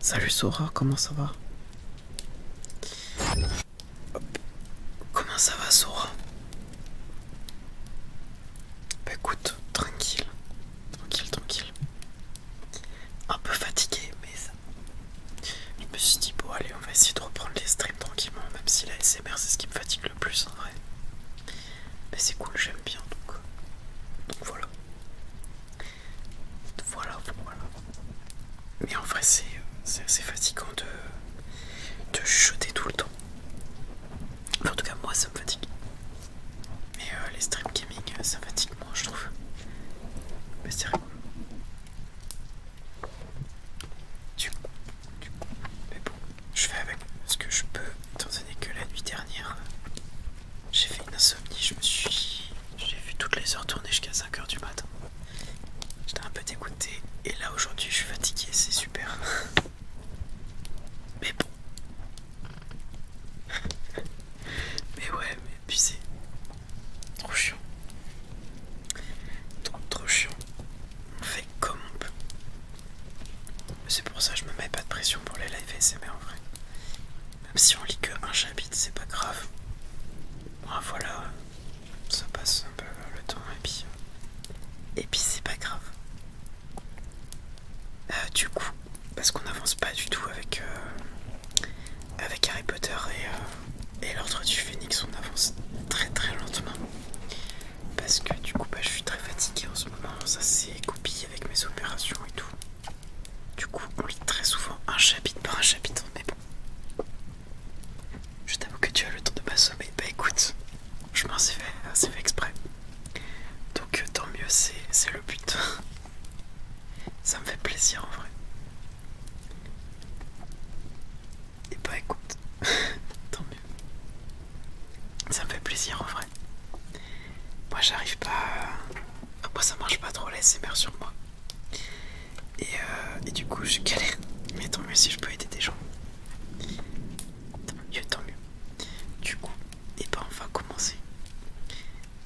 Salut Sora, comment ça va Comment ça va, Sora Bah écoute, tranquille. Tranquille, tranquille. Un peu fatigué, mais Je me suis dit, bon allez, on va essayer de reprendre les streams tranquillement, même si la SMR c'est ce qui me fatigue le plus en vrai. Mais c'est cool, j'aime bien, donc... Donc voilà. Voilà, voilà. Mais en vrai, c'est assez fatigant de, de chuchoter tout le temps. en tout cas, moi, ça me fatigue. Mais euh, les stream gaming, euh, ça fatigue moi je trouve. Mais c'est rigolo. Du du mais bon, je fais avec ce que je peux, étant donné que la nuit dernière, euh, j'ai fait une insomnie, je me suis. J'ai vu toutes les heures tourner jusqu'à 5h du matin. J'étais un peu dégoûté et là aujourd'hui je suis fatigué, c'est super. Mais bon. mais ouais, mais puis c'est trop chiant. Trop, trop chiant. On fait comme on peut. C'est pour ça que je me mets pas de pression pour les lives SMR en vrai si on lit que un chapitre, c'est pas grave. voilà, ça passe un peu le temps et puis, euh, et puis c'est pas grave. Euh, du coup, parce qu'on n'avance pas du tout avec, euh, avec Harry Potter et, l'ordre du phénix, on avance très très lentement. Parce que du coup, bah, je suis très fatigué en ce moment, ça s'est coupé avec mes opérations et tout. Du coup, on lit très souvent un chapitre par un chapitre, mais bon. Je t'avoue que tu as le temps de m'assommer. Bah écoute, je m'en suis fait, fait exprès. Donc euh, tant mieux, c'est le but. Ça me fait plaisir en vrai. Et bah écoute, tant mieux. Ça me fait plaisir en vrai. Moi j'arrive pas... À... Moi ça marche pas trop l'ASMR sur moi. Euh, et, du coup, je galère. Mais tant mieux si je peux aider des gens. Tant mieux, tant mieux. Du coup, et eh ben on va commencer.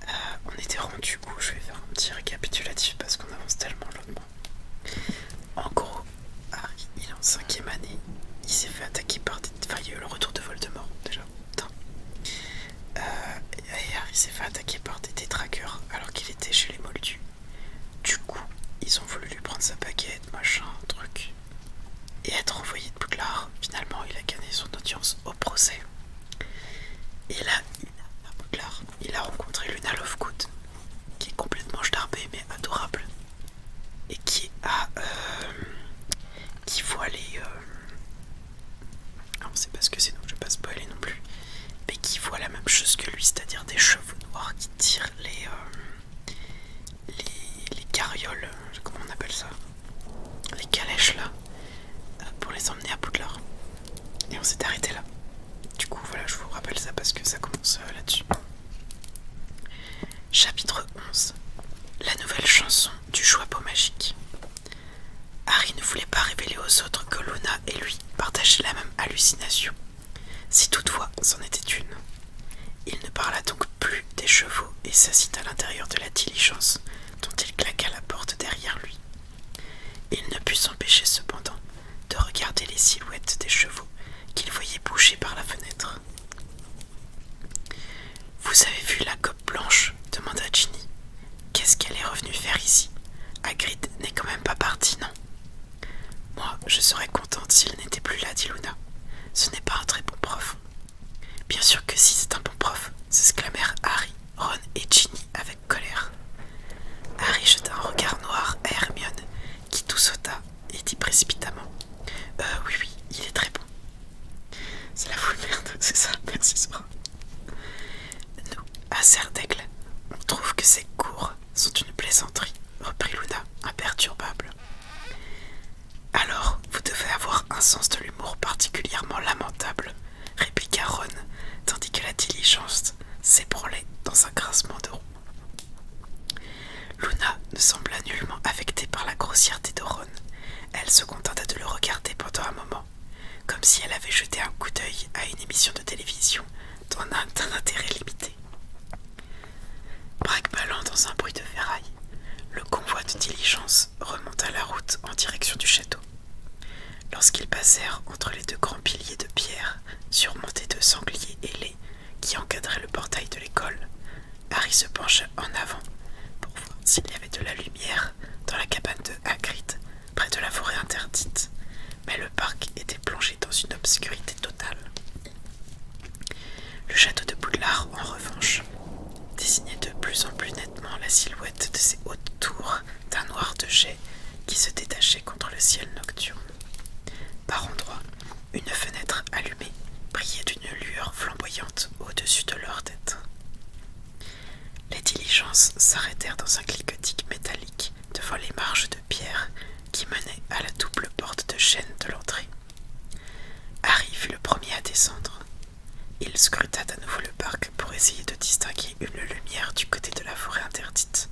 Euh, on était rendu coup, Je vais faire un petit récapitulatif parce qu'on avance tellement lentement. En gros, Harry, il est en cinquième année. Il s'est fait attaquer par des... Enfin, il y a eu le retour de Voldemort, déjà. Putain ailleurs il s'est fait attaquer par des détraqueurs alors qu'il était chez les Moldus. Du coup, ils ont voulu lui prendre sa baguette, machin, truc. Et être envoyé de Poudlard, finalement il a gagné son audience au procès. Et là, il a rencontré Luna Lovegood, qui est complètement jetarbée mais adorable. Et qui a... Euh, qui voit les... Euh, on ne sait pas ce que c'est donc je passe vais pas spoiler non plus, mais qui voit la même chose que lui, c'est-à-dire des chevaux noirs qui tirent les, euh, les, carrioles, euh, comment on appelle ça, les calèches là, euh, pour les emmener à Poudlard. Et on s'est arrêté là. Du coup, voilà, je vous rappelle ça parce que ça commence là-dessus. Chapitre 11 La nouvelle chanson du Choix magique. Harry ne voulait pas révéler aux autres que Luna et lui partageaient la même hallucination, si toutefois c'en était une. Il ne parla donc plus des chevaux et s'assit à l'intérieur de la diligence dont il claqua la porte derrière lui. Il ne put s'empêcher cependant de regarder les silhouettes des chevaux qu'il voyait bouger par la fenêtre. Vous avez vu la coque blanche demanda Ginny. Qu'est-ce qu'elle est revenue faire ici Hagrid n'est quand même pas parti, non Moi, je serais contente s'il n'était plus là, dit Luna. Ce n'est pas un très bon prof. Bien sûr que si, c'est un bon prof, s'exclamèrent Harry, Ron et Ginny avec colère. Harry jeta un regard noir à Hermione, qui tout sauta et dit précipitamment Euh, oui, oui, il est très bon. C'est la foule merde, c'est ça, merci, Sora. Nous, à Serdaigle, on trouve que ces cours sont une plaisanterie, reprit Luna, imperturbable. Alors, vous devez avoir un sens de l'humour particulièrement lamentable, répliqua Ron, tandis que la diligence s'ébranlait dans un grincement de roues. Luna ne sembla nullement affectée par la grossièreté de Ron. Elle se contenta de le regarder pendant un moment comme si elle avait jeté un coup d'œil à une émission de télévision d'un intérêt limité. braque dans un bruit de ferraille, le convoi de diligence remonta la route en direction du château. Lorsqu'ils passèrent entre les deux grands piliers de pierre surmontés de sangliers ailés qui encadraient le portail de l'école, Harry se pencha en avant pour voir s'il y avait de la lumière dans la cabane de Hagrid près de la forêt interdite, mais le parc était plongé dans une obscurité totale. Le château de Boudlard, en revanche, désignait de plus en plus nettement la silhouette de ses hautes tours d'un noir de jet qui se détachait contre le ciel nocturne. Par endroits, une fenêtre allumée brillait d'une lueur flamboyante au-dessus de leur tête. Les diligences s'arrêtèrent dans un cliquetis métallique devant les marges de pierre qui menaient à la double porte de chêne de l'entrée. Harry fut le premier à descendre. Il scruta à nouveau le parc pour essayer de distinguer une lumière du côté de la forêt interdite.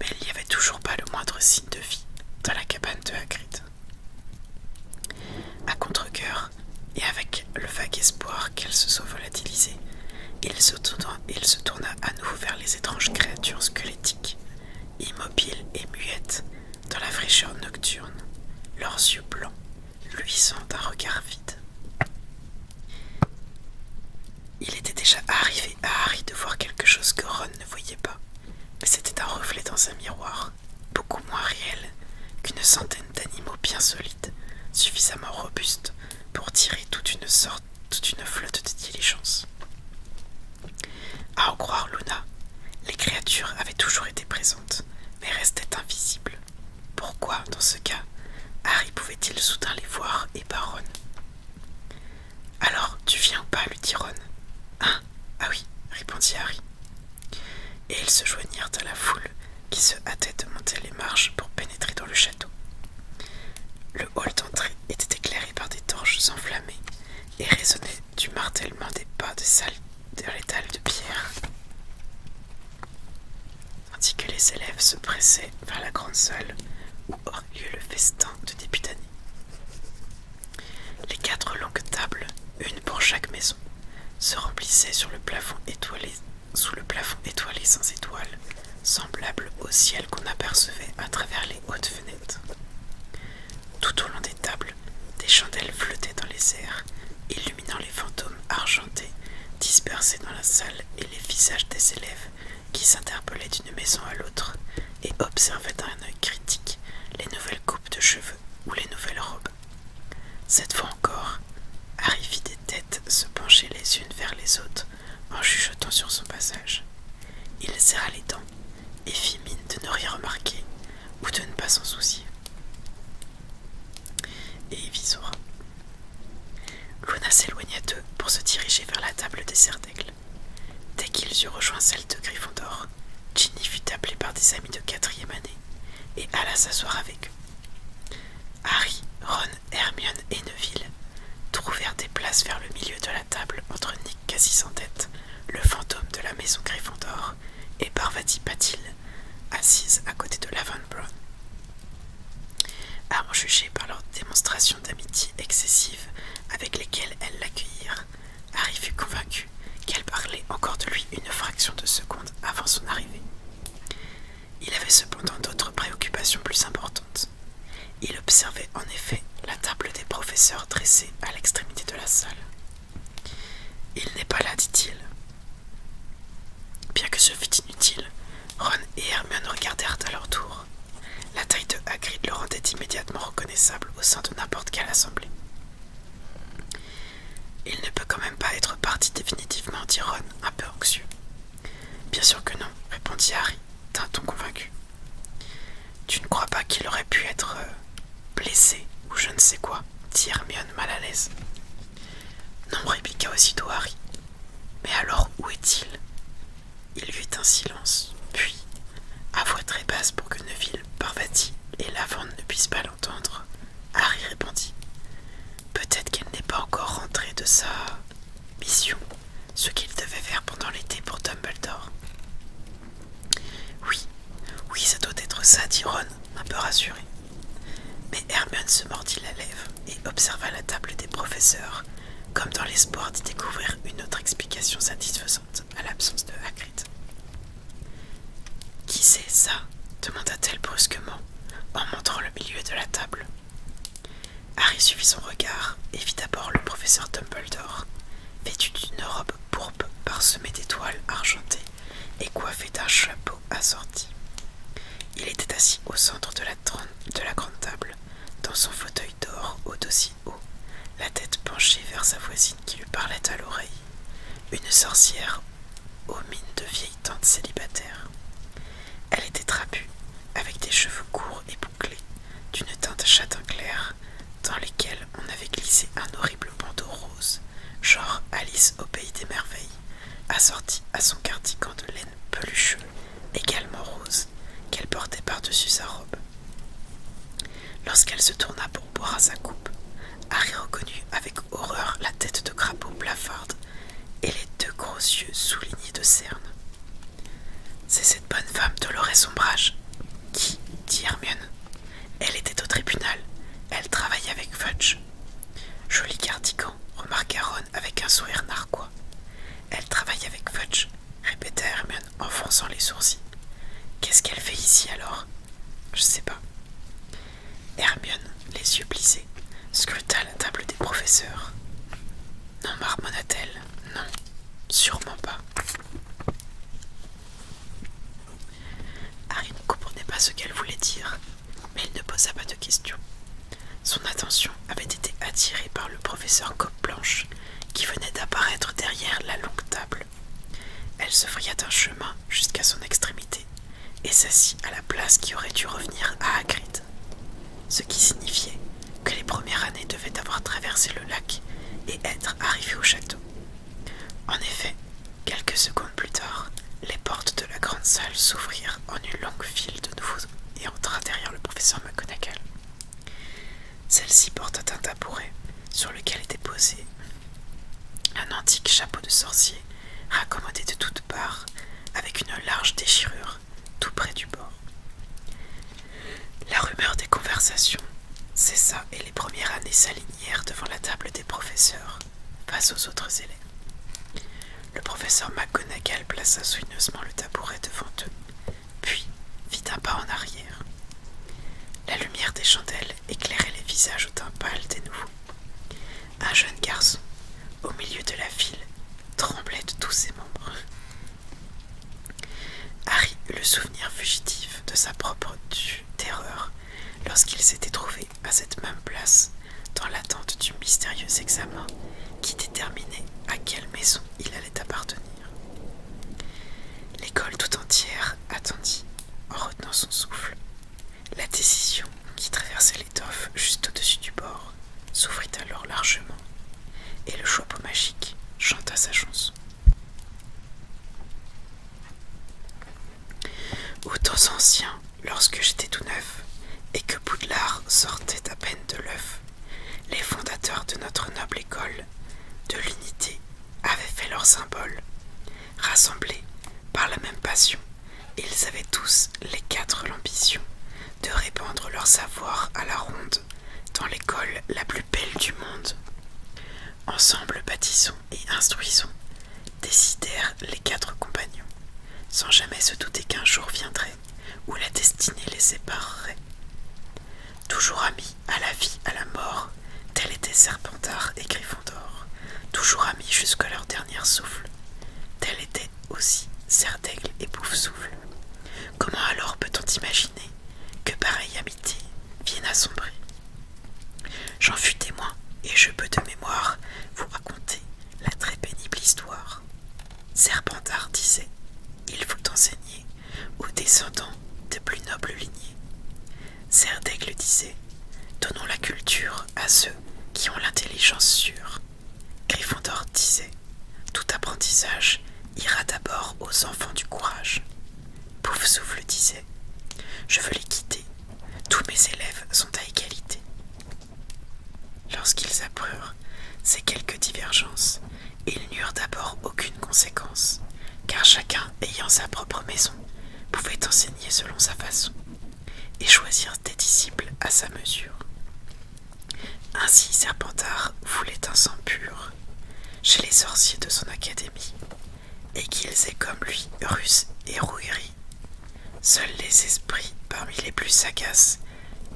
Mais il n'y avait toujours pas le moindre signe de vie dans la cabane de Hagrid. À contre et avec le vague espoir qu'elle se soit volatilisée, il se, tourna, il se tourna à nouveau vers les étranges créatures squelettiques, immobiles et muettes dans la fraîcheur nocturne, leurs yeux blancs luisant d'un regard vide. Il était déjà arrivé à Harry de voir quelque chose que Ron ne voyait pas, mais c'était un reflet dans un miroir, beaucoup moins réel qu'une centaine d'animaux bien solides, suffisamment robustes pour tirer toute une sorte, toute une flotte de diligence. À en croire Luna, les créatures avaient toujours été présentes, mais restaient invisibles. Pourquoi, dans ce cas, Harry pouvait-il soudain les voir et pas Ron Alors, tu viens ou pas lui dit Ron. Hein Ah oui, répondit Harry. Et ils se joignirent à la foule qui se hâtait de monter les marches pour pénétrer dans le château. Le hall d'entrée était éclairé par des torches enflammées et résonnait du martèlement des pas des salles de l'étal de pierre, tandis que les élèves se pressaient vers la grande salle où aurait lieu le festin de début d'année. Les quatre longues tables, une pour chaque maison, se remplissaient sur le plafond étoilé sous le plafond étoilé sans étoiles, semblable au ciel qu'on apercevait à travers les hautes fenêtres. Tout au long des tables, des chandelles flottaient dans les airs, illuminant les fantômes argentés dispersés dans la salle et les visages des élèves qui s'interpellaient d'une maison à l'autre et observaient d'un œil critique les nouvelles coupes de cheveux ou les nouvelles robes. Cette fois encore, Harry fit des têtes se pencher les unes vers les autres en chuchotant sur son passage. Il serra les dents et fit mine de ne rien remarquer ou de ne pas s'en soucier. Et Évisora. Luna s'éloigna d'eux pour se diriger vers la table des certècles. Dès qu'ils eurent rejoint celle de Gryffondor, Ginny fut appelée par des amis de quatrième année et alla s'asseoir avec eux. Harry, Ron Hermione et Neville trouvèrent des places vers le milieu de la table entre Nick quasi en tête, le fantôme de la maison Gryffondor, et Parvati Patil, assise à côté de Lavan Brown. À en juger par leurs démonstrations d'amitié excessive avec lesquelles elles l'accueillirent, Harry fut convaincu qu'elle parlait encore de lui une fraction de seconde avant son arrivée. Il avait cependant d'autres préoccupations plus importantes. Il observait en effet la table des professeurs dressée à l'extrémité de la salle. Il n'est pas là, dit-il. Bien que ce fût inutile, Ron et Hermione regardèrent à leur tour. La taille de Hagrid le rendait immédiatement reconnaissable au sein de n'importe quelle assemblée. Il ne peut quand même pas être parti définitivement, dit Ron, un peu anxieux. Bien sûr que non, répondit Harry d'un ton convaincu. Tu ne crois pas qu'il aurait pu être euh, blessé ou je ne sais quoi, dit Hermione mal à l'aise. Non, répliqua aussitôt Harry. Mais alors où est-il Il y eut un silence, puis, à voix très basse pour que Neville, Parvati et Lavande ne puisse pas l'entendre, Harry répondit Peut-être qu'elle n'est pas encore rentrée de sa mission, ce qu'il devait faire pendant l'été pour Dumbledore. Oui, oui, ça doit être ça, dit Ron, un peu rassuré. Mais Hermione se mordit la lèvre et observa la table des professeurs, comme dans l'espoir d'y découvrir une autre explication satisfaisante à l'absence de Hagrid. Qui c'est ça demanda-t-elle brusquement en montrant le milieu de la table. Harry suivit son regard et vit d'abord le professeur Dumbledore, vêtu d'une robe pourpre parsemée d'étoiles argentées et coiffé d'un chapeau assorti. Il était assis au centre de la, grande table, dans son fauteuil d'or au dossier haut, la tête penchée vers sa voisine qui lui parlait à l'oreille, une sorcière aux mines de vieille teinte célibataire. Elle était trapue, avec des cheveux courts et bouclés, d'une teinte châtain clair, dans lesquels on avait glissé un horrible bandeau rose, genre Alice au pays des merveilles, assorti à son cardigan de laine pelucheux, également rose, qu'elle portait par-dessus sa robe. Lorsqu'elle se tourna pour boire à sa coupe, Harry reconnut avec horreur la tête de crapaud blafarde et les deux gros yeux soulignés de cernes. C'est cette bonne femme de sombrage. »« qui, dit Hermione. Elle était au tribunal, elle travaille avec Fudge. Joli cardigan, remarqua Ron avec un sourire narquois. Elle travaille avec Fudge, répéta Hermione en fronçant les sourcils. Qu'est-ce qu'elle fait ici alors Je ne sais pas. Hermione, les yeux plissés, scruta la table des professeurs. Non, marmonna-t-elle. Non, sûrement pas. Harry ne comprenait pas ce qu'elle voulait dire, mais il ne posa pas de questions. Son attention avait été attirée par le professeur Cope Blanche qui venait d'apparaître derrière la longue table. Elle se fraya d'un chemin jusqu'à son extrémité et s'assit à la place qui aurait dû revenir à Hagrid. Ce qui signifiait que les premières années devaient avoir traversé le lac et être arrivées au château. En effet, quelques secondes plus tard, les portes de la grande salle s'ouvrirent en une longue file de nouveaux et entra derrière le professeur McGonagall. Celle-ci portait un tabouret sur lequel était posé un antique chapeau de sorcier raccommodé de toutes part avec une large déchirure tout près du bord. La rumeur des conversations cessa et les premières années s'alignèrent devant la table des professeurs, face aux autres élèves. Le professeur McGonagall plaça soigneusement le tabouret devant eux, puis fit un pas en arrière. La lumière des chandelles éclairait les visages au teint pâle des nouveaux un jeune garçon, au milieu de la ville, tremblait de tous ses membres. Harry eut le souvenir fugitif de sa propre terreur lorsqu'il s'était trouvé à cette même place dans l'attente du mystérieux examen qui déterminait à quelle maison il allait appartenir. L'école tout entière attendit, en retenant son souffle, la décision qui traversait l'étoffe juste au-dessus du bord s'ouvrit alors largement, et le chapeau magique chanta sa chanson. Aux temps anciens, lorsque j'étais tout neuf, et que Boudlard sortait à peine de l'œuf, les fondateurs de notre noble école de l'unité avaient fait leur symbole, rassemblés par la même passion ils avaient tous les quatre l'ambition de répandre leur savoir à la ronde dans l'école la plus belle du monde. Ensemble bâtissons et instruisons, décidèrent les quatre compagnons, sans jamais se douter qu'un jour viendrait où la destinée les séparerait. Toujours amis à la vie, à la mort, tel étaient Serpentard et Gryffondor, toujours amis jusqu'à leur dernier souffle, tel était aussi serre et bouffe Comment alors peut-on imaginer que pareille amitié vienne à J'en fus témoin et je peux de mémoire vous raconter la très pénible histoire. Serpentard disait Il faut enseigner aux descendants de plus nobles lignées. Serre disait Donnons la culture à ceux qui ont l'intelligence sûre griffondor disait Tout apprentissage ira d'abord aux enfants du courage. Pouf Souffle disait Je veux les quitter, tous mes élèves sont à égalité. Lorsqu'ils apprurent ces quelques divergences, ils n'eurent d'abord aucune conséquence, car chacun ayant sa propre maison pouvait enseigner selon sa façon et choisir des disciples à sa mesure. Ainsi Serpentard voulait un sang pur chez les sorciers de son académie, et qu'ils aient comme lui russe et rouillerie. Seuls les esprits parmi les plus sagaces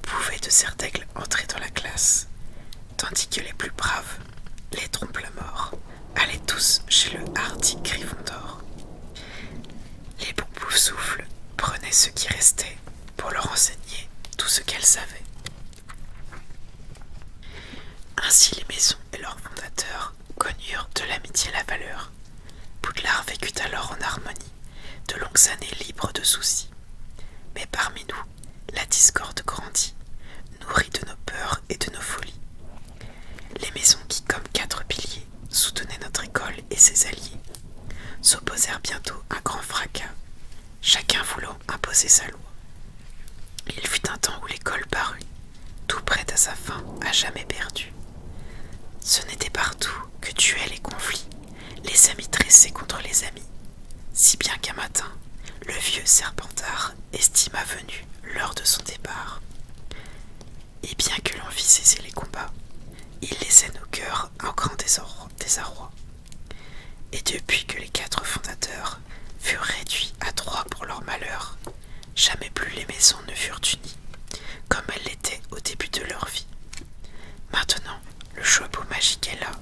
pouvaient de Serdaigle entrer dans la classe, tandis que les plus braves, les trompent la mort allaient tous chez le hardi Gryffondor. Les Boupoufs souffles prenaient ce qui restait pour leur enseigner tout ce qu'elles savaient. Ainsi les maisons et leurs fondateurs connurent de l'amitié la valeur. Poudlard vécut alors en harmonie de longues années libres de soucis. Mais parmi nous, la discorde grandit, nourrie de nos peurs et de nos folies. Les maisons qui, comme quatre piliers, soutenaient notre école, et ses alliés s'opposèrent bientôt à grand fracas, chacun voulant imposer sa loi. Il fut un temps où l'école parut, tout prêt à sa fin, à jamais perdue. Ce n'était partout que tuaient les conflits, les amis tressés contre les amis, si bien qu'un matin, le vieux Serpentard estima venu l'heure de son départ. Et bien que l'on l'envie cesser les combats, il laissait nos cœurs un grand désarroi. Et depuis que les quatre fondateurs furent réduits à trois pour leur malheur, jamais plus les maisons ne furent unies, comme elles l'étaient au début de leur vie. Maintenant, le chapeau magique est là,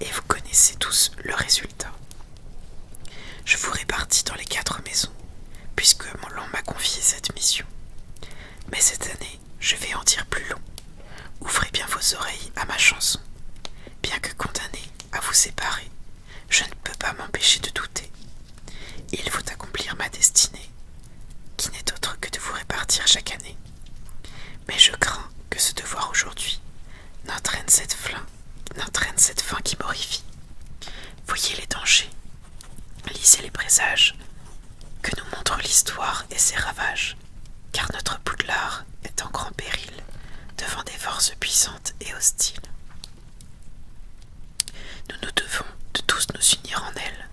et vous connaissez tous le résultat. Je vous répartis dans les quatre maisons, puisque mon l'on m'a confié cette mission. Mais cette année, je vais en dire plus long. Ouvrez bien vos oreilles à ma chanson. Bien que condamné à vous séparer, je ne peux pas m'empêcher de douter. Il faut accomplir ma destinée, qui n'est autre que de vous répartir chaque année. Mais je crains que ce devoir aujourd'hui n'entraîne cette, N'entraîne cette fin qui m'horrifie. Voyez les dangers Lisez les présages que nous montre l'histoire et ses ravages, car notre Poudlard est en grand péril devant des forces puissantes et hostiles. Nous nous devons de tous nous unir en elle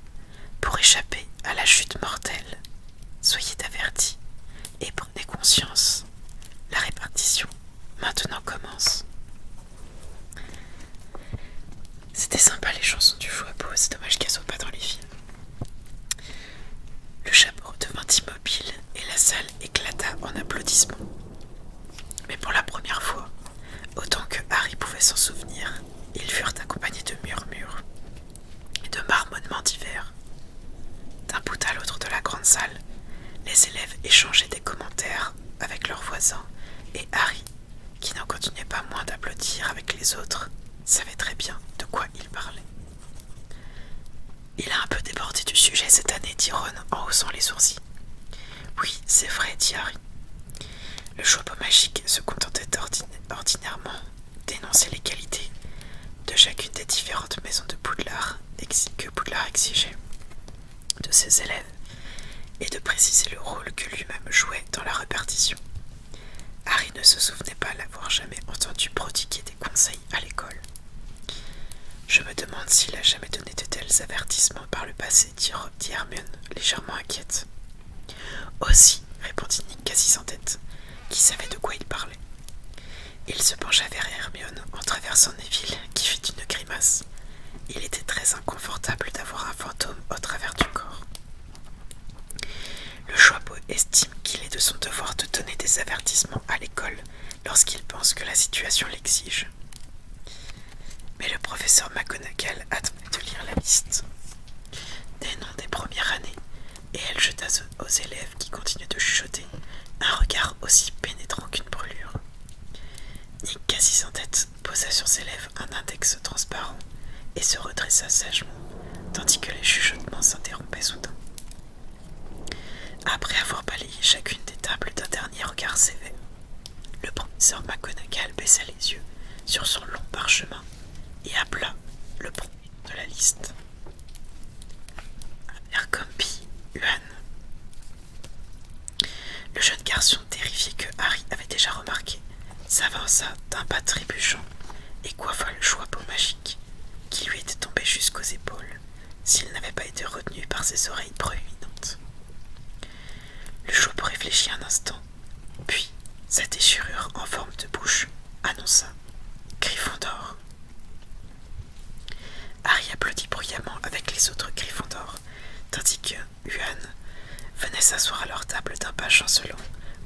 pour échapper à la chute mortelle. Soyez avertis et prenez conscience. La répartition maintenant commence. C'était sympa les chansons du chapeau. c'est dommage qu'elles soient pas dans les films. Le chapeau devint immobile et la salle éclata en applaudissements. Mais pour la première fois, autant que Harry pouvait s'en souvenir, ils furent accompagnés de murmures et de marmonnements divers. D'un bout à l'autre de la grande salle, les élèves échangeaient des commentaires avec leurs voisins et Harry qui n'en continuait pas moins d'applaudir avec les autres, savait très bien de quoi il parlait. Il a un peu débordé du sujet cette année, dit Ron en haussant les sourcils. Oui, c'est vrai, dit Harry. Le chapeau magique se contentait ordinairement d'énoncer les qualités de chacune des différentes maisons de Poudlard que Poudlard exigeait de ses élèves et de préciser le rôle que lui-même jouait dans la répartition. Harry ne se souvenait pas l'avoir jamais entendu prodiguer des conseils à l'école. Je me demande s'il a jamais donné de tels avertissements par le passé, dit Hermione, légèrement inquiète. Aussi, répondit Nick quasi sans tête, qui savait de quoi il parlait. Il se pencha vers Hermione en traversant Neville, qui fit une grimace. Il était très inconfortable d'avoir un fantôme au travers du corps. Le chapeau estime qu'il est de son devoir de donner des avertissements à l'école lorsqu'il pense que la situation l'exige. Mais le professeur McGonagall a de lire la liste des noms des premières années et elle jeta aux élèves qui continuaient de chuchoter un regard aussi pénétrant qu'une brûlure. Nick, quasi sans tête, posa sur ses lèvres un index transparent et se redressa sagement, tandis que les chuchotements s'interrompaient soudain. Après avoir balayé chacune des tables d'un dernier regard sévère, le professeur McGonagall baissa les yeux sur son long parchemin et appela le premier de la liste. Le jeune garçon terrifié que Harry avait déjà remarqué s'avança d'un pas trébuchant et coiffa le chapeau magique qui lui était tombé jusqu'aux épaules s'il n'avait pas été retenu par ses oreilles proéminentes. Le chapeau réfléchit un instant, puis sa déchirure en forme de bouche annonça Gryffondor. Harry applaudit bruyamment avec les autres Gryffondors, tandis que Yuan, venait s'asseoir à leur table d'un pas chancelant,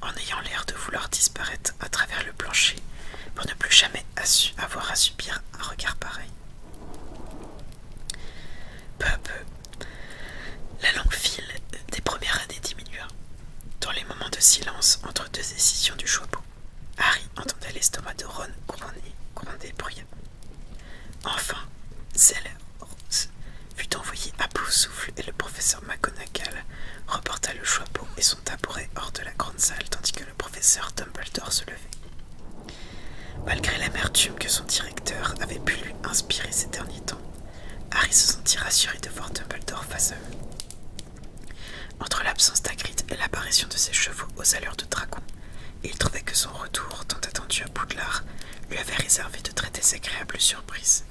en ayant l'air de vouloir disparaître à travers le plancher pour ne plus jamais avoir à subir un regard pareil. Peu à peu, la longue file des premières années diminua. Dans les moments de silence entre deux décisions du chapeau, Harry entendait l'estomac de Ron gronder, gronder bruyamment. Enfin, c'est l'heure fut envoyé à bout souffle et le professeur McGonagall reporta le chapeau et son tabouret hors de la grande salle tandis que le professeur Dumbledore se levait. Malgré l'amertume que son directeur avait pu lui inspirer ces derniers temps, Harry se sentit rassuré de voir Dumbledore face à eux. Entre l'absence d'Agrid et l'apparition de ses chevaux aux allures de dragon, il trouvait que son retour, tant attendu à Poudlard, lui avait réservé de très désagréables surprises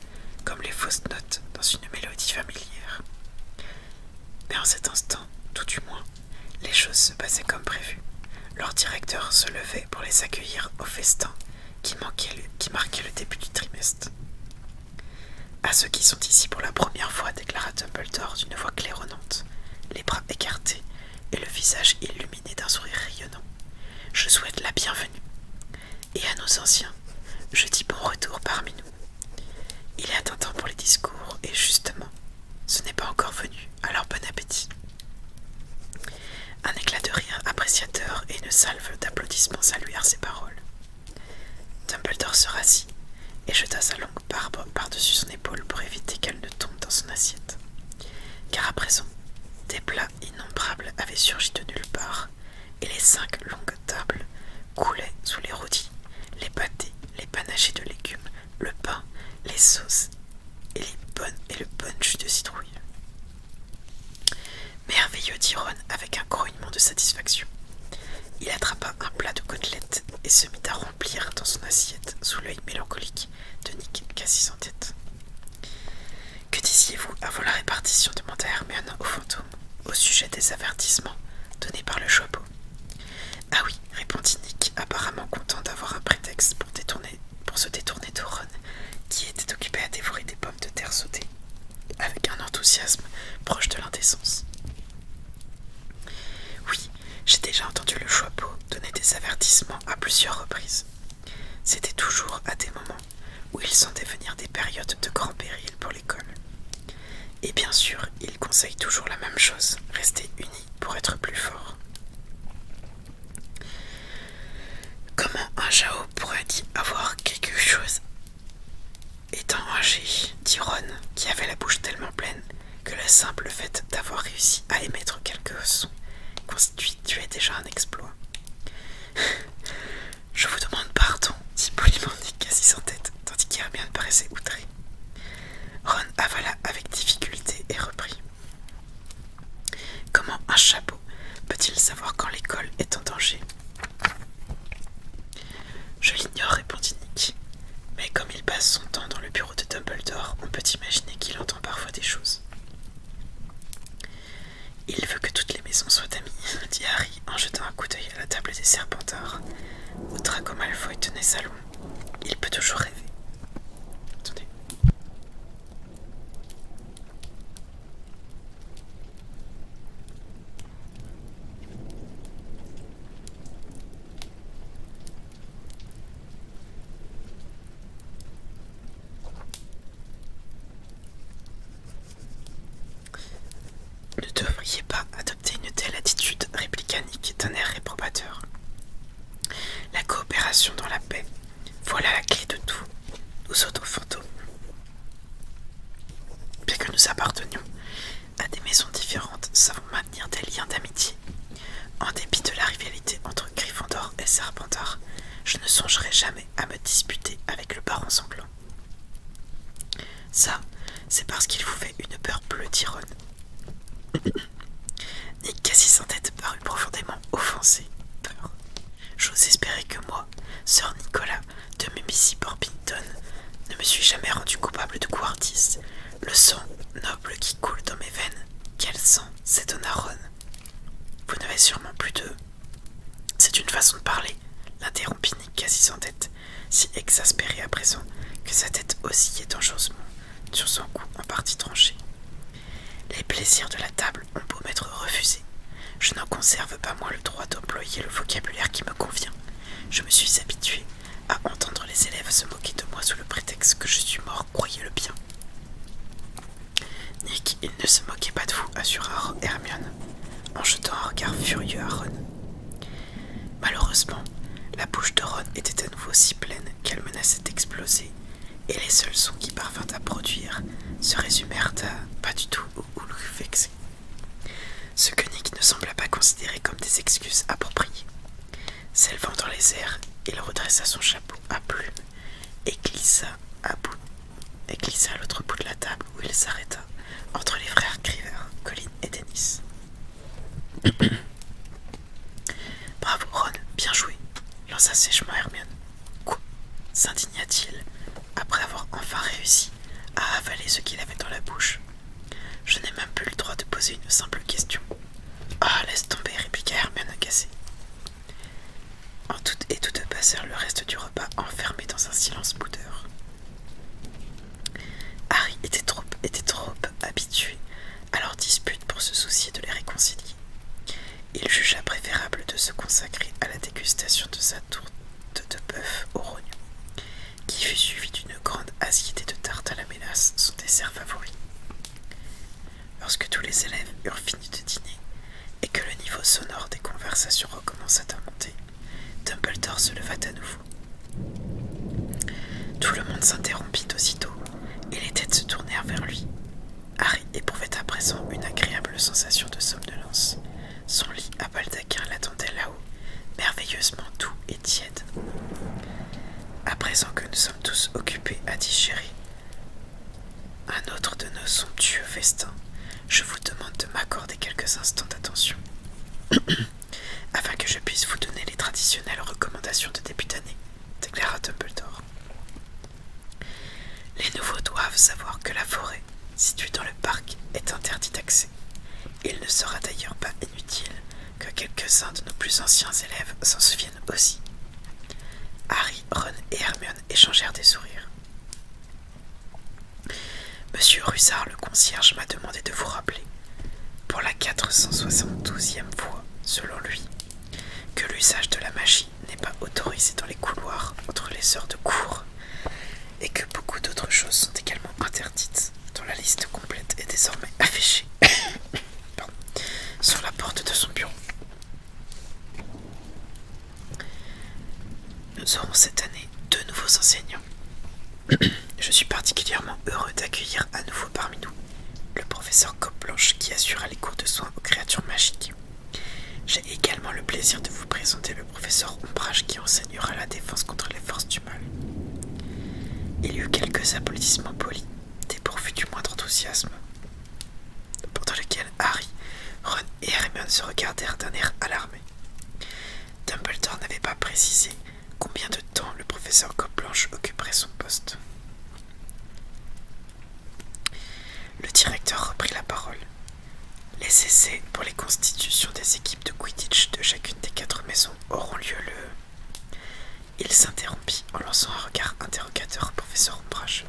comme les fausses notes dans une mélodie familière. Mais en cet instant, tout du moins, les choses se passaient comme prévu. Leur directeur se levait pour les accueillir au festin qui, manquait qui marquait le début du trimestre. À ceux qui sont ici pour la première fois, déclara Dumbledore d'une voix claironnante, les bras écartés et le visage illuminé d'un sourire rayonnant. Je souhaite la bienvenue et à nos anciens, je dis bon retour parmi nous. Il est atteint temps pour les discours, et justement, ce n'est pas encore venu, alors bon appétit. Un éclat de rire appréciateur et une salve d'applaudissements saluèrent ces paroles. Dumbledore se rassit et jeta sa longue barbe par-dessus son épaule pour éviter qu'elle ne tombe dans son assiette. Car à présent, des plats innombrables avaient surgi de nulle part et les cinq longues tables coulaient sous les rôtis, les pâtés, les panachés de légumes, le pain, les sauces et, le bon et le de citrouille. Merveilleux dit avec un grognement de satisfaction. Il attrapa un plat de côtelettes et se mit à remplir dans son assiette sous l'œil mélancolique de Nick Cassis en tête. Que disiez-vous avant la répartition demanda Hermione au fantôme au sujet des avertissements donnés par le chapeau. Ah oui, répondit Nick, apparemment content d'avoir un prétexte pour, se détourner d'Oron, qui était occupé à dévorer des pommes de terre sautées, avec un enthousiasme proche de l'indécence. Oui, j'ai déjà entendu le chapeau donner des avertissements à plusieurs reprises, c'était toujours à des moments où il sentait venir des périodes de grand péril pour l'école. Et bien sûr, il conseille toujours la même chose, rester unis pour être plus forts. Comment un Jao pourrait-il avoir quelque chose Étant âgé, dit qui avait la bouche tellement pleine que le simple fait d'avoir réussi à émettre quelques sons constituait déjà un exploit. Je vous demande pardon, dit Nick, assis en tête, tandis bien paraissait outré. Ron avala avec difficulté et reprit. Comment un chapeau peut-il savoir quand l'école est en danger Je l'ignore, répondit Nick. Mais comme il passe son temps dans le bureau de Dumbledore, on peut imaginer qu'il entend parfois des choses. Il veut que toutes les maisons soient amies, dit Harry en jetant un coup d'œil à la table des Serpenteurs, où Draco Malfoy tenait salon. Il peut toujours rêver. Attendez. Ne devriez pas adopter une telle attitude, réplicanique d'un air réprobateur. La coopération dans la paix, voilà la clé de tout. Nous autres fantômes, bien que nous appartenions à des maisons différentes, savons maintenir des liens d'amitié. En dépit de la rivalité entre Gryffondor et Serpentard, je ne songerai jamais à me disputer avec le baron sanglant. Ça, c'est parce qu'il vous fait une peur bleue Ron, Nick Cassis en tête parut profondément offensé. Peur. J'ose espérer que moi, sœur Nicolas de Mimici Porpington, ne me suis jamais rendu coupable de co-artiste. Le sang noble qui coule dans mes veines, quel sang s'étonna Ron. Vous n'avez sûrement plus de c'est une façon de parler, l'interrompit Nick quasi sans tête, si exaspéré à présent que sa tête oscillait dangereusement sur son cou en partie tranché. Les plaisirs de la table ont beau m'être refusés. Je n'en conserve pas moins le droit d'employer le vocabulaire qui me convient. Je me suis habitué à entendre les élèves se moquer de moi sous le prétexte que je suis mort, croyez-le bien. Nick, il ne se moquait pas de vous, assura Hermione, en jetant un regard furieux à Ron. Malheureusement, la bouche de Ron était à nouveau si pleine qu'elle menaçait d'exploser, et les seuls sons qui parvinrent à produire se résumèrent à pas du tout au houlou vexé. Ce que Nick ne sembla pas considérer comme des excuses appropriées. S'élevant dans les airs, il redressa son chapeau à plumes et glissa à bout et glissa à l'autre bout de la table où il s'arrêta, entre les frères Criver, Colin et Dennis. Bravo Ron, bien joué, lança sèchement Hermione. Quoi s'indigna-t-il, après avoir enfin réussi à avaler ce qu'il avait dans la bouche. Je n'ai même plus le droit de poser une simple question. Ah, laisse tomber, répliqua Hermione Cassé. En tout et toutes passèrent le reste du repas enfermés dans un silence boudeur. Harry était trop, habitué à leurs disputes pour se soucier de les réconcilier. Il jugea préférable de se consacrer à la dégustation de sa tourte de bœuf au rognon, qui fut suivie d'une grande assiette de tarte à la mélasse, son dessert favori. Lorsque tous les élèves eurent de dîner et que le niveau sonore des conversations recommença à monter, Dumbledore se leva à nouveau. Tout le monde s'interrompit aussitôt et les têtes se tournèrent vers lui. Harry éprouvait à présent une agréable sensation de somnolence. Son lit à baldaquin l'attendait là-haut, merveilleusement doux et tiède. À présent que nous sommes tous occupés à digérer, un autre de nos somptueux vestins, je vous demande de m'accorder quelques instants d'attention, afin que je puisse vous donner les traditionnelles recommandations de début d'année, déclara Dumbledore. Les nouveaux doivent savoir que la forêt, située dans le parc, est interdite d'accès. Il ne sera d'ailleurs pas inutile que quelques-uns de nos plus anciens élèves s'en souviennent aussi. Harry, Ron et Hermione échangèrent des sourires. Monsieur Russard, le concierge, m'a demandé de vous rappeler, pour la 472e fois, selon lui, que l'usage de la magie n'est pas autorisé dans les couloirs entre les heures de cours et que beaucoup d'autres choses sont également interdites, dont la liste complète est désormais affichée sur la porte de son bureau. Nous aurons cette année deux nouveaux enseignants. Je suis particulièrement heureux d'accueillir à nouveau parmi nous le professeur Coplanche qui assurera les cours de soins aux créatures magiques. J'ai également le plaisir de vous présenter le professeur Ombrage qui enseignera la défense contre les forces du mal. Il y eut quelques applaudissements polis, dépourvus du moindre enthousiasme, pendant lesquels Harry, Ron et Hermione se regardèrent d'un air alarmé. Dumbledore n'avait pas précisé combien de temps le professeur Coplanche occuperait son poste. Le directeur reprit la parole. Les essais pour les constitutions des équipes de Quidditch de chacune des quatre maisons auront lieu le... Il s'interrompit en lançant un regard interrogateur au professeur Ombrage.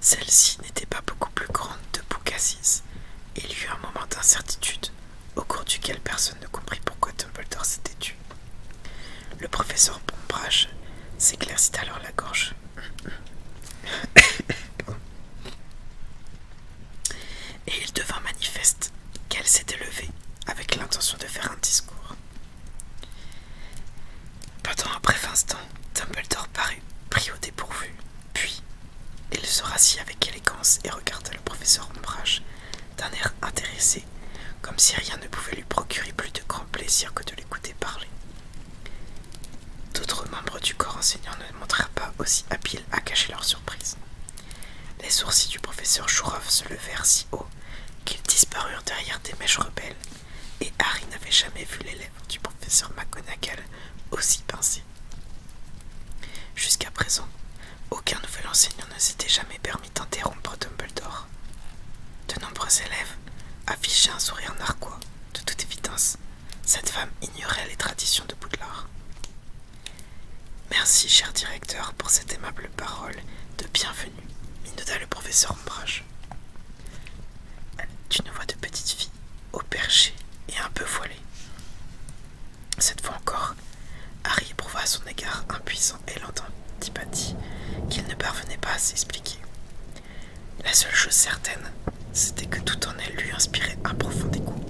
Celle-ci n'était pas beaucoup plus grande de et Il y eut un moment d'incertitude, au cours duquel personne ne comprit pourquoi Dumbledore s'était tué. Le professeur Pombrage s'éclaircit alors la gorge. Et il devint manifeste qu'elle s'était levée avec l'intention de faire un discours. Pendant un bref instant, Dumbledore parut pris au dépourvu, puis il se rassit avec élégance et regarda le professeur Ombrage d'un air intéressé, comme si rien ne pouvait lui procurer plus de grand plaisir que de l'écouter parler. D'autres membres du corps enseignant ne montrèrent pas aussi habiles à cacher leur surprise. Les sourcils du professeur Chourov se levèrent si haut qu'ils disparurent derrière des mèches rebelles et Harry n'avait jamais vu l'élève du professeur McGonagall aussi pincé. Jusqu'à présent, aucun nouvel enseignant ne s'était jamais permis d'interrompre Dumbledore. De nombreux élèves affichaient un sourire narquois, de toute évidence. Cette femme ignorait les traditions de Poudlard. Merci, cher directeur, pour cette aimable parole de bienvenue, innota le professeur Ombrage d'une voix de petite fille, au perché et un peu voilée. Cette fois encore, Harry éprouva à son égard impuissant et élan d'antipathie qu'il ne parvenait pas à s'expliquer. La seule chose certaine, c'était que tout en elle lui inspirait un profond dégoût,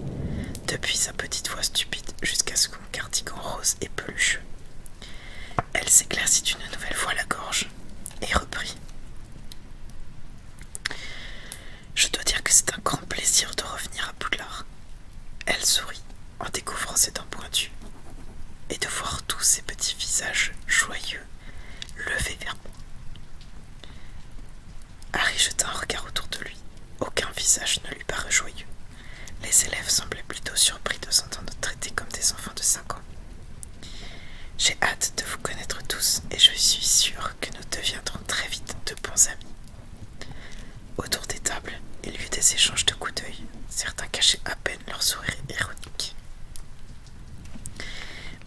depuis sa petite voix stupide jusqu'à son cardigan rose et pelucheux. Elle s'éclaircit une nouvelle fois la gorge et reprit Je dois dire que c'est un grand plaisir de revenir à Boudlard. Elle sourit en découvrant ses dents pointues et de voir tous ces petits visages joyeux levés vers moi. Harry jeta un regard autour de lui. Aucun visage ne lui parut joyeux. Les élèves semblaient plutôt surpris de s'entendre traiter comme des enfants de cinq ans. J'ai hâte de vous connaître tous et je suis sûre que nous deviendrons très vite de bons amis. Autour des tables, il y eut des échanges de coups d'œil, certains cachaient à peine leur sourire ironique.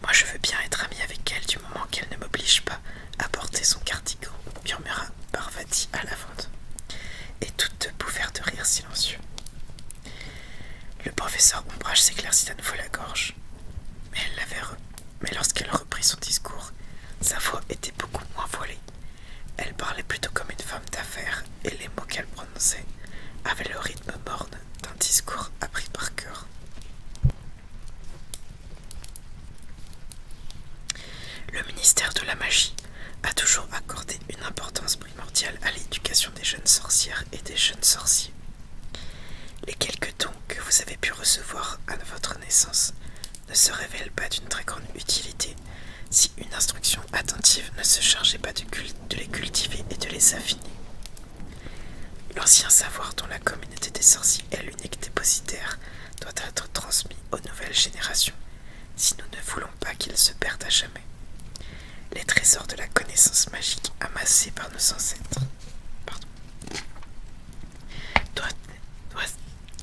Moi je veux bien être amie avec elle du moment qu'elle ne m'oblige pas à porter son cardigan, murmura Parvati à la vente. Et toutes deux bouffèrent de rire silencieux. Le professeur Ombrage s'éclaircit à nouveau la gorge, mais elle Mais lorsqu'elle reprit son discours, sa voix était beaucoup moins voilée. Elle parlait plutôt comme une femme d'affaires, et les mots qu'elle prononçait avaient le rythme morne d'un discours appris par cœur. Le ministère de la magie a toujours accordé une importance primordiale à l'éducation des jeunes sorcières et des jeunes sorciers. Les quelques dons que vous avez pu recevoir à votre naissance ne se révèlent pas d'une très grande utilité si une instruction attentive ne se chargeait pas de, les cultiver et de les affiner. L'ancien savoir dont la communauté des sorciers est l'unique dépositaire doit être transmis aux nouvelles générations si nous ne voulons pas qu'il se perde à jamais les trésors de la connaissance magique amassés par nos ancêtres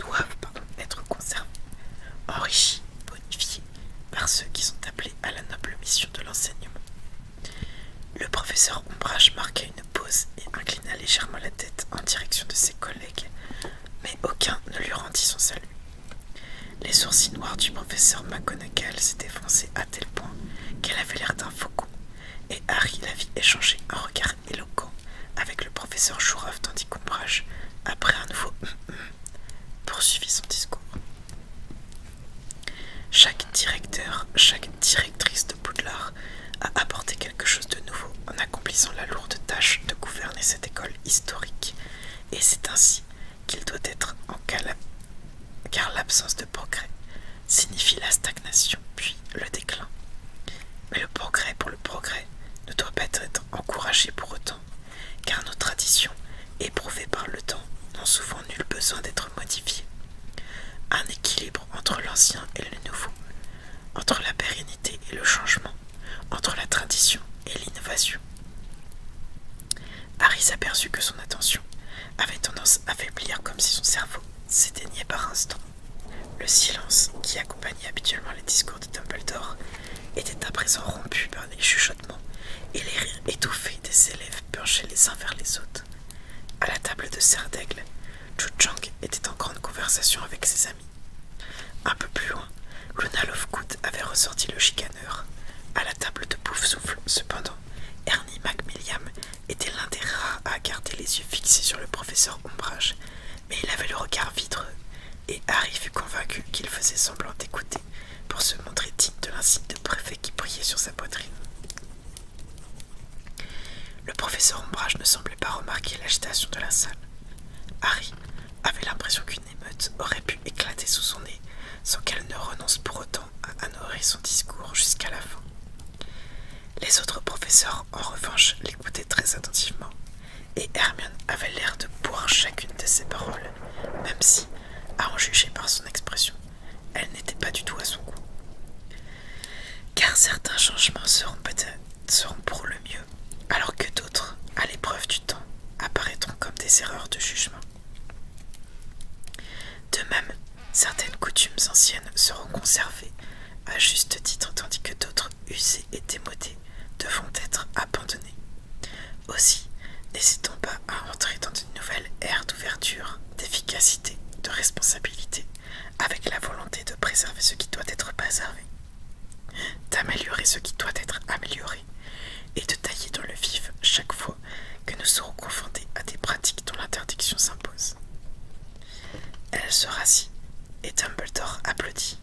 doivent, être conservés, enrichis, bonifiés par ceux qui sont appelés à la noble mission de l'enseignement. Le professeur Ombrage marqua une pause et inclina légèrement la tête en direction de ses collègues, mais aucun ne lui rendit son salut. Les sourcils noirs du professeur McGonagall s'étaient foncés à tel point qu'elle avait l'air d'un fou, et Harry la vit échanger un regard éloquent avec le professeur Jourov tandis qu'Ombrache, après un nouveau hum hum, poursuivit son discours. Chaque directeur, chaque directrice de Poudlard a apporté quelque chose de nouveau en accomplissant la lourde tâche de gouverner cette école historique, et c'est ainsi qu'il doit être en calme, car l'absence de progrès signifie la stagnation puis le déclin. Mais le progrès pour le progrès ne doit pas être encouragé pour autant, car nos traditions, éprouvées par le temps, n'ont souvent nul besoin d'être modifiées. Un équilibre entre l'ancien et le nouveau, entre la pérennité et le changement, entre la tradition et l'innovation. Harry s'aperçut que son attention avait tendance à faiblir comme si son cerveau s'éteignait par instants. Le silence qui accompagnait habituellement les discours de Dumbledore était à présent rompu par des chuchotements et les rires étouffés des élèves penchés les uns vers les autres. À la table de Serre d'Aigle, Chang était en grande conversation avec ses amis. Un peu plus loin, Luna Lovegood avait ressorti le chicaneur. À la table de Pouf Souffle, cependant, Ernie Macmilliam était l'un des rares à garder les yeux fixés sur le professeur Ombrage, mais il avait le regard vitreux, et Harry fut convaincu qu'il faisait semblant d'écouter pour se montrer digne de l'insigne de préfet qui brillait sur sa poitrine. Le professeur Ombrage ne semblait pas remarquer l'agitation de la salle. Harry avait l'impression qu'une émeute aurait pu éclater sous son nez sans qu'elle ne renonce pour autant à a son discours jusqu'à la fin. Les autres professeurs, en revanche, l'écoutaient très attentivement, et Hermione avait l'air de boire chacune de ses paroles, même si, à en juger par son expression, elle n'était pas du tout à son goût. Car certains changements seront peut-être seront pour le mieux, alors que d'autres, à l'épreuve du temps, apparaîtront comme des erreurs de jugement. De même, certaines coutumes anciennes seront conservées à juste titre tandis que d'autres usées et démodées devront être abandonnées. Aussi, n'hésitons pas à entrer dans une nouvelle ère d'ouverture, d'efficacité, de responsabilité, avec la volonté de préserver ce qui doit être préservé, d'améliorer ce qui doit être amélioré et de tailler dans le vif chaque fois que nous serons confrontés à des pratiques dont l'interdiction s'impose. Elle se rassit et Dumbledore applaudit.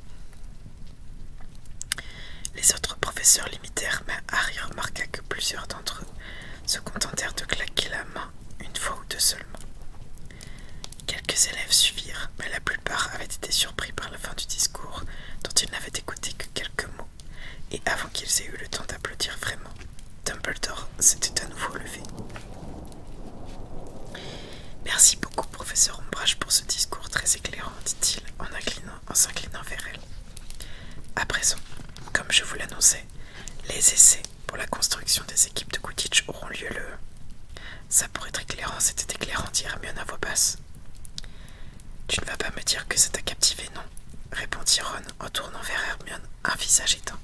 Les autres professeurs l'imitèrent, mais Harry remarqua que plusieurs d'entre eux se contentèrent de claquer la main une fois ou deux seulement. Quelques élèves suivirent, mais la plupart avaient été surpris par la fin du discours dont ils n'avaient écouté que quelques mots et avant qu'ils aient eu le temps d'applaudir vraiment, Dumbledore s'était à nouveau levé. Merci beaucoup, professeur Ombrage, pour ce discours très éclairant, dit-il en s'inclinant en vers elle. À présent, comme je vous l'annonçais, les essais pour la construction des équipes de Quidditch auront lieu le. Ça pourrait être éclairant, c'était éclairant, dit Hermione à voix basse. Tu ne vas pas me dire que ça t'a captivé, non répondit Ron en tournant vers Hermione un visage éteint.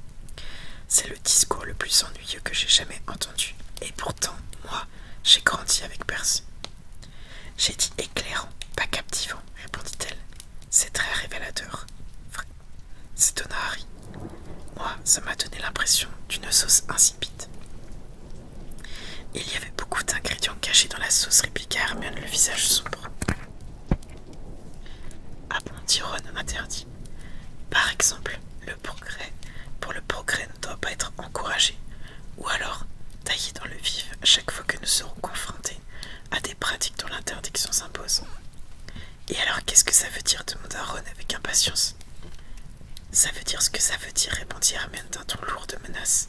C'est le discours le plus ennuyeux que j'ai jamais entendu. Et pourtant, moi, j'ai grandi avec Percy. J'ai dit éclairant, pas captivant, répondit-elle. C'est très révélateur. C'est Harry. Moi, ça m'a donné l'impression d'une sauce insipide. Il y avait beaucoup d'ingrédients cachés dans la sauce, répliqua Hermione, le visage sombre. Apprenti Ron interdit. Par exemple, le progrès pour le progrès ne doit pas être encouragé, ou alors taillé dans le vif chaque fois que nous serons confrontés à des pratiques dont l'interdiction s'impose. Et alors qu'est-ce que ça veut dire demanda Ron avec impatience. Ça veut dire ce que ça veut dire, répondit Hermione d'un ton lourd de menace,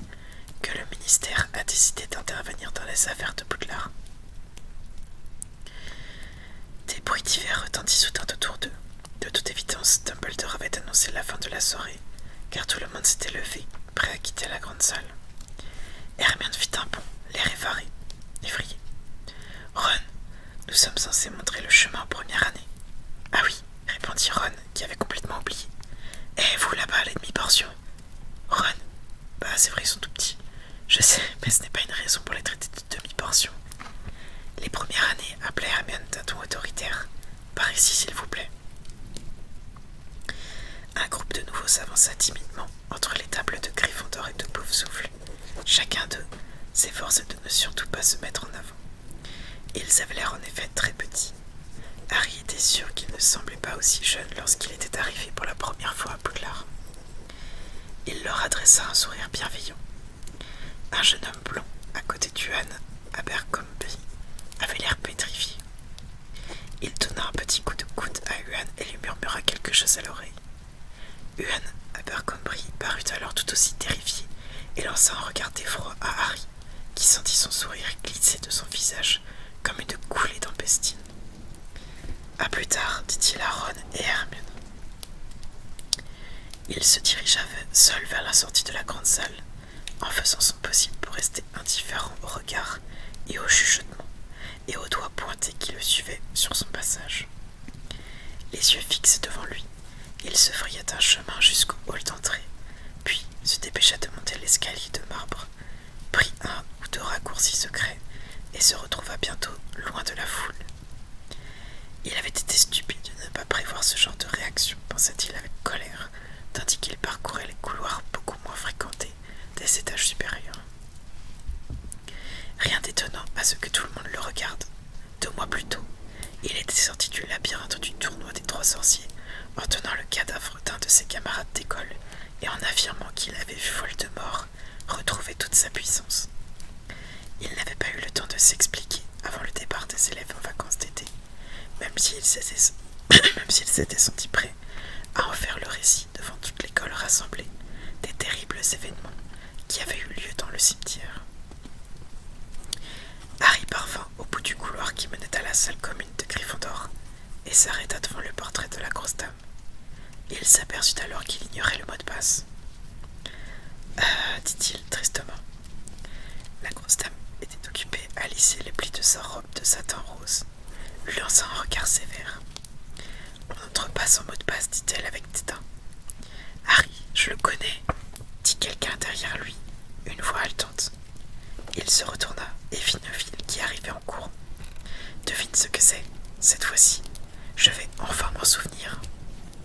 que le ministère a décidé d'intervenir dans les affaires de Boudlard. » Des bruits divers retentissent autour d'eux. De toute évidence, Dumbledore avait annoncé la fin de la soirée, car tout le monde s'était levé, prêt à quitter la grande salle. Hermione fit un bond, l'air effaré, effrayé. Ron, nous sommes censés montrer le chemin en première année. Ah oui, répondit Ron, qui avait complètement oublié. Eh, vous là-bas, demi-portions portion, Ron Bah c'est vrai, ils sont tout petits. Je sais, mais ce n'est pas une raison pour les traiter de demi-portion. Les premières années, à Hermione d'un ton autoritaire. Par ici, s'il vous plaît. Un groupe de nouveaux s'avança timidement entre les tables de Gryffondor et de Poufsouffle. Chacun d'eux s'efforçait de ne surtout pas se mettre en avant. Ils avaient l'air en effet très petits. Harry était sûr qu'ils ne semblaient pas aussi jeune lorsqu'il était arrivé pour la première fois à Poudlard. Il leur adressa un sourire bienveillant. Un jeune homme blond, à côté d'Uan Abercrombie, avait l'air pétrifié. Il donna un petit coup de coude à Yuan et lui murmura quelque chose à l'oreille. Uan Abercrombie parut alors tout aussi terrifié et lança un regard d'effroi à Harry, qui sentit son sourire glisser de son visage comme une coulée d'empestine à plus tard, dit-il à Ron et Hermione. Il se dirigea seul vers la sortie de la grande salle, en faisant son possible pour rester indifférent au regard et au chuchotement, et aux doigts pointés qui le suivaient sur son passage. Les yeux fixés devant lui, il se frayait un chemin jusqu'au hall d'entrée, puis se dépêcha de monter l'escalier de marbre prit un ou deux raccourcis secrets et se retrouva bientôt loin de la foule. Il avait été stupide de ne pas prévoir ce genre de réaction, pensa-t-il avec colère, tandis qu'il parcourait les couloirs beaucoup moins fréquentés des étages supérieurs. Rien d'étonnant à ce que tout le monde le regarde. Deux mois plus tôt, il était sorti du labyrinthe du tournoi des trois sorciers en tenant le cadavre d'un de ses camarades d'école et en affirmant qu'il avait vu Voldemort retrouver toute sa puissance. Il n'avait pas eu le temps de s'expliquer avant le départ des élèves en vacances d'été, même s'il s'était senti prêt à en faire le récit devant toute l'école rassemblée des terribles événements qui avaient eu lieu dans le cimetière. Harry parvint au bout du couloir qui menait à la salle commune de Gryffondor et s'arrêta devant le portrait de la grosse il s'aperçut alors qu'il ignorait le mot de passe. Euh, dit-il tristement. La grosse dame était occupée à lisser les plis de sa robe de satin rose, lui lança un regard sévère. On n'entre pas sans mot de passe, dit-elle avec dédain. Harry, je le connais, dit quelqu'un derrière lui, une voix haletante. Il se retourna et vit Neville qui arrivait cours. Devine ce que c'est, cette fois-ci. Je vais enfin m'en souvenir.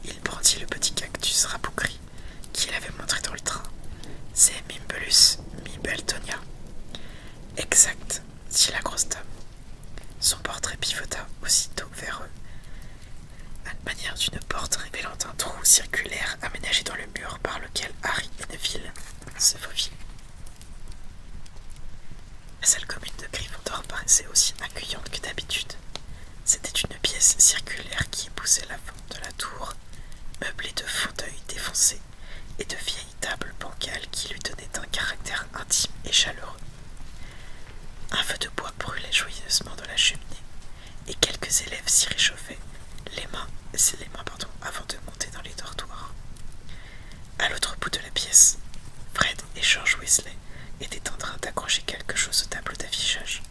Il brandit le petit cactus rabougri qu'il avait montré dans le train. C'est Mimbelus Mibeltonia. Exact, dit la grosse dame. Son portrait pivota aussitôt vers eux, à la manière d'une porte révélant un trou circulaire aménagé dans le mur par lequel Harry Neville se faufile. La salle commune de Gryffondor paraissait aussi accueillante que d'habitude. C'était une pièce circulaire qui épousait la forme de la tour, meublée de fauteuils défoncés et de vieilles tables bancales qui lui donnaient un caractère intime et chaleureux. Un feu de bois brûlait joyeusement dans la cheminée, et quelques élèves s'y réchauffaient, les mains, avant de monter dans les dortoirs. À l'autre bout de la pièce, Fred et George Weasley étaient en train d'accrocher quelque chose au tableau d'affichage.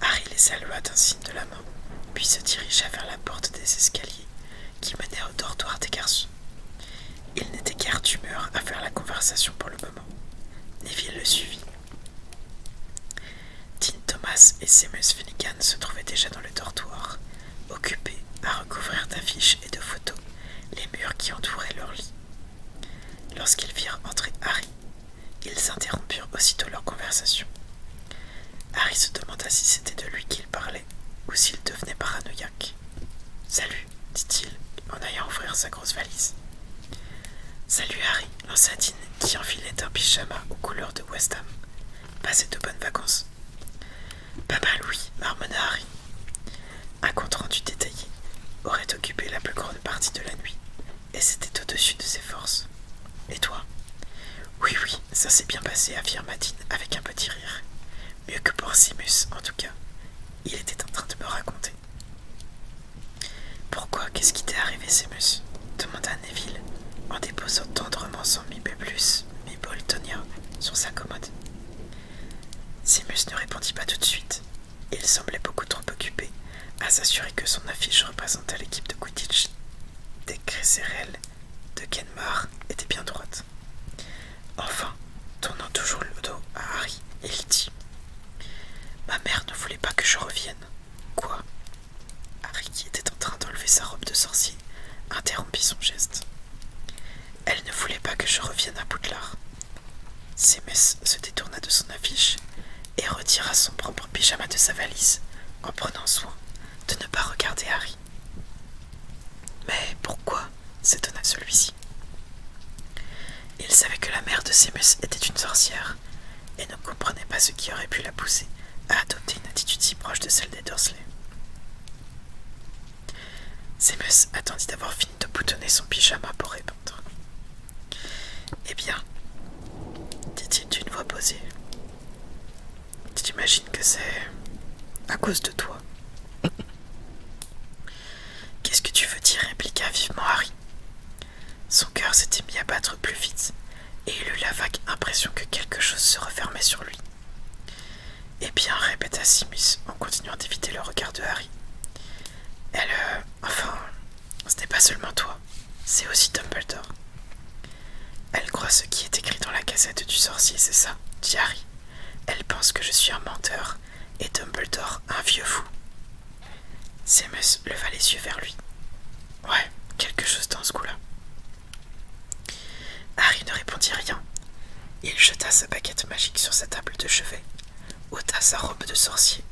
Harry les salua d'un signe de la main, puis se dirigea vers la porte des escaliers qui menait au dortoir des garçons. Il n'était guère d'humeur à faire la conversation pour le moment. Neville le suivit. Dean Thomas et Seamus Finnegan se trouvaient déjà dans le dortoir, occupés à recouvrir d'affiches et de photos les murs qui entouraient leur lit. Lorsqu'ils virent entrer Harry, ils interrompirent aussitôt leur conversation. Harry se demanda si c'était de lui qu'il parlait ou s'il devenait paranoïaque. Salut, dit-il en ayant ouvrir sa grosse valise. Salut Harry, lança Dean qui enfilait un pyjama aux couleurs de West Ham. Passez de bonnes vacances. Papa Louis, marmonna Harry. Un compte rendu détaillé aurait occupé la plus grande partie de la nuit, et c'était au-dessus de ses forces. Et toi Oui, oui, ça s'est bien passé, affirma Dean avec un petit rire. Mieux que pour Simus, en tout cas. Il était en train de me raconter. Pourquoi Qu'est-ce qui t'est arrivé, Simus demanda Neville en déposant tendrement son mi Miboltonia sur sa commode. Simus ne répondit pas tout de suite. Il semblait beaucoup trop occupé à s'assurer que son affiche représentait l'équipe de Quidditch des de Kenmar était bien droite. Enfin, tournant toujours le dos à Harry, il dit Ma mère ne voulait pas que je revienne. Quoi Harry, qui était en train d'enlever sa robe de sorcier, interrompit son geste. Elle ne voulait pas que je revienne à Boudlard. Sémès se détourna de son affiche et retira son propre pyjama de sa valise en prenant soin de ne pas regarder Harry. Mais pourquoi s'étonna celui-ci. Il savait que la mère de Seamus était une sorcière et ne comprenait pas ce qui aurait pu la pousser à adopter une attitude si proche de celle des Dursley. Zemus attendit d'avoir fini de boutonner son pyjama pour répondre. Eh bien, dit-il d'une voix posée, tu t'imagines que c'est à cause de toi. Qu'est-ce que tu veux dire répliqua vivement Harry. Son cœur s'était mis à battre plus vite, et il eut la vague impression que quelque chose se refermait sur lui. Eh bien, répéta Simus en continuant d'éviter le regard de Harry. Elle. Euh, enfin, ce n'est pas seulement toi, c'est aussi Dumbledore. Elle croit ce qui est écrit dans la cassette du sorcier, c'est ça, dit Harry. Elle pense que je suis un menteur et Dumbledore un vieux fou. Simus leva les yeux vers lui. Ouais, quelque chose dans ce coup-là. Harry ne répondit rien. Il jeta sa baguette magique sur sa table de chevet, ôta sa robe de sorcier,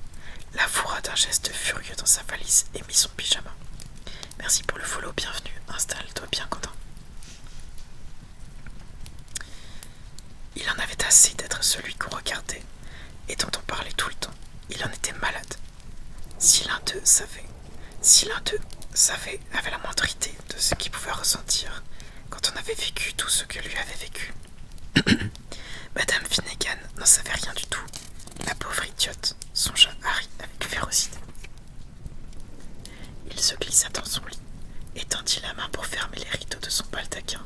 la fourra d'un geste furieux dans sa valise et mit son pyjama. Merci pour le follow, bienvenue, installe-toi bien content. Il en avait assez d'être celui qu'on regardait et dont on parlait tout le temps. Il en était malade. Si l'un d'eux savait si l'un d'eux savait, avait la moindre idée de ce qu'il pouvait ressentir quand on avait vécu tout ce que lui avait vécu. Madame Finnegan n'en savait rien du tout. La pauvre idiote, songea Harry avec férocité. Il se glissa dans son lit étendit la main pour fermer les rideaux de son baldaquin.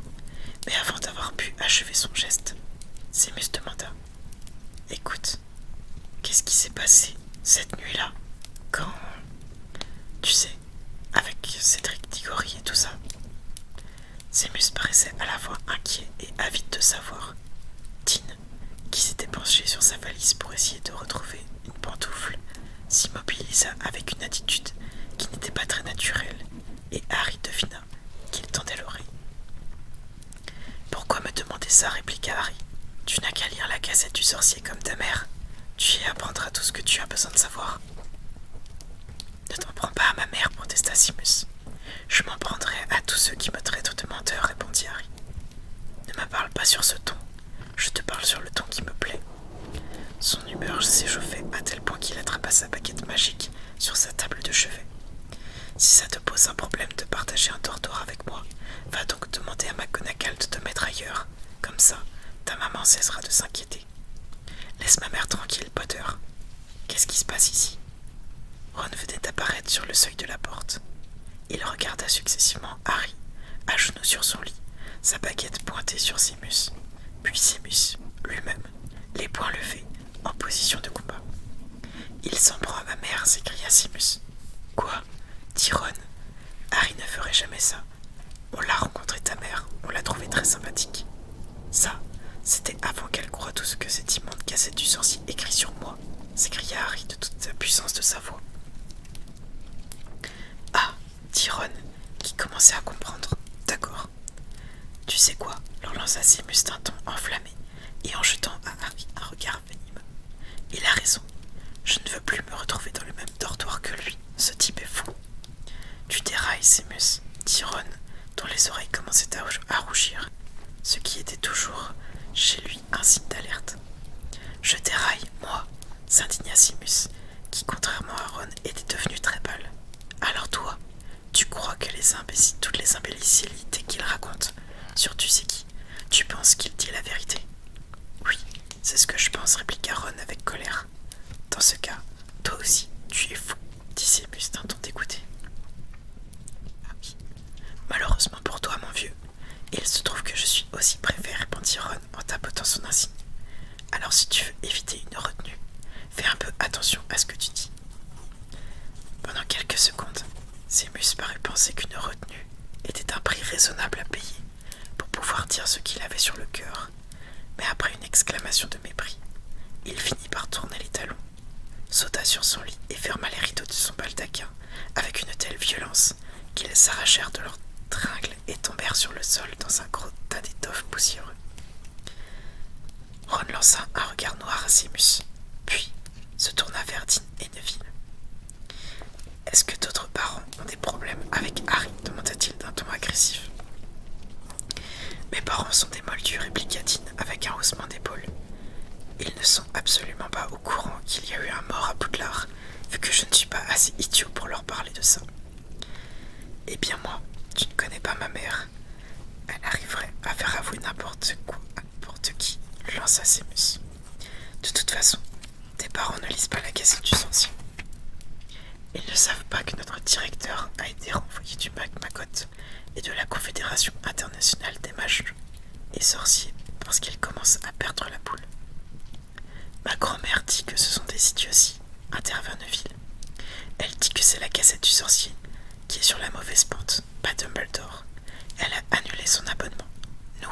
Mais avant d'avoir pu achever son geste, Sémus demanda Écoute, qu'est-ce qui s'est passé cette nuit-là quand tu sais, avec Cédric Digori et tout ça. Sémus paraissait à la fois inquiet et avide de savoir. tin qui s'était penché sur sa valise pour essayer de retrouver une pantoufle, s'immobilisa avec une attitude qui n'était pas très naturelle, et Harry devina qu'il tendait l'oreille. Pourquoi me demander ça répliqua Harry. Tu n'as qu'à lire la cassette du sorcier comme ta mère. Tu y apprendras tout ce que tu as besoin de savoir. Ne t'en prends pas à ma mère, protesta Simus. Je m'en prendrai à tous ceux qui me traitent de menteur, répondit Harry. Ne me parle pas sur ce ton. Je te parle sur le ton qui me plaît. Son humeur s'échauffait à tel point qu'il attrapa sa baguette magique sur sa table de chevet. Si ça te pose un problème de partager un tortoir avec moi, va donc demander à ma de te mettre ailleurs, comme ça, ta maman cessera de s'inquiéter. Laisse ma mère tranquille, Potter. Qu'est-ce qui se passe ici Ron venait apparaître sur le seuil de la porte. Il regarda successivement Harry, à genoux sur son lit, sa baguette pointée sur Simus. puis Simus, lui-même, les poings levés, en position de combat. Il s'en prend à ma mère, s'écria Simus. « Quoi dit Ron Harry ne ferait jamais ça. On l'a rencontré ta mère, on l'a trouvé très sympathique. Ça, c'était avant qu'elle croie tout ce que cette immonde cassette du sorcier écrit sur moi, s'écria Harry de toute la puissance de sa voix. Ah, dit qui commençait à comprendre. D'accord. Tu sais quoi leur lança ses d'un ton enflammé et en jetant à Harry un regard il a raison. Je ne veux plus me retrouver dans le même dortoir que lui. Ce type est fou. Tu dérailles, Simus, dit Ron, dont les oreilles commençaient à rougir, ce qui était toujours chez lui un signe d'alerte. Je déraille, moi, s'indigna Simus, qui, contrairement à Ron, était devenu très pâle. Alors toi, tu crois que toutes les imbécilités qu'il raconte, sur tu sais qui, tu penses qu'il dit la vérité Oui, c'est ce que je pense, répliqua Ron avec colère. Dans ce cas, toi aussi, tu es fou, dit Sémus d'un ton dégoûté. Ah Malheureusement pour toi, mon vieux, il se trouve que je suis aussi préfet, répondit Ron en tapotant son insigne. Alors si tu veux éviter une retenue, fais un peu attention à ce que tu dis. Pendant quelques secondes, Sémus parut penser qu'une retenue était un prix raisonnable à payer pour pouvoir dire ce qu'il avait sur le cœur, mais après une exclamation de mépris, il finit par tourner les talons, sauta sur son lit et ferma les rideaux de son baldaquin avec une telle violence qu'ils s'arrachèrent de leurs tringles et tombèrent sur le sol dans un gros tas d'étoffes poussiéreux. Ron lança un regard noir à simus puis se tourna vers Dean et Neville. Est-ce que d'autres parents ont des problèmes avec Harry demanda-t-il d'un ton agressif. Mes parents sont des moldus, répliqua Tine avec un haussement d'épaule. Ils ne sont absolument pas au courant qu'il y a eu un mort à Poudlard, vu que je ne suis pas assez idiot pour leur parler de ça. Eh bien moi, tu ne connais pas ma mère. Elle arriverait à faire avouer n'importe quoi à n'importe qui, lança Sémus. De toute façon, tes parents ne lisent pas la cassette du Sorcier. Ils ne savent pas que notre directeur a été renvoyé du Mac et de la Confédération internationale des mages et sorciers parce qu'il commence à perdre la boule. Ma grand-mère dit que ce sont des idioties, intervint Neville. Elle dit que c'est la cassette du sorcier qui est sur la mauvaise pente, pas Dumbledore. Elle a annulé son abonnement. Nous,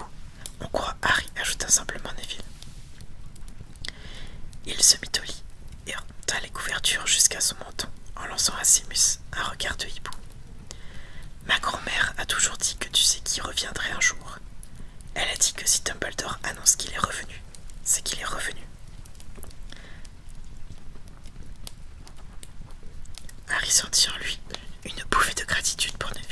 on croit Harry, ajouta simplement Neville. Il se mit au lit et remonta les couvertures jusqu'à son menton en lançant à Simus un regard de hibou. Ma grand-mère a toujours dit que tu sais qui reviendrait un jour. Elle a dit que si Dumbledore annonce qu'il est revenu, c'est qu'il est revenu. Harry sentit en lui une bouffée de gratitude pour Neville,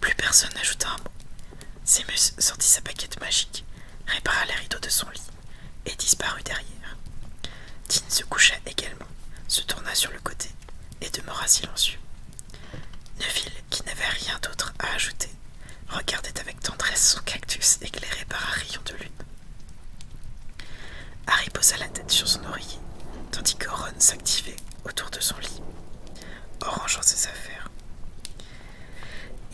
plus personne n'ajouta un mot. Zemus sortit sa paquette magique, répara les rideaux de son lit et disparut derrière. Dean se coucha également, se tourna sur le côté et demeura silencieux. Neville, qui n'avait rien d'autre à ajouter, regardait avec tendresse son cactus éclairé par un rayon de lune. Harry posa la tête sur son oreiller, tandis que Ron s'activait autour de son lit. Orangeant ses affaires.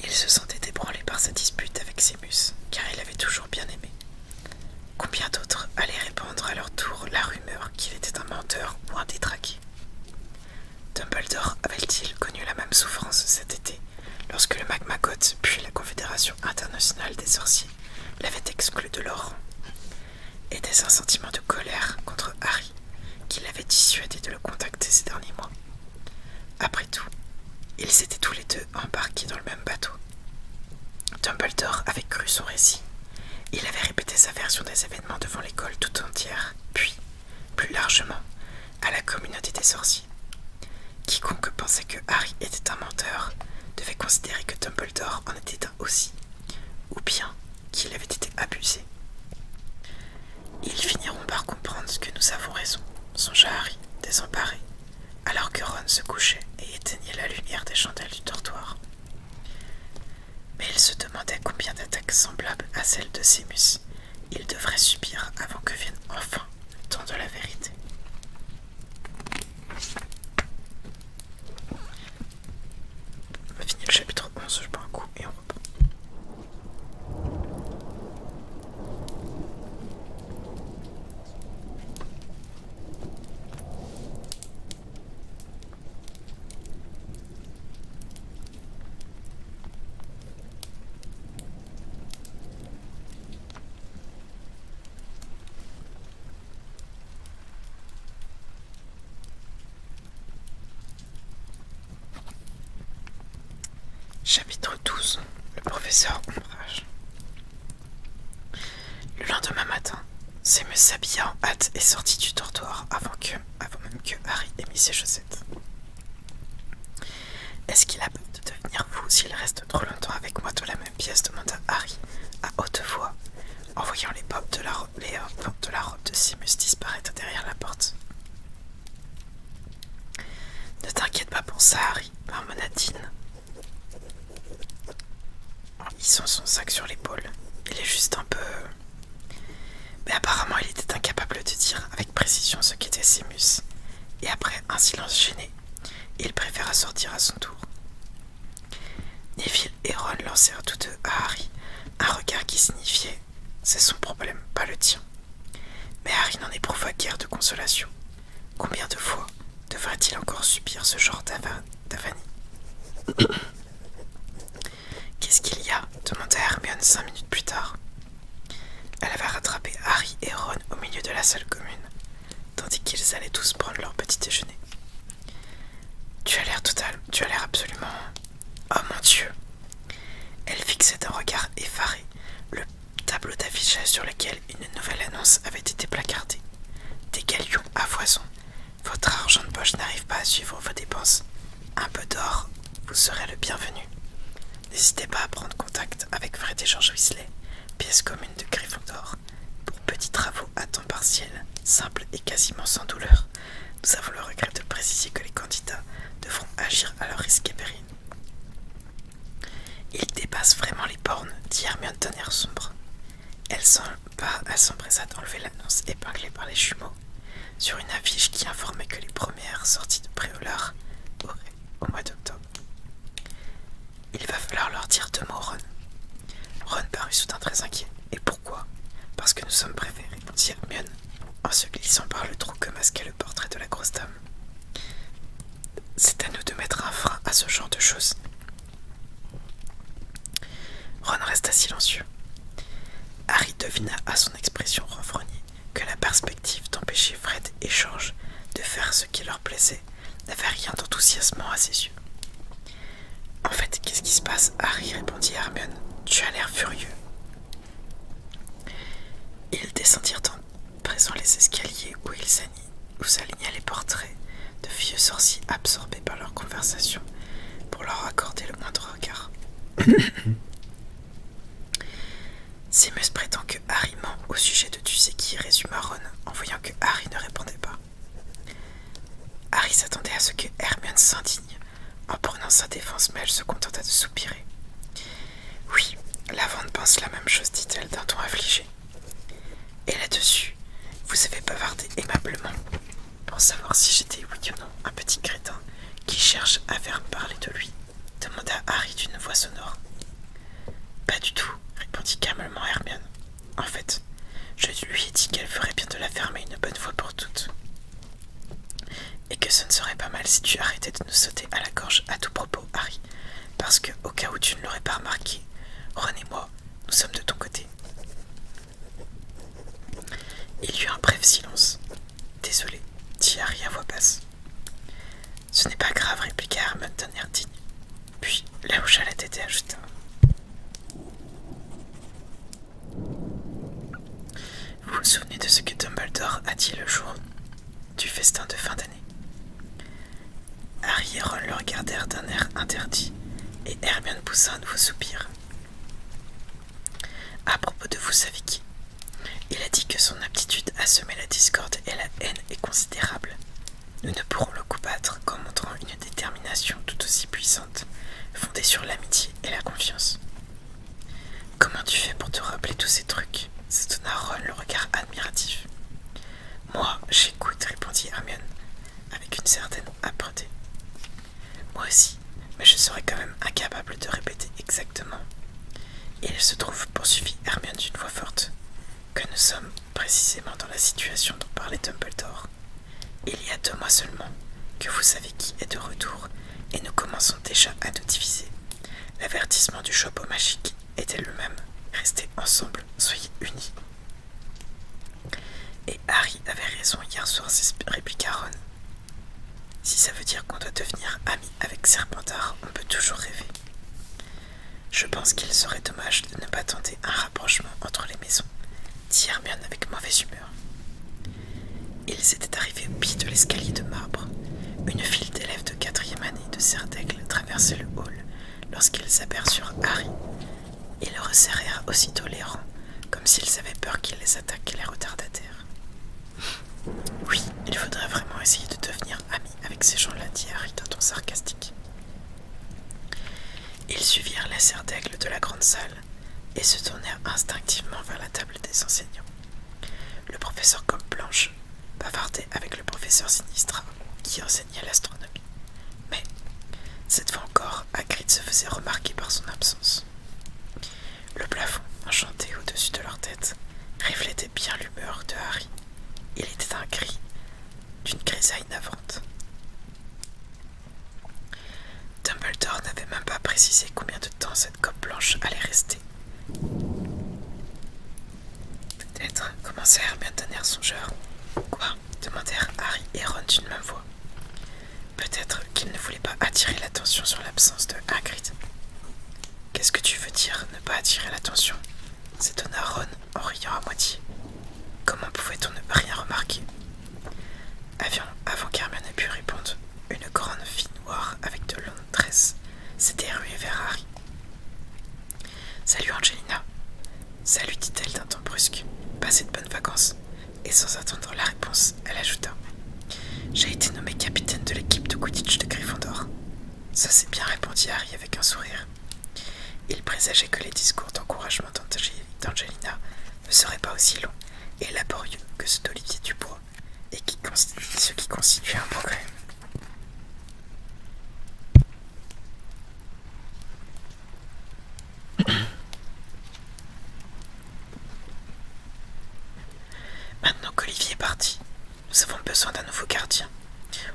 Il se sentait ébranlé par sa dispute avec Sémus, car il l'avait toujours bien aimé. Combien d'autres allaient répandre à leur tour la rumeur qu'il était un menteur ou un détraqué Dumbledore avait-il connu la même souffrance cet été, lorsque le Magmagot, puis la Confédération internationale des sorciers, l'avait exclu de leur était un sentiment de colère contre Harry qui l'avait dissuadé de le contacter ces derniers mois. Après tout, ils étaient tous les deux embarqués dans le même bateau. Dumbledore avait cru son récit. Il avait répété sa version des événements devant l'école tout entière, puis, plus largement, à la communauté des sorciers. Quiconque pensait que Harry était un menteur devait considérer que Dumbledore en était aussi, ou bien qu'il avait été abusé. Ils finiront par comprendre que nous avons raison, songea Harry, désemparé, alors que Ron se couchait et éteignait la lumière des chandelles du dortoir. Mais il se demandait combien d'attaques semblables à celles de Sémus il devrait subir avant que vienne enfin le temps de la vérité. On va finir le chapitre 11, je prends un coup et on reprend. Chapitre 12 Le professeur Ombrage Le lendemain matin, c'est me en hâte et sorti du dortoir avant, avant même que Harry ait mis ses chaussettes. Est-ce qu'il a peur de devenir fou s'il reste trop longtemps avec moi dans la même pièce demanda Harry à haute voix en voyant les pommes de la, robe, euh, de, la Simus disparaître derrière la porte. Ne t'inquiète pas pour ça, Harry, En hissant son sac sur l'épaule, il est juste un peu. Mais apparemment, il était incapable de dire avec précision ce qu'était Simus, et après un silence gêné, il préféra sortir à son tour et Ron lancèrent tous deux à Harry un regard qui signifiait C'est son problème, pas le tien. Mais Harry n'en éprouva guère de consolation. Combien de fois devrait il encore subir ce genre d'avanie Qu'est-ce qu'il y a demanda Hermione cinq minutes plus tard. Elle avait rattrapé Harry et Ron au milieu de la salle commune, tandis qu'ils allaient tous prendre leur petit déjeuner. Tu as l'air total, tu as l'air absolument. Oh mon Dieu Elle fixait d'un regard effaré le tableau d'affichage sur lequel une nouvelle annonce avait été placardée. Des galions à foison. Votre argent de poche n'arrive pas à suivre vos dépenses. Un peu d'or, vous serez le bienvenu. N'hésitez pas à prendre contact avec Fred et George Weasley, pièce commune de Griffon d'Or, pour petits travaux à temps partiel, simples et quasiment sans douleur. Nous avons le regret de préciser que les candidats devront agir à leur risque et péril. Ils dépassent vraiment les bornes, dit Hermione d'un tonnerre sombre. Elle s'empressa d'enlever l'annonce épinglée par les jumeaux sur une affiche qui informait que les premières sorties de Préolard auraient au mois d'octobre. Il va falloir leur dire deux mots, Ron. Ron parut soudain très inquiet pourquoi Parce que nous sommes préférés, dit Hermione, en se glissant par le trou que masquait le portrait de la grosse dame. C'est à nous de mettre un frein à ce genre de choses. Ron resta silencieux. Harry devina à son expression renfrognée que la perspective d'empêcher Fred et George de faire ce qui leur plaisait n'avait rien d'enthousiasmant à ses yeux. En fait, qu'est-ce qui se passe Harry répondit Hermione. Tu as l'air furieux. Ils descendirent en présent les escaliers où ils s'alignaient les portraits de vieux sorciers absorbés par leur conversation pour leur accorder le moindre regard. Seamus prétend que Harry ment au sujet de tu sais qui, résuma Ron en voyant que Harry ne répondait pas. Harry s'attendait à ce que Hermione s'indigne, en prenant sa défense, mais elle se contenta de soupirer. Oui, la vente pense la même chose, dit-elle d'un ton affligé. Et là-dessus, vous avez bavardé aimablement pour savoir si j'étais oui ou non un petit crétin qui cherche à faire parler de lui demanda Harry d'une voix sonore. Pas du tout, répondit calmement Hermione. En fait, je lui ai dit qu'elle ferait bien de la fermer une bonne fois pour toutes. Et que ce ne serait pas mal si tu arrêtais de nous sauter à la gorge à tout propos, Harry, parce que, au cas où tu ne l'aurais pas remarqué, Ron et moi, nous sommes de ton côté. Il y eut un bref silence. Désolé, dit Harry à voix basse. Ce n'est pas grave, répliqua Hermione d'un air digne. Puis, là où la tête ajouta vous vous souvenez de ce que Dumbledore a dit le jour du festin de fin d'année Harry et Ron le regardèrent d'un air interdit et Hermione poussa un nouveau soupir. À propos de vous savez qui Il a dit que son aptitude à semer la discorde et la haine est considérable. Nous ne pourrons le combattre qu'en montrant une détermination tout aussi puissante, fondée sur l'amitié et la confiance. Comment tu fais pour te rappeler tous ces trucs s'étonna Ron le regard admiratif. Moi, j'écoute, répondit Hermione, avec une certaine âpreté. Moi aussi, mais je serais quand même incapable de répéter exactement. Il se trouve, poursuivit Hermione d'une voix forte, que nous sommes précisément dans la situation dont parlait Dumbledore. Il y a deux mois seulement que vous savez qui est de retour et nous commençons déjà à nous diviser. L'avertissement du chapeau magique était le même. Restez ensemble, soyez unis. Et Harry avait raison hier soir, répliqua Ron. Si ça veut dire qu'on doit devenir ami avec Serpentard, on peut toujours rêver. Je pense qu'il serait dommage de ne pas tenter un rapprochement entre les maisons, dit avec mauvaise humeur. Ils étaient arrivés au pied de l'escalier de marbre. Une file d'élèves de quatrième année de Serdaigle traversait le hall lorsqu'ils aperçurent Harry. Ils le resserrèrent aussitôt les rangs, comme s'ils avaient peur qu'il les attaque et les retardataires. Oui, il faudrait vraiment essayer de devenir ami avec ces gens-là, dit Harry d'un ton sarcastique. Ils suivirent la serre de la grande salle et se tournèrent instinctivement vers la table des enseignants. Le professeur comme Blanche bavardait avec le professeur sinistre qui enseignait l'astronomie. Mais, cette fois encore, Hagrid se faisait remarquer par son absence. Le plafond, enchanté au-dessus de leur tête, reflétait bien l'humeur de Harry. Il était un cri d'une grisaille navrante. Dumbledore n'avait même pas précisé combien de temps cette coque blanche allait rester. Peut-être, commençèrent bien d'un air songeur. Quoi demandèrent Harry et Ron d'une même voix. Peut-être qu'ils ne voulaient pas attirer l'attention sur l'absence de Hagrid. Qu'est-ce que tu veux dire, ne pas attirer l'attention s'étonna Ron en riant à moitié. Comment pouvait-on ne rien remarquer avant, avant qu'Hermione ait pu répondre, une grande fille noire avec de longues tresses s'était ruée vers Harry. Salut Angelina. Salut, dit-elle d'un ton brusque. Passez de bonnes vacances. Et sans attendre la réponse, elle ajouta J'ai été nommée capitaine de l'équipe de Quidditch de Gryffondor. Ça c'est bien, répondit Harry avec un sourire. Il présageait que les discours d'encouragement d'Angelina ne serait pas aussi long et laborieux que ce d'Olivier Dubois, et ce qui constitue un progrès. Maintenant qu'Olivier est parti, nous avons besoin d'un nouveau gardien.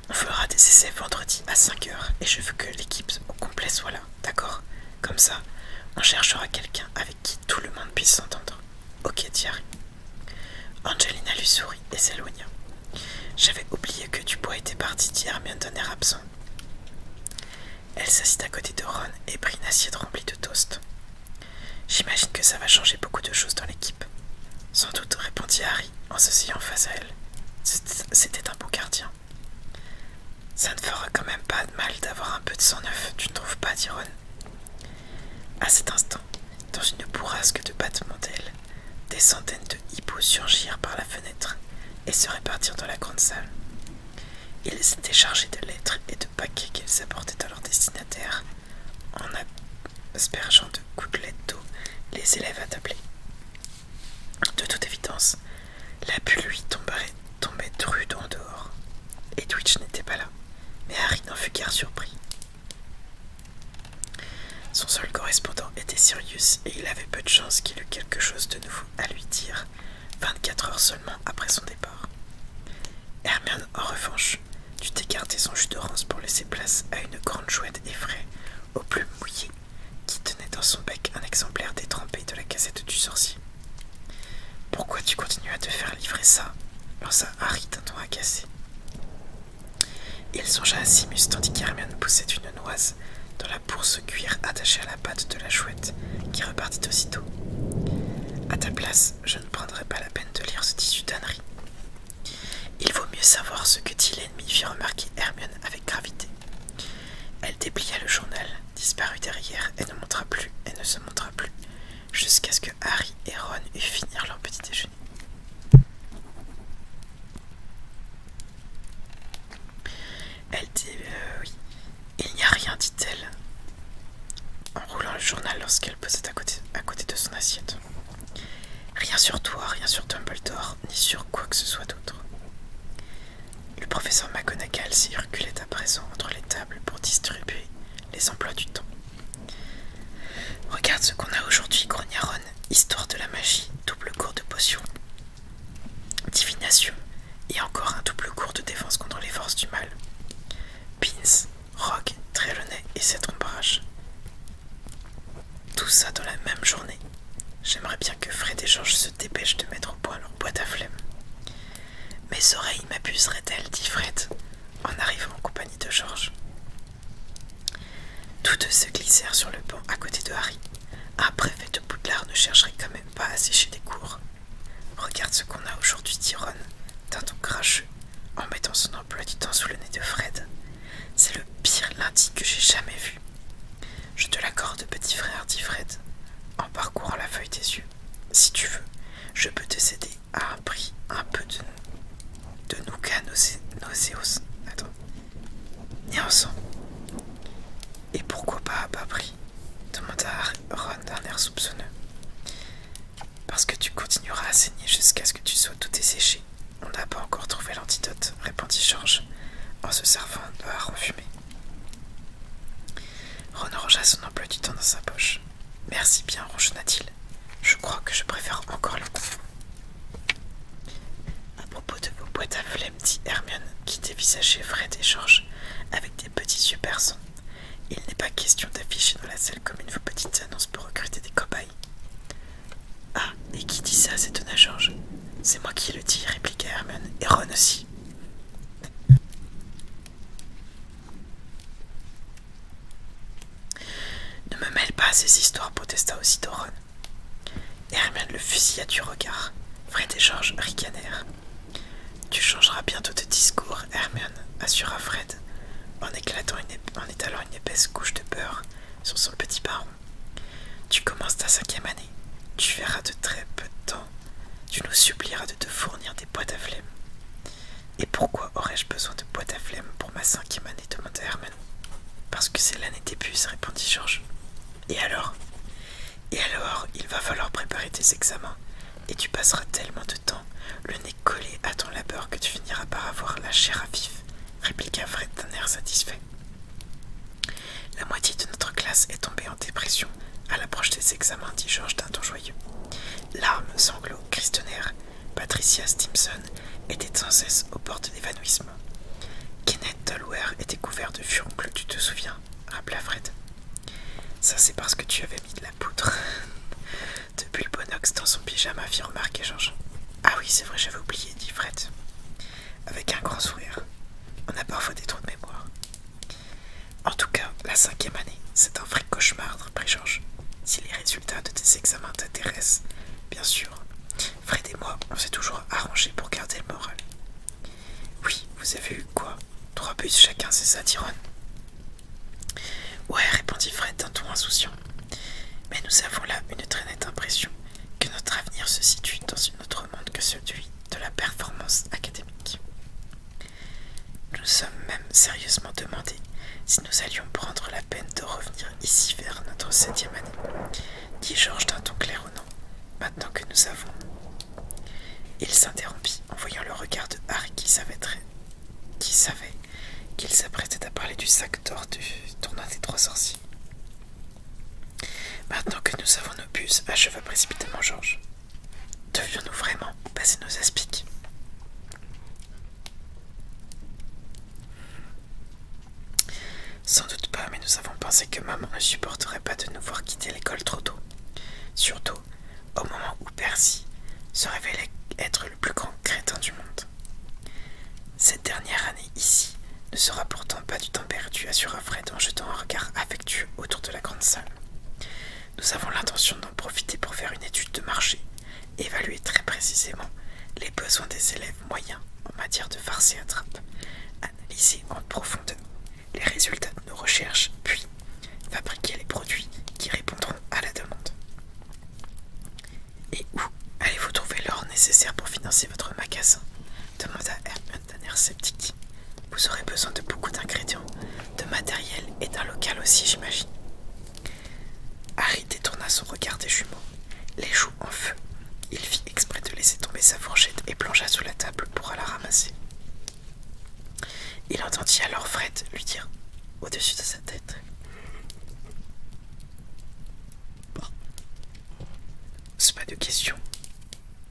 On fera des essais vendredi à 5h et je veux que l'équipe au complet soit là, d'accord Comme ça, on cherchera quelqu'un avec « Que tout le monde puisse s'entendre. Ok, Thierry. Angelina lui sourit et s'éloigna. J'avais oublié que Dubois était parti dit un air absent. Elle s'assit à côté de Ron et prit une assiette remplie de toast. J'imagine que ça va changer beaucoup de choses dans l'équipe. Sans doute, répondit Harry en s'asseyant face à elle. C'était un beau gardien. Ça ne fera quand même pas de mal d'avoir un peu de sang neuf, tu ne trouves pas, d'Ironne. À cet instant, dans une bourrasque de battements d'ailes, des centaines de hippos surgirent par la fenêtre et se répartirent dans la grande salle. Ils étaient chargés de lettres et de paquets qu'ils apportaient à leurs destinataires, en aspergeant de gouttelettes d'eau les élèves attablés. De toute évidence, la bulle lui tomberait, tombait rude en dehors. Et Twitch n'était pas là. Mais Harry n'en fut guère surpris. Son seul correspondant était Sirius et il avait peu de chance qu'il eût quelque chose de nouveau à lui dire 24 heures seulement après son départ. Hermione, en revanche, dut écarter son jus de rance pour laisser place à une grande chouette effraie au plumes mouillé, qui tenait dans son bec un exemplaire détrempé de la cassette du sorcier. Pourquoi tu continues à te faire livrer ça lança Harry d'un ton agacé. Il songea à Simus tandis qu'Hermione poussait une noise dans la bourse cuir attachée à la patte de la chouette qui repartit aussitôt. À ta place, je ne prendrai pas la peine de lire ce tissu d'ânerie. Il vaut mieux savoir ce que dit l'ennemi, fit remarquer Hermione avec gravité. Elle déplia le journal disparut derrière et ne montra plus et ne se montra plus, jusqu'à ce que Harry et Ron eussent fini leur petit déjeuner. Elle dit euh, oui. Il n'y a rien, dit-elle, en roulant le journal lorsqu'elle posait à côté, à côté de son assiette. Rien sur toi, rien sur Dumbledore, ni sur quoi que ce soit d'autre. Le professeur McGonagall circulait à présent entre les tables pour distribuer les emplois du temps. Regarde ce qu'on a aujourd'hui, Grognaron, Histoire de la magie, double cours de potion, divination et encore un double cours de défense contre les forces du mal. Pins, Rogue, Trelawney et cette ombrage Tout ça dans la même journée. J'aimerais bien que Fred et George Dépêche de mettre au point leur boîte à flemme. Mes oreilles m'abuseraient-elles, dit Fred, en arrivant en compagnie de Georges. Tous deux se glissèrent sur le banc à côté de Harry. Un préfet de Poudlard ne chercherait quand même pas à sécher des cours. Regarde ce qu'on a aujourd'hui, dit Ron, d'un ton cracheux, en mettant son emploi du temps sous le nez de Fred. C'est le pire lundi que j'ai jamais vu. Je te l'accorde, petit frère, dit Fred, en parcourant la feuille des yeux si tu veux, je peux te céder à un prix un peu de, de nos Attends, Attends. ensemble. Et pourquoi pas à bas prix demanda Ron d'un air soupçonneux. Parce que tu continueras à saigner jusqu'à ce que tu sois tout desséché. On n'a pas encore trouvé l'antidote, répondit George, en se servant de en Ron rangea son emploi du temps dans sa poche. Merci bien, ronchonna-t-il. Je crois que je préfère encore le coup. À propos de vos boîtes à flemme, dit Hermione, qui dévisageait Fred et George avec des petits yeux perçants. Il n'est pas question d'afficher dans la salle commune vos petites annonces pour recruter des cobayes. Ah, et qui dit ça s'étonna George C'est moi qui le dis, répliqua Hermione, et Ron aussi. Ne me mêle pas à ces histoires, protesta aussi, Doron. Hermione le fusilla du regard. Fred et George ricanèrent. Tu changeras bientôt de discours, Hermione, assura Fred, en, éclatant en étalant une épaisse couche de beurre sur son petit baron. Tu commences ta cinquième année. Tu verras de très peu de temps tu nous supplieras de te fournir des boîtes à flemme. Et pourquoi aurais-je besoin de boîtes à flemme pour ma cinquième année demanda Herman. Parce que c'est l'année des puces, répondit Georges. Et alors Et alors, il va falloir préparer tes examens, et tu passeras tellement de temps, le nez collé à ton labeur, que tu finiras par avoir la chair à vif, répliqua Fred d'un air satisfait. La moitié de notre classe est tombée en dépression à l'approche des examens, dit Georges d'un ton joyeux. Larmes, sanglots, cris Patricia Stimson était sans cesse aux portes d'évanouissement. Kenneth Dolware était couvert de furoncles, tu te souviens, rappela Fred. Ça, c'est parce que tu avais mis de la poudre. Depuis le bonox dans son pyjama, fit remarquer Georges. Ah oui, c'est vrai, j'avais oublié, dit Fred. Avec un grand sourire. On a parfois des trous de mémoire. En tout cas, la cinquième année, c'est un vrai cauchemar, reprit Georges. Si les résultats de tes examens t'intéressent, bien sûr. Fred et moi, on s'est toujours arrangé pour garder le moral. Oui, vous avez eu quoi Trois buts chacun, c'est ça, Tyrone Ouais, répondit Fred d'un ton insouciant. Mais nous avons là une très nette impression que notre avenir se situe dans un autre monde que celui de la performance académique. Nous nous sommes même sérieusement demandé si nous allions prendre la peine de revenir ici vers notre septième année, dit Georges d'un ton clair ou non, maintenant que nous avons. Il s'interrompit en voyant le regard de Harry qui savait qui savait qu'il s'apprêtait à parler du sac d'or du tournoi des trois sorciers. Maintenant que nous avons nos puces, acheva précipitamment Georges. Devions-nous vraiment passer nos aspics Sans doute pas, mais nous avons pensé que maman ne supporterait pas de nous voir quitter l'école trop tôt. Surtout au moment où Percy se révélait être le plus grand crétin du monde. Cette dernière année ici ne sera pourtant pas du temps perdu, assura Fred en jetant un regard affectueux autour de la grande salle. Nous avons l'intention d'en profiter pour faire une étude de marché, évaluer très précisément les besoins des élèves moyens en matière de farce et attrape, analyser en profondeur les résultats de nos recherches, puis fabriquer les produits qui répondront à la demande. Et où allez-vous trouver l'or nécessaire pour financer votre magasin demanda Hermione d'un air sceptique. Vous aurez besoin de beaucoup d'ingrédients, de matériel et d'un local aussi, j'imagine. Harry détourna son regard des jumeaux, les joues en feu. Il fit exprès de laisser tomber sa fourchette et plongea sous la table pour la ramasser. Il entendit alors Fred lui dire au-dessus de sa tête C'est pas de question,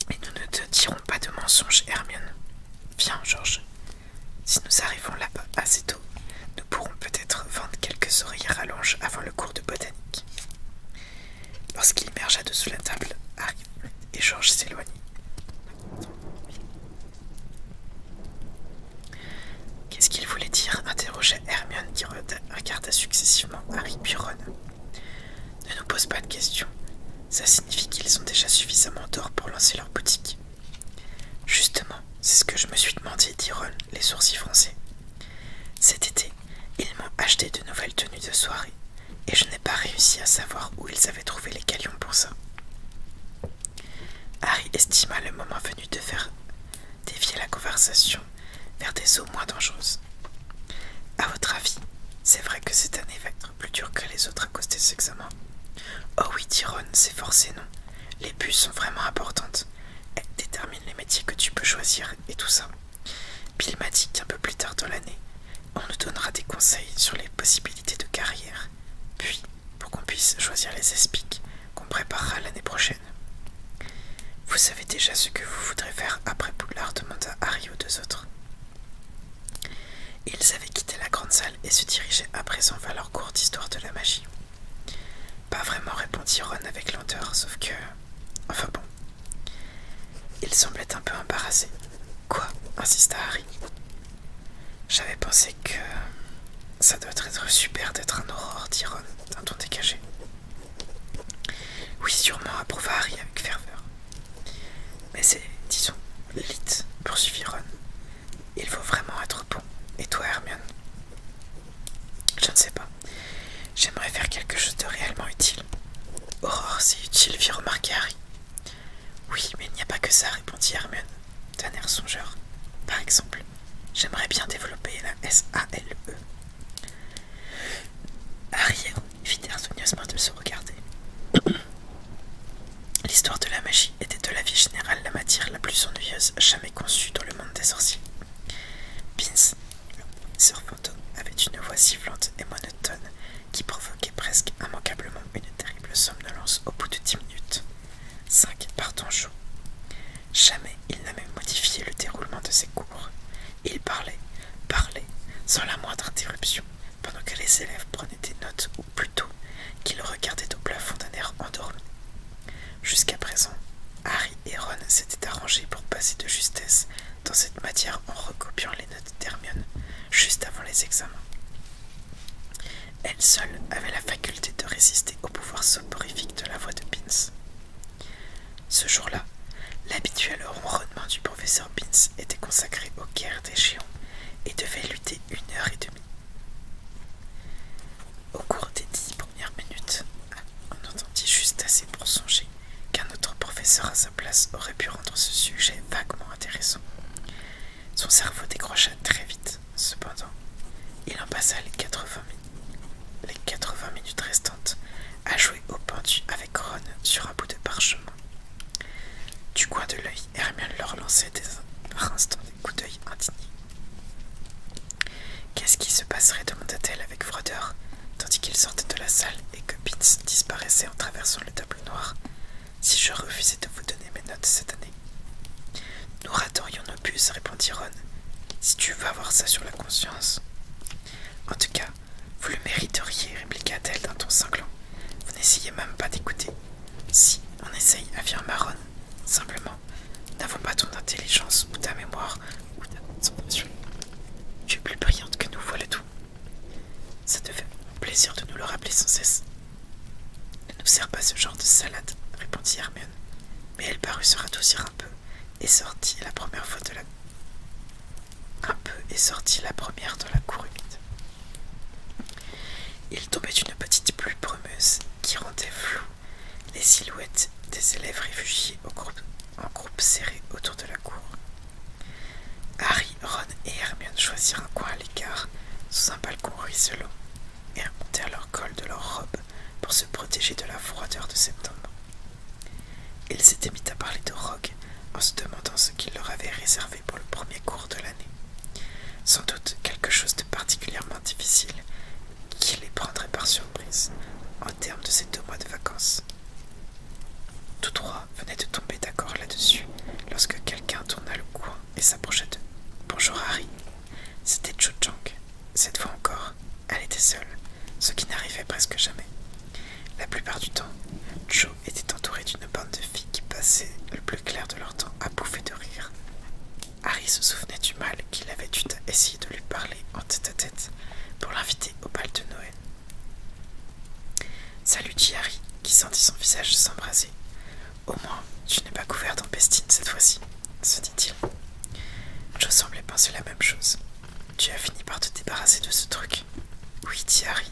et nous ne te dirons pas de mensonges, Hermione. Viens, Georges. Si nous arrivons là-bas assez tôt, nous pourrons peut-être vendre quelques oreillers rallonges avant le cours de botanique. Lorsqu'il émergea de sous la table, Harry et Georges s'éloignent. Qu'est-ce qu'il voulait dire interrogea Hermione qui regarda successivement Harry puis Ne nous pose pas de questions. Ça signifie qu'ils ont déjà suffisamment d'or pour lancer leur boutique. Justement, c'est ce que je me suis demandé, dit Ron, les sourcils français. Cet été, ils m'ont acheté de nouvelles tenues de soirée, et je n'ai pas réussi à savoir où ils avaient trouvé les calions pour ça. Harry estima le moment venu de faire dévier la conversation vers des eaux moins dangereuses. À votre avis, c'est vrai que c'est un année plus dur que les autres à cause des examens. Oh oui, Tyrone, c'est forcé, non Les puces sont vraiment importantes. Elles déterminent les métiers que tu peux choisir et tout ça. Bill m'a dit peu plus tard dans l'année, on nous donnera des conseils sur les possibilités de carrière. Puis, pour qu'on puisse choisir les espics qu'on préparera l'année prochaine. Vous savez déjà ce que vous voudrez faire après Poulard, demanda Harry aux deux autres. Ils avaient quitté la grande salle et se dirigeaient à présent vers leur courte histoire de la magie. Pas vraiment, répondit Ron avec lenteur, sauf que. Enfin bon. Il semblait un peu embarrassé. Quoi insista Harry. J'avais pensé que. Ça doit être super d'être un aurore, dit Ron, d'un ton dégagé. Oui, sûrement, approuva Harry avec ferveur. Mais c'est, disons, l'élite, poursuivit Ron. Il faut vraiment être bon. Et toi, Hermione Je ne sais pas. J'aimerais faire quelque chose de réellement utile. Aurore, c'est utile, fit remarquer Harry. Oui, mais il n'y a pas que ça, répondit Hermione d'un air songeur. Par exemple, j'aimerais bien développer la E. Harry fit de se regarder. L'histoire de la magie était de la vie générale la matière la plus ennuyeuse jamais conçue dans le monde des sorciers. Pins, sur Fantôme, avait une voix sifflante et monotone qui provoquait presque immanquablement une terrible somnolence au bout de dix minutes. Cinq par chaud. Jamais il n'a même modifié le déroulement de ses cours. Il parlait, parlait, sans la moindre interruption, pendant que les élèves prenaient des notes plutôt qu'il regardait au plafond d'un air endormi. Jusqu'à présent, Harry et Ron s'étaient arrangés pour passer de justesse dans cette matière en recopiant les notes d'Hermione juste avant les examens. Elle seule avait la faculté de résister au pouvoir soporifique de la voix de Pins. Ce jour-là, l'habituel ronronnement du professeur était consacré aux guerres des géants et devait lutter une heure et demie. Au cours des dix premières minutes, on entendit juste assez pour songer qu'un autre professeur à sa place aurait pu rendre ce sujet vaguement intéressant. Son cerveau décrocha très vite, cependant, il en passa les 80, minutes, les 80 minutes restantes à jouer au pendu avec Ron sur un bout de parchemin. Du coin de l'œil, Hermione leur lançait des, par instants des coups d'œil indignés. Qu'est-ce qui se passerait demanda-t-elle avec froideur, tandis qu'ils sortaient de la salle et que Pitts disparaissait en traversant le tableau noir, si je refusais de vous donner mes notes cette année Nous raterions nos puces, répondit Ron, si tu veux avoir ça sur la conscience. En tout cas, vous le mériteriez, répliqua-t-elle d'un ton cinglant. Vous n'essayez même pas d'écouter. Si, on essaye, à en marron, Simplement, n'avons pas ton intelligence ou ta mémoire ou ta concentration. Tu es plus brillante que nous, voilà tout. Ça te fait plaisir de nous le rappeler sans cesse. Elle Ne nous sert pas ce genre de salade, répondit Hermione. Mais elle parut se radoucir un peu et sortit la première fois de la un peu la première de la cour il tombait une petite pluie brumeuse qui rendait floues les silhouettes des élèves réfugiés en groupe serré autour de la cour. Harry, Ron et Hermione choisirent un coin à l'écart sous un balcon ruisselant et remontèrent leur col de leur robe pour se protéger de la froideur de septembre. Ils s'étaient mis à parler de Rogue en se demandant ce qu'il leur avait réservé pour le premier cours de l'année. Sans doute quelque chose de particulièrement difficile qui les prendrait par surprise en termes de ces deux mois de vacances. Tous trois venaient de tomber d'accord là-dessus lorsque quelqu'un tourna le coin et s'approcha d'eux. Bonjour Harry. C'était Cho Chang. Cette fois encore, elle était seule, ce qui n'arrivait presque jamais. La plupart du temps, était entouré d'une bande de filles qui passaient le plus clair de leur temps à bouffer de rire. Harry se souvenait du mal qu'il avait dû essayer de lui parler en tête-à-tête pour l'inviter au bal de Noël. Salut, dit Harry, qui sentit son visage s'embraser. Au moins, tu n'es pas couvert d'impestine cette fois-ci, se dit-il. Joe semblais penser la même chose. Tu as fini par te débarrasser de ce truc. Oui, dit Harry,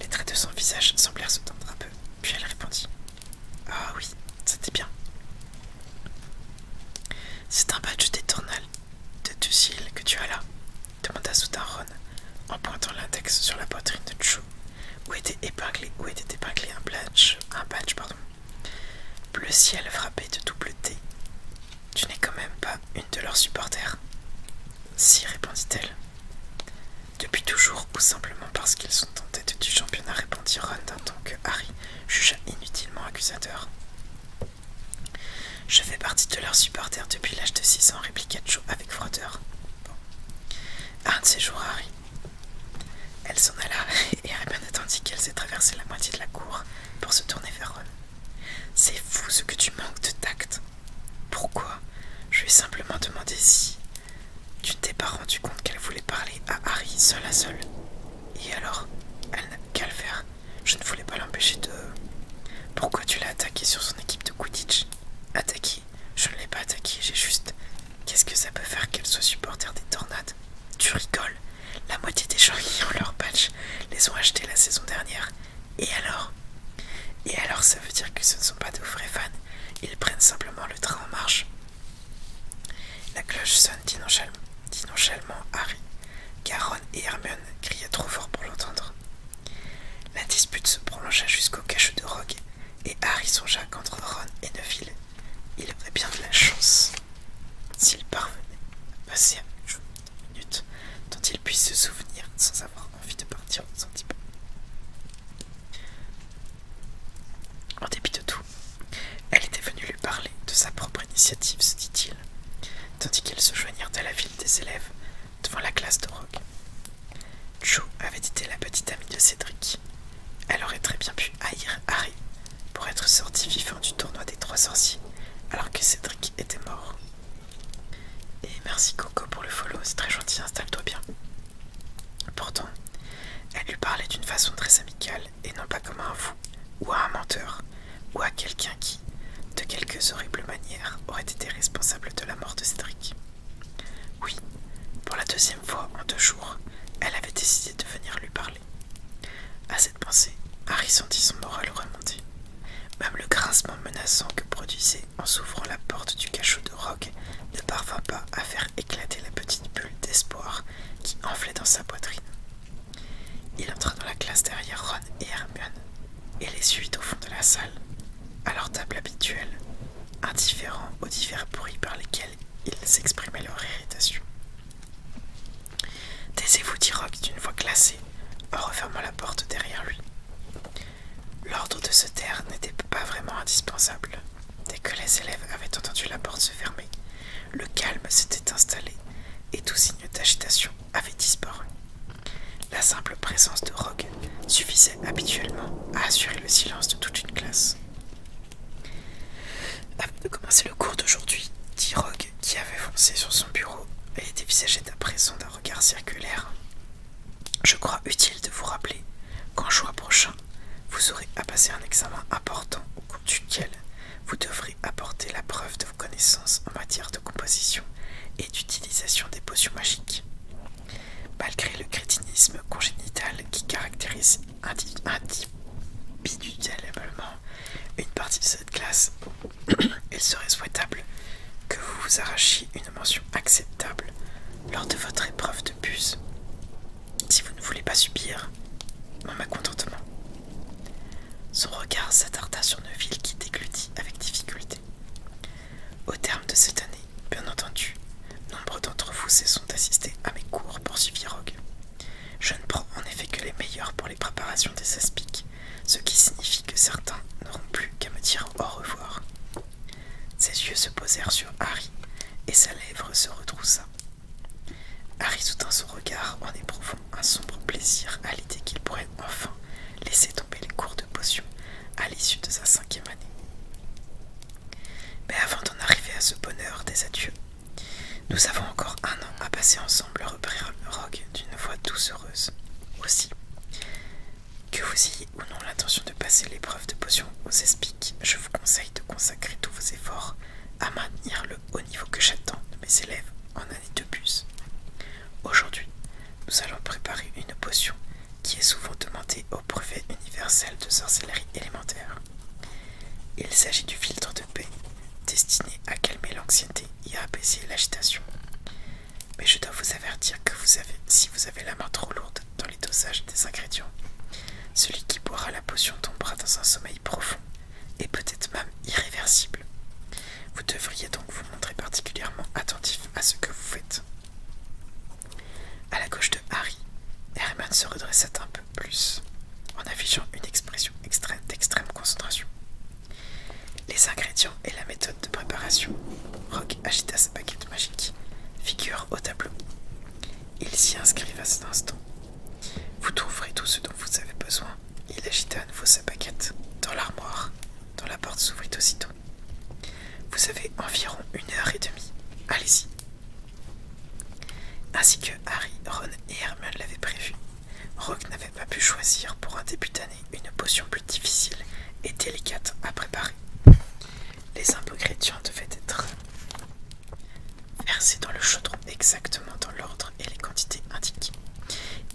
Les traits de son visage semblèrent se tendre un peu, puis elle répondit Ah oui, c'était bien. C'est un badge d'étournal de Ducille que tu as là demanda soudain Ron en pointant l'index sur la poitrine de Chu, où était épinglé, où était épinglé un badge, un badge pardon, bleu ciel frappé de double T. Tu n'es quand même pas une de leurs supporters Si, répondit-elle. Depuis toujours, ou simplement parce qu'ils sont en tête du championnat, répondit Ron d'un ton que Harry jugea inutilement accusateur. Je fais partie de leurs supporters depuis l'âge de 6 ans, répliqua Joe avec froideur. Un de ces jours, Harry. Elle s'en alla et bien attendit qu'elle s'est traversé la moitié de la cour pour se tourner vers Ron. C'est fou ce que tu manques de tact, pourquoi Je lui ai simplement demandé si tu ne t'es pas rendu compte qu'elle voulait parler à Harry seul à seul. Et alors, elle n'a qu'à le faire. Je ne voulais pas l'empêcher de... Pourquoi tu l'as attaqué sur son équipe de Quidditch Attaqué Je ne l'ai pas attaqué, j'ai juste... Qu'est-ce que ça peut faire qu'elle soit supporter des tornades Tu rigoles La moitié des gens qui ont leur patch les ont achetés la saison dernière et alors Et alors ça veut dire que ce ne sont pas de vrais fans, ils prennent simplement le train en marche. La cloche sonne dit Harry, car Ron et Hermione criaient trop fort pour l'entendre. La dispute se prolongea jusqu'au cachot de Rogue, et Harry songea qu'entre Ron et Neville, il aurait bien de la chance s'il parvenait à passer une minute dont il puisse se souvenir sans avoir envie de partir sans type. En dépit de tout, elle était venue lui parler de sa propre initiative, se dit-il, tandis qu'ils se joignirent à la ville des élèves devant la classe de Rogue. Joe avait été la petite amie de Cédric. Elle aurait très bien pu haïr Harry pour être sortie vivante du tournoi des trois sorciers alors que Cédric était mort. Et merci Coco pour le follow, c'est très gentil, installe-toi bien. Pourtant, elle lui parlait d'une façon très amicale et non pas comme à un fou ou à un menteur ou à quelqu'un qui, de quelques horribles manières, aurait été responsable de la mort de Cédric. Oui, pour la deuxième fois en deux jours, elle avait décidé de venir lui parler. À cette pensée, Harry sentit son moral remonter. Même le grincement menaçant que produisait en s'ouvrant la porte du cachot de Rogue, ne parvint pas à faire éclater la petite bulle d'espoir qui enflait dans sa poitrine. Il entra dans la classe derrière Ron et Hermione et les suit au fond de la salle, à leur table habituelle, indifférent aux divers bruits par lesquels ils exprimaient leur irritation. Taisez-vous, dit Rogue d'une voix glacée en refermant la porte derrière lui. L'ordre de se taire n'était pas vraiment indispensable. Dès que les élèves avaient entendu la porte se fermer, le calme s'était installé et tout signe d'agitation avait disparu. La simple présence de Rogue suffisait habituellement à assurer le silence de toute une classe. Avant de commencer le cours d'aujourd'hui, dit Rogue, qui avait foncé sur son bureau, et était à présent d'un regard circulaire, je crois utile de vous rappeler qu'en juin prochain, vous aurez à passer un examen important au cours duquel vous devrez apporter la preuve de vos connaissances en matière de composition et d'utilisation des potions magiques. Malgré le crétinisme congénital qui caractérise individuellement une partie de cette classe, il serait souhaitable que vous vous arrachiez une mention acceptable lors de votre épreuve de bus, si vous ne voulez pas subir mon malcontentement. » Son regard s'attarda sur ville qui déglutit avec difficulté. Au terme de cette année, bien entendu, nombre d'entre vous se sont assistés à mes cours, suivre Rogue. Je ne prends en effet que les meilleurs pour les préparations des aspics, ce qui signifie que certains n'auront plus qu'à me dire au revoir. Ses yeux se posèrent sur Harry et sa lèvre se retroussa. Harry soutint son regard en éprouvant un sombre plaisir à l'idée qu'il pourrait enfin laisser tomber les cours de potion à l'issue de sa cinquième année. Mais avant d'en arriver à ce bonheur des adieux, nous avons encore un an à passer ensemble, reprit Rogue d'une voix doucereuse. Aussi, que vous ayez ou non l'intention de passer l'épreuve de potion aux espics, je vous conseille de consacrer tous vos efforts à maintenir le haut niveau que j'attends de mes élèves en année de bus. Aujourd'hui, nous allons préparer une potion qui est souvent demandée au brevet universel de sorcellerie élémentaire. Il s'agit du filtre de paix, destiné à calmer l'anxiété et à apaiser l'agitation mais je dois vous avertir que si vous avez la main trop lourde dans les dosages des ingrédients, celui qui boira la potion tombera dans un sommeil profond et peut-être même irréversible. Vous devriez donc vous montrer particulièrement attentif à ce que vous faites. À la gauche de Harry, Herman se redressa un peu plus, en affichant une expression d'extrême concentration. Les ingrédients et la méthode de préparation, agita sa baguette magique, figure au tableau. Il s'y inscrivent à cet instant. Vous trouverez tout ce dont vous avez besoin. Il agita à nouveau sa baguette dans l'armoire, dont la porte s'ouvrit aussitôt. Vous avez environ une heure et demie. Allez-y. Ainsi que Harry, Ron et Herman l'avaient prévu, Rock n'avait pas pu choisir pour un début d'année une potion plus difficile et délicate à préparer. Les impôts chrétiens devaient être versés dans le chaudron exactement dans l'ordre et les quantités indiquées.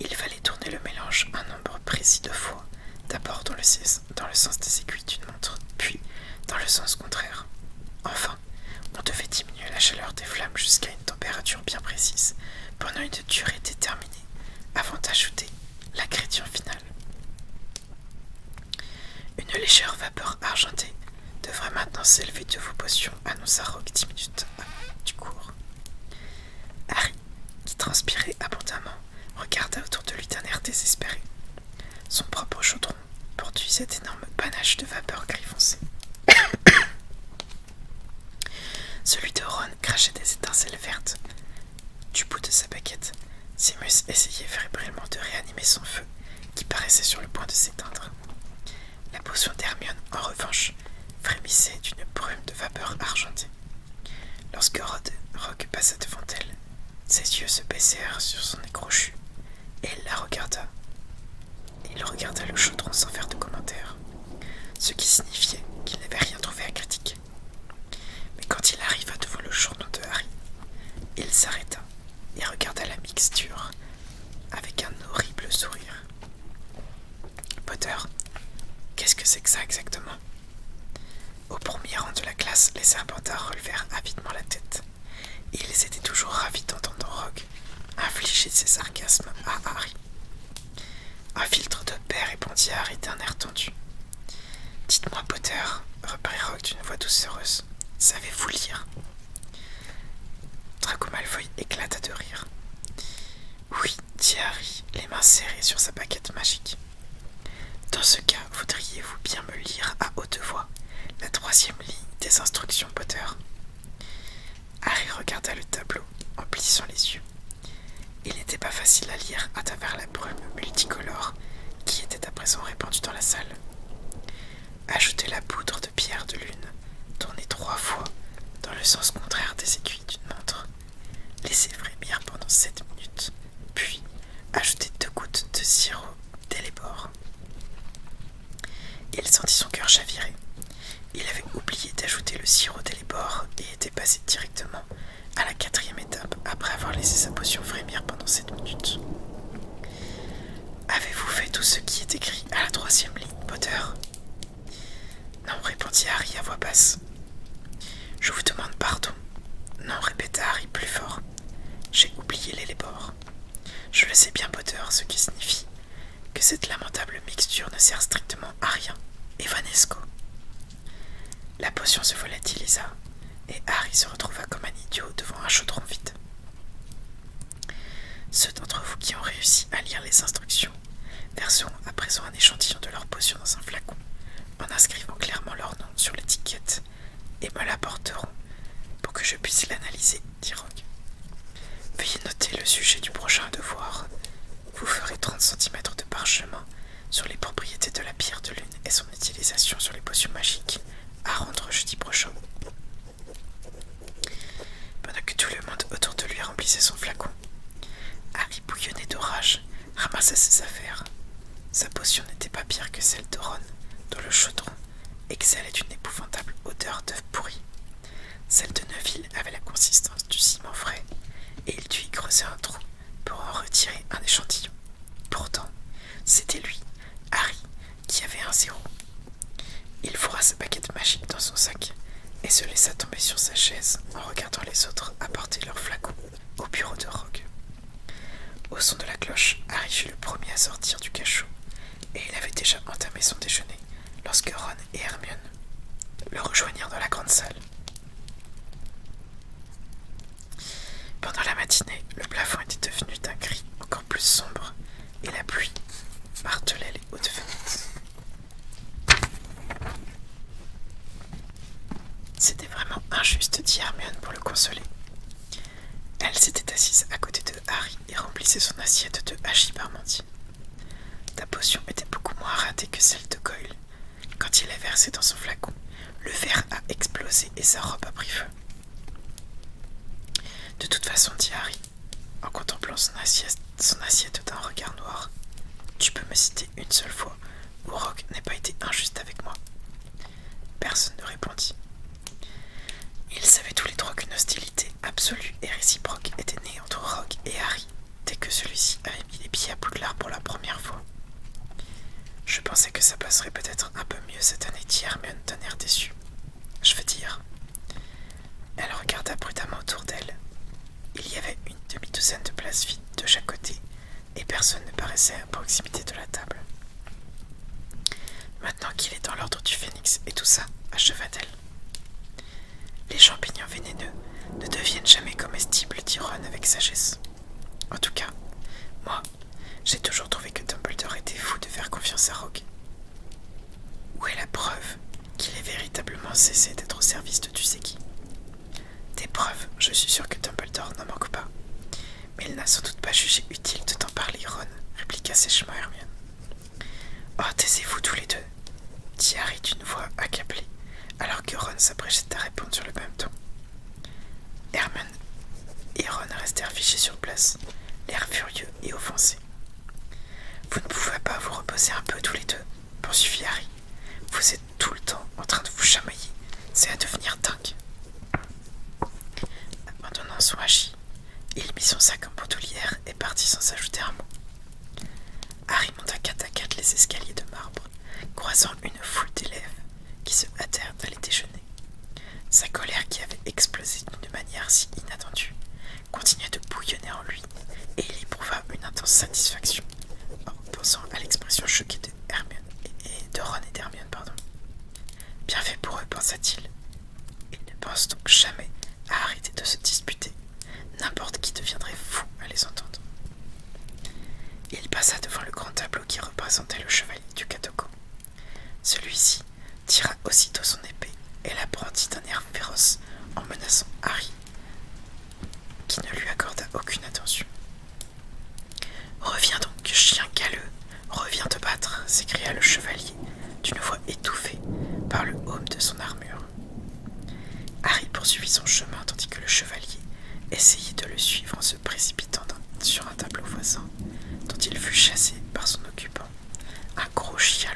Il fallait tourner le mélange un nombre précis de fois, d'abord dans, le sens des aiguilles d'une montre, puis dans le sens contraire. Enfin, on devait diminuer la chaleur des flammes jusqu'à une température bien précise, pendant une durée déterminée, avant d'ajouter la l'ingrédient finale. Une légère vapeur argentée devrait maintenant s'élever de vos potions, annonça Rock dix minutes du cours. Harry, qui transpirait abondamment, regarda autour de lui d'un air désespéré. Son propre chaudron produisait d'énormes panaches de vapeur gris foncé. Celui de Ron crachait des étincelles vertes, du bout de sa baguette, Simus essayait fébrilement de réanimer son feu qui paraissait sur le point de s'éteindre. La potion d'Hermione, en revanche, frémissait d'une brume de vapeur argentée. Lorsque Rod Rock passa devant elle, ses yeux se baissèrent sur son nez et elle la regarda. Il regarda le chaudron sans faire de commentaire, ce qui signifiait qu'il n'avait rien trouvé à critiquer. Mais quand il arriva devant le journaux de Harry, il s'arrêta et regarda la mixture avec un horrible sourire. Potter, qu'est-ce que c'est que ça exactement Au premier rang de la classe, les serpentards relevèrent avidement la tête. Ils étaient toujours ravis d'entendre Rogue infliger ses sarcasmes à Harry. Un filtre de paix répondit à Harry d'un air tendu. Dites-moi, Potter, reprit Rogue d'une voix doucereuse, savez-vous lire Draco Malfoy éclata de rire. Oui, dit Harry, les mains serrées sur sa paquette magique. Dans ce cas, voudriez-vous bien me lire à haute voix la troisième ligne des instructions Potter Harry regarda le tableau en plissant les yeux. Il n'était pas facile à lire à travers la brume multicolore qui était à présent répandue dans la salle. Ajoutez la poudre de pierre de lune, tournez trois fois dans le sens contraire des aiguilles d'une montre. Laissez frémir pendant sept minutes, puis ajoutez deux gouttes de sirop dès Il sentit son cœur chavirer. Il avait oublié d'ajouter le sirop dès et était passé directement à la quatrième étape après avoir laissé sa potion frémir pendant sept minutes. Avez-vous fait tout ce qui est écrit à la troisième ligne, Potter Non, répondit Harry à voix basse. Je vous demande pardon. Non, répéta Harry plus fort. J'ai oublié les Je le sais bien, Potter, ce qui signifie que cette lamentable mixture ne sert strictement à rien. Vanesco ?» La potion se volatilisa et Harry se retrouva comme un idiot devant un chaudron vide. Ceux d'entre vous qui ont réussi à lire les instructions verseront à présent un échantillon de leur potion dans un flacon en inscrivant clairement leur nom sur l'étiquette et me l'apporteront pour que je puisse l'analyser, dit Rogue. Veuillez noter le sujet du prochain devoir. Vous ferez 30 cm de parchemin sur les propriétés de la pierre de lune et son utilisation sur les potions magiques, à rendre jeudi prochain. Pendant que tout le monde autour de lui remplissait son flacon, Harry bouillonnait d'orage, ramassait ses affaires. Sa potion n'était pas pire que celle de Ron, dont le chaudron exhalait une épouvantable odeur d'œuf pourri. Celle de Neville avait la consistance du ciment frais, et il dut y creuser un trou pour en retirer un échantillon. Pourtant, c'était lui, Harry, qui avait un zéro. Il fourra sa baguette magique dans son sac et se laissa tomber sur sa chaise en regardant les autres apporter leurs flacons au bureau de Rogue. Au son de la cloche, Harry fut le premier à sortir du cachot et il avait déjà entamé son déjeuner lorsque Ron et Hermione le rejoignirent dans la grande salle. Pendant la matinée, le plafond était devenu d'un gris encore plus sombre et la pluie martelait les hautes fenêtres. C'était vraiment injuste, dit Hermione pour le consoler. Elle s'était assise à côté de Harry et remplissait son assiette de hachis parmentier. Ta potion était beaucoup moins ratée que celle de Goyle, quand il a versé dans son flacon, le verre a explosé et sa robe a pris feu. De toute façon, dit Harry, en contemplant son assiette, d'un regard noir, tu peux me citer une seule fois où Rock n'ait pas été injuste avec moi. Personne ne répondit. Ils savaient tous les trois qu'une hostilité absolue et réciproque était née entre Rock et Harry dès que celui-ci est est à bout de lart pour la première fois. Je pensais que ça passerait peut-être un peu mieux cette année d'hier, mais d'un air déçu. Je veux dire. Elle regarda prudemment autour d'elle. Il y avait une demi-douzaine de places vides de chaque côté, et personne ne paraissait à proximité de la table. Maintenant qu'il est dans l'ordre du phénix et tout ça, acheva-t-elle. Les champignons vénéneux ne deviennent jamais comestibles, dit Ron avec sagesse. En tout cas, moi, j'ai toujours trouvé que Dumbledore était fou de faire confiance à Rogue. Où est la preuve qu'il ait véritablement cessé d'être au service de tu sais qui Des preuves, je suis sûr que Dumbledore n'en manque pas. Mais il n'a sans doute pas jugé utile de t'en parler, Ron, répliqua sèchement Hermione. Oh, taisez-vous tous les deux, dit Harry d'une voix accablée, alors que Ron s'apprêtait à répondre sur le même ton. Herman et Ron restèrent fichés sur place, l'air furieux et offensé. Vous ne pouvez pas vous reposer un peu tous les deux, poursuivit Harry. Vous êtes tout le temps en train de vous chamailler, c'est à devenir dingue. Abandonnant son hachis, il mit son sac en bandoulière et partit sans ajouter un mot. Harry monta quatre à quatre les escaliers de marbre croisant une foule d'élèves qui se hâtèrent d'aller déjeuner. Sa colère qui avait explosé d'une manière si inattendue continuait de bouillonner en lui et il éprouva une intense satisfaction en pensant à l'expression choquée de, Hermione et de Ron et d'Hermione. Bien fait pour eux, pensa-t-il. Ils ne pensent donc jamais à arrêter de se disputer. N'importe qui deviendrait fou à les entendre. Il passa devant le grand tableau qui représentait le chevalier du Katoko. Celui-ci tira aussitôt son épée et l'apprendit d'un air féroce en menaçant Harry, qui ne lui accorda aucune attention. Reviens donc, chien galeux, reviens te battre, s'écria le chevalier d'une voix étouffée par le haut de son armure. Harry poursuivit son chemin tandis que le chevalier essayait de le suivre en se précipitant sur un tableau voisin, dont il fut chassé par son occupant, un gros chien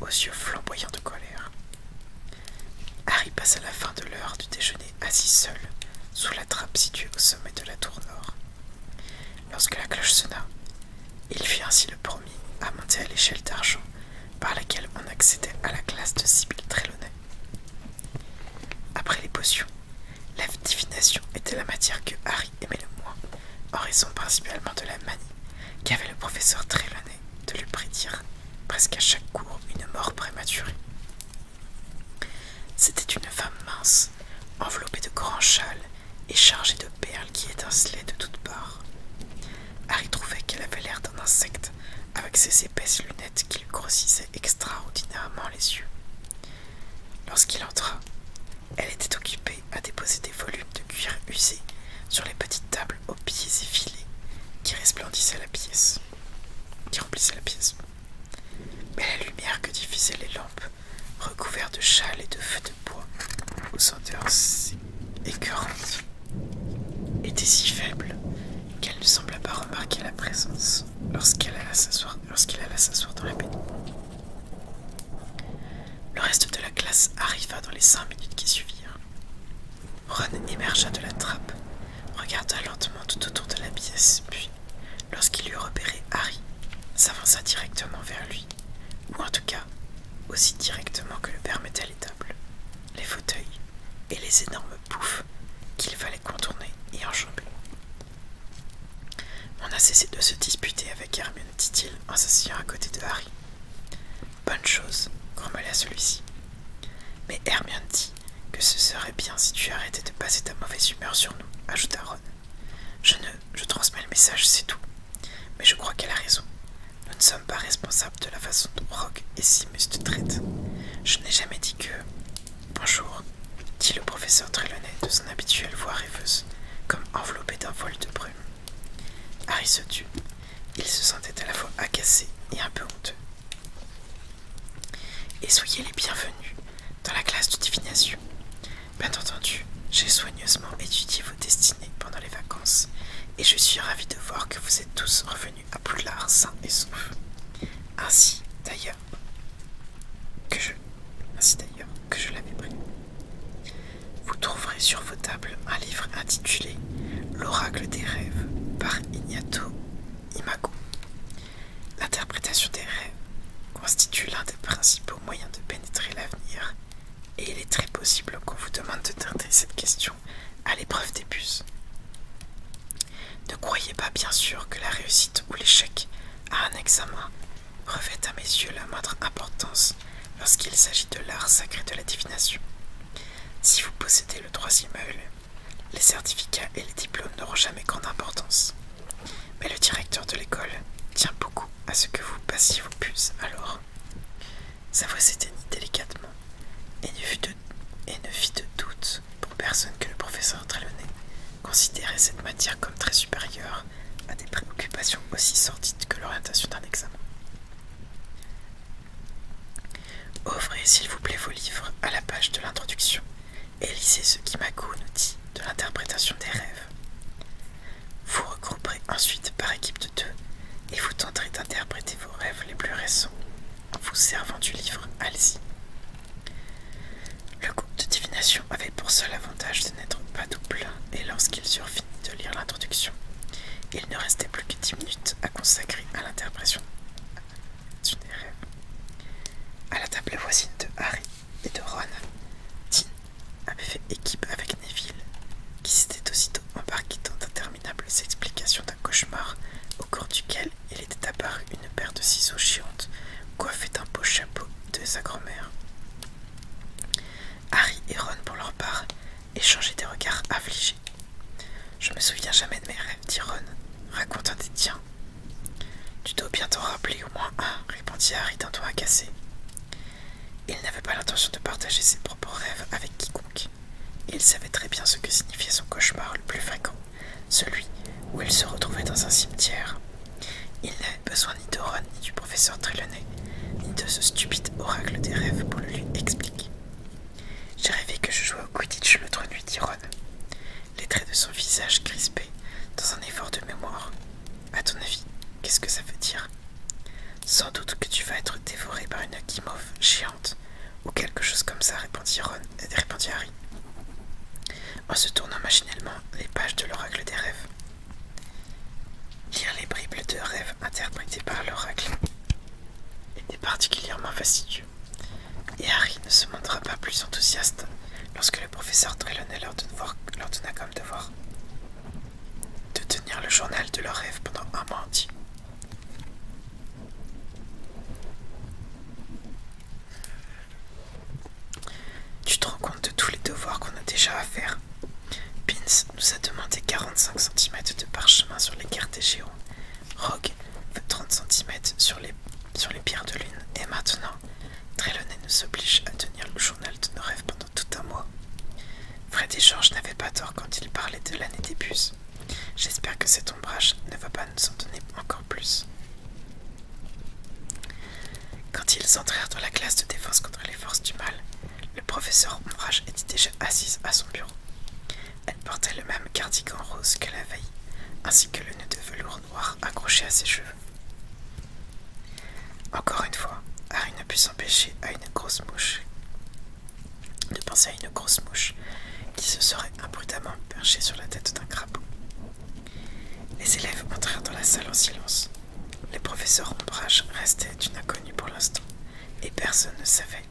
aux yeux flamboyants de colère. Harry passa la fin de l'heure du déjeuner assis seul sous la trappe située au sommet de la tour nord. Lorsque la cloche sonna, il fit ainsi le premier à monter à l'échelle d'argent par laquelle on accédait à la classe de Sibyl Trelawney. Après les potions, la divination était la matière que Harry aimait le moins, en raison principalement de la manie qu'avait le professeur Trelawney de lui prédire presque à chaque cours une mort prématurée. C'était une femme mince, enveloppée de grands châles et chargée de perles qui étincelaient de toutes parts. Harry trouvait qu'elle avait l'air d'un insecte avec ses épaisses lunettes qui lui grossissaient extraordinairement les yeux. Lorsqu'il entra, elle était occupée à déposer des volumes de cuir usé sur les petites tables aux pieds effilés qui resplendissaient la pièce, qui remplissaient la pièce. Mais la lumière que diffusaient les lampes, recouvertes de châles et de feux de bois, aux odeurs écœurantes, était si faible qu'elle ne sembla pas remarquer la présence lorsqu'il alla s'asseoir dans la pénombre. Le reste de la classe arriva dans les cinq minutes qui suivirent. Ron émergea de la trappe, regarda lentement tout autour de la pièce, puis, lorsqu'il eut repéré Harry, s'avança directement vers lui, ou en tout cas, aussi directement que le permettaient les tables, les fauteuils et les énormes poufs qu'il fallait contourner et enjamber. On a cessé de se disputer avec Hermione, dit-il en s'asseyant à côté de Harry. Bonne chose, grommela celui-ci. Mais Hermione dit que ce serait bien si tu arrêtais de passer ta mauvaise humeur sur nous, ajouta Ron. Je ne. je transmets le message, c'est tout. Mais je crois qu'elle a raison. Nous ne sommes pas responsables de la façon dont Rogue et Simus te traitent. Je n'ai jamais dit que. Bonjour, dit le professeur Trelawney de son habituelle voix rêveuse, comme enveloppé d'un vol de brume. Harry se tut. Il se sentait à la fois agacé et un peu honteux. Et soyez les bienvenus dans la classe de divination. Bien entendu, j'ai soigneusement étudié vos destinées pendant les vacances et je suis ravi de voir que vous êtes tous revenus à Poudlard sains et saufs. Ainsi, d'ailleurs, que je, ainsi d'ailleurs que je l'avais pris. Vous trouverez sur vos tables un livre intitulé L'oracle des rêves par Ignato Imago. L'interprétation des rêves constitue l'un des principaux moyens de pénétrer l'avenir et il est très possible qu'on vous demande de tenter cette question à l'épreuve des puces. Ne croyez pas bien sûr que la réussite ou l'échec à un examen revêt à mes yeux la moindre importance lorsqu'il s'agit de l'art sacré de la divination. Si vous possédez le troisième œil, les certificats et les diplômes n'auront jamais grande importance. Mais le directeur de l'école tient beaucoup à ce que vous passiez vos puces alors. Sa voix s'éteignit délicatement et ne, et ne fit de doute pour personne que le professeur Trelawney considérait cette matière comme très supérieure à des préoccupations aussi sordides que l'orientation d'un examen. Ouvrez s'il vous plaît vos livres à la page de l'introduction et lisez ce qu'Imako nous dit de l'interprétation des rêves. Vous regrouperez ensuite par équipe de deux et vous tenterez d'interpréter vos rêves les plus récents vous servant du livre Alzi. Le groupe de divination avait pour seul avantage de n'être pas double, et lorsqu'ils eurent fini de lire l'introduction, il ne restait plus que dix minutes à consacrer à l'interprétation À la table voisine de Harry et de Ron, Dean avait fait équipe avec Neville, qui s'était aussitôt embarqué dans d'interminables explications d'un cauchemar au cours duquel il était apparu une paire de ciseaux chiantes, coiffés d'un beau chapeau de sa grand-mère. Harry et Ron, pour leur part, échangeaient des regards affligés. Je me souviens jamais de mes rêves, dit Ron, racontant des tiens. Tu dois bien t'en rappeler au moins un, répondit Harry d'un ton cassé. Il n'avait pas l'intention de partager ses propres rêves avec quiconque. Il savait très bien ce que signifiait son cauchemar le plus fréquent celui où il se retrouvait dans un cimetière. Il n'avait besoin ni de Ron, ni du professeur Trelawney, ni de ce stupide oracle des rêves pour le lui expliquer. J'ai rêvé que je jouais au Quidditch l'autre nuit, dit Ron, les traits de son visage crispés dans un effort de mémoire. À ton avis, qu'est-ce que ça veut dire Sans doute que tu vas être dévoré par une Akimov géante ou quelque chose comme ça, répondit, Ron, répondit en se tournant machinalement les pages de l'oracle des rêves. Lire les bribes de rêves interprétées par l'oracle était particulièrement fastidieux, et Harry ne se montra pas plus enthousiaste lorsque le professeur Trelawney leur donna comme devoir de tenir le journal de leurs rêves pendant un mois entier. Tu te rends compte de tous les devoirs qu'on a déjà à faire Pins nous a demandé 45 cm de parchemin sur les cartes des géants. Rogue veut 30 cm sur les, pierres de lune. Et maintenant, Trelawney nous oblige à tenir le journal de nos rêves pendant tout un mois. Fred et George n'avaient pas tort quand ils parlaient de l'année des bus. J'espère que cet ombrage ne va pas nous en donner encore plus. Quand ils entrèrent dans la classe de défense contre les forces du mal, le professeur Ombrage était déjà assise à son bureau. Elle portait le même cardigan rose que la veille, ainsi que le nœud de velours noir accroché à ses cheveux. Encore une fois, Harry ne put s'empêcher à une grosse mouche de penser à une grosse mouche qui se serait imprudemment perchée sur la tête d'un crapaud. Les élèves entrèrent dans la salle en silence. Le professeur Ombrage restait une inconnue pour l'instant, et personne ne savait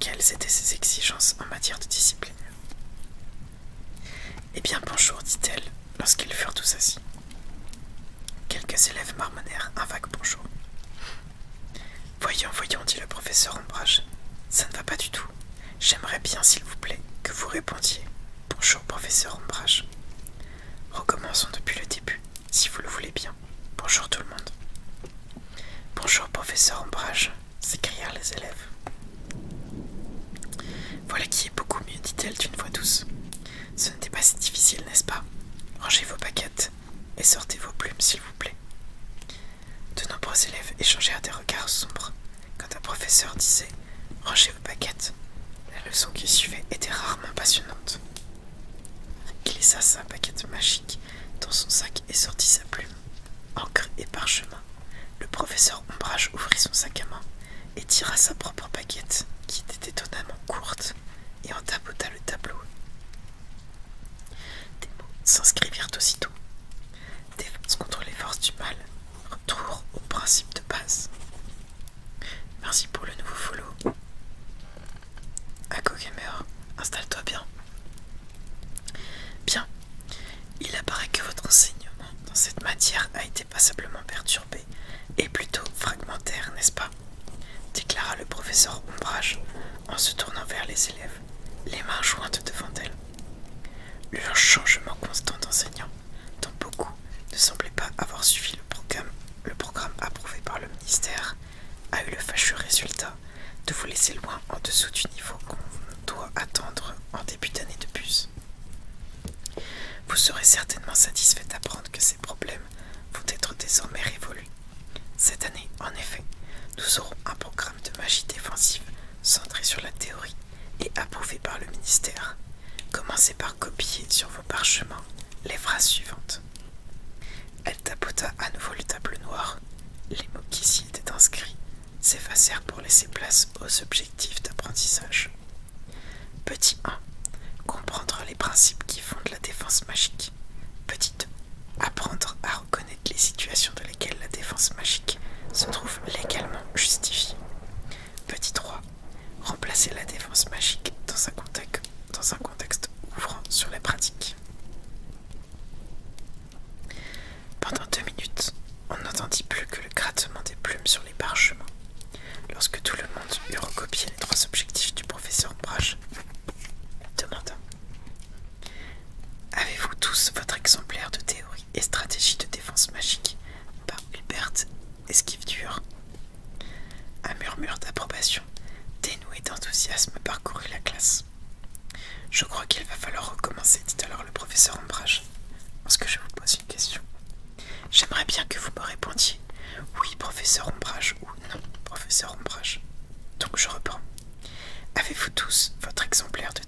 quelles étaient ses exigences en matière de discipline. Eh bien bonjour, dit-elle, lorsqu'ils furent tous assis. Quelques élèves marmonnèrent un vague bonjour. Voyons, voyons, dit le professeur Ombrage, ça ne va pas du tout. J'aimerais bien, s'il vous plaît, que vous répondiez. Bonjour, professeur Ombrage. Recommençons depuis le début, si vous le voulez bien. Bonjour tout le monde. Bonjour, professeur Ombrage, s'écrièrent les élèves. Voilà qui est beaucoup mieux, dit-elle d'une voix douce. Ce n'était pas si difficile, n'est-ce pas Rangez vos paquettes et sortez vos plumes, s'il vous plaît. De nombreux élèves échangèrent des regards sombres quand un professeur disait Rangez vos paquettes. La leçon qui suivait était rarement passionnante. Il laissa sa paquette magique dans son sac et sortit sa plume, encre et parchemin. Le professeur Ombrage ouvrit son sac à main et tira sa propre paquette, qui était étonnamment courte, et en tapota le tableau. Des mots s'inscrivirent aussitôt Défense contre les forces du mal. Retour au principe de base. Merci pour le nouveau follow. Ako Gamer, installe-toi bien. Bien. Il apparaît que votre enseignement dans cette matière a été passablement perturbé et plutôt fragmentaire, n'est-ce pas déclara le professeur Ombrage en se tournant vers les élèves, les mains jointes devant elle. Le changement constant d'enseignants, dont beaucoup ne semblaient pas avoir suivi le programme, approuvé par le ministère, a eu le fâcheux résultat de vous laisser loin en dessous du niveau qu'on doit attendre en début d'année de plus Vous serez certainement satisfait d'apprendre que ces problèmes vont être désormais révolus. Cette année, en effet, nous aurons un programme de magie défensive centrée sur la théorie et approuvée par le ministère. Commencez par copier sur vos parchemins les phrases suivantes. Elle tapota à nouveau le tableau noir. Les mots qui s'y étaient inscrits s'effacèrent pour laisser place aux objectifs d'apprentissage. Petit 1. Comprendre les principes qui font de la défense magique. Petit 2. Apprendre à reconnaître les situations dans lesquelles la défense magique se trouve légalement justifiée. Petit 3. Remplacer la défense magique dans un contexte, ouvrant sur la pratique. Pendant deux minutes, on n'entendit plus que le grattement des plumes sur les parchemins. Lorsque tout le monde eut recopié les trois objectifs du professeur Brage, demanda Avez-vous tous votre exemplaire de théorie et stratégie de défense magique par Hubert Esquive Dur. Un murmure d'approbation, dénoué d'enthousiasme, parcourut la classe. Je crois qu'il va falloir recommencer, dit alors le professeur Ombrage. Parce que je vous pose une question J'aimerais bien que vous me répondiez oui, professeur Ombrage, ou non, professeur Ombrage. Donc je reprends. Avez-vous tous votre exemplaire de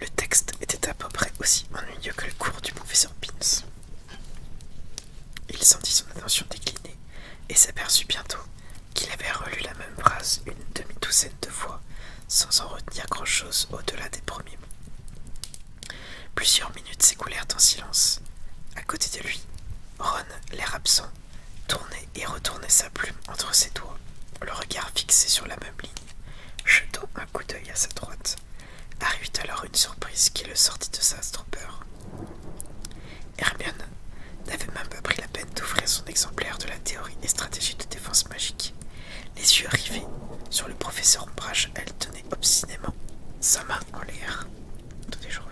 Le texte était à peu près aussi ennuyeux que le cours du professeur Pins. Il sentit son attention décliner et s'aperçut bientôt qu'il avait relu la même phrase une demi-douzaine de fois sans en retenir grand-chose au-delà des premiers mots. Plusieurs minutes s'écoulèrent en silence. À côté de lui, Ron, l'air absent, tournait et retournait sa plume entre ses doigts, le regard fixé sur la ligne un coup d'œil à sa droite, Arrive alors une surprise qui le sortit de sa stupeur. Hermione n'avait même pas pris la peine d'ouvrir son exemplaire de la théorie et stratégie de défense magique. Les yeux rivés sur le professeur Ombrage, elle tenait obstinément sa main en l'air. les jours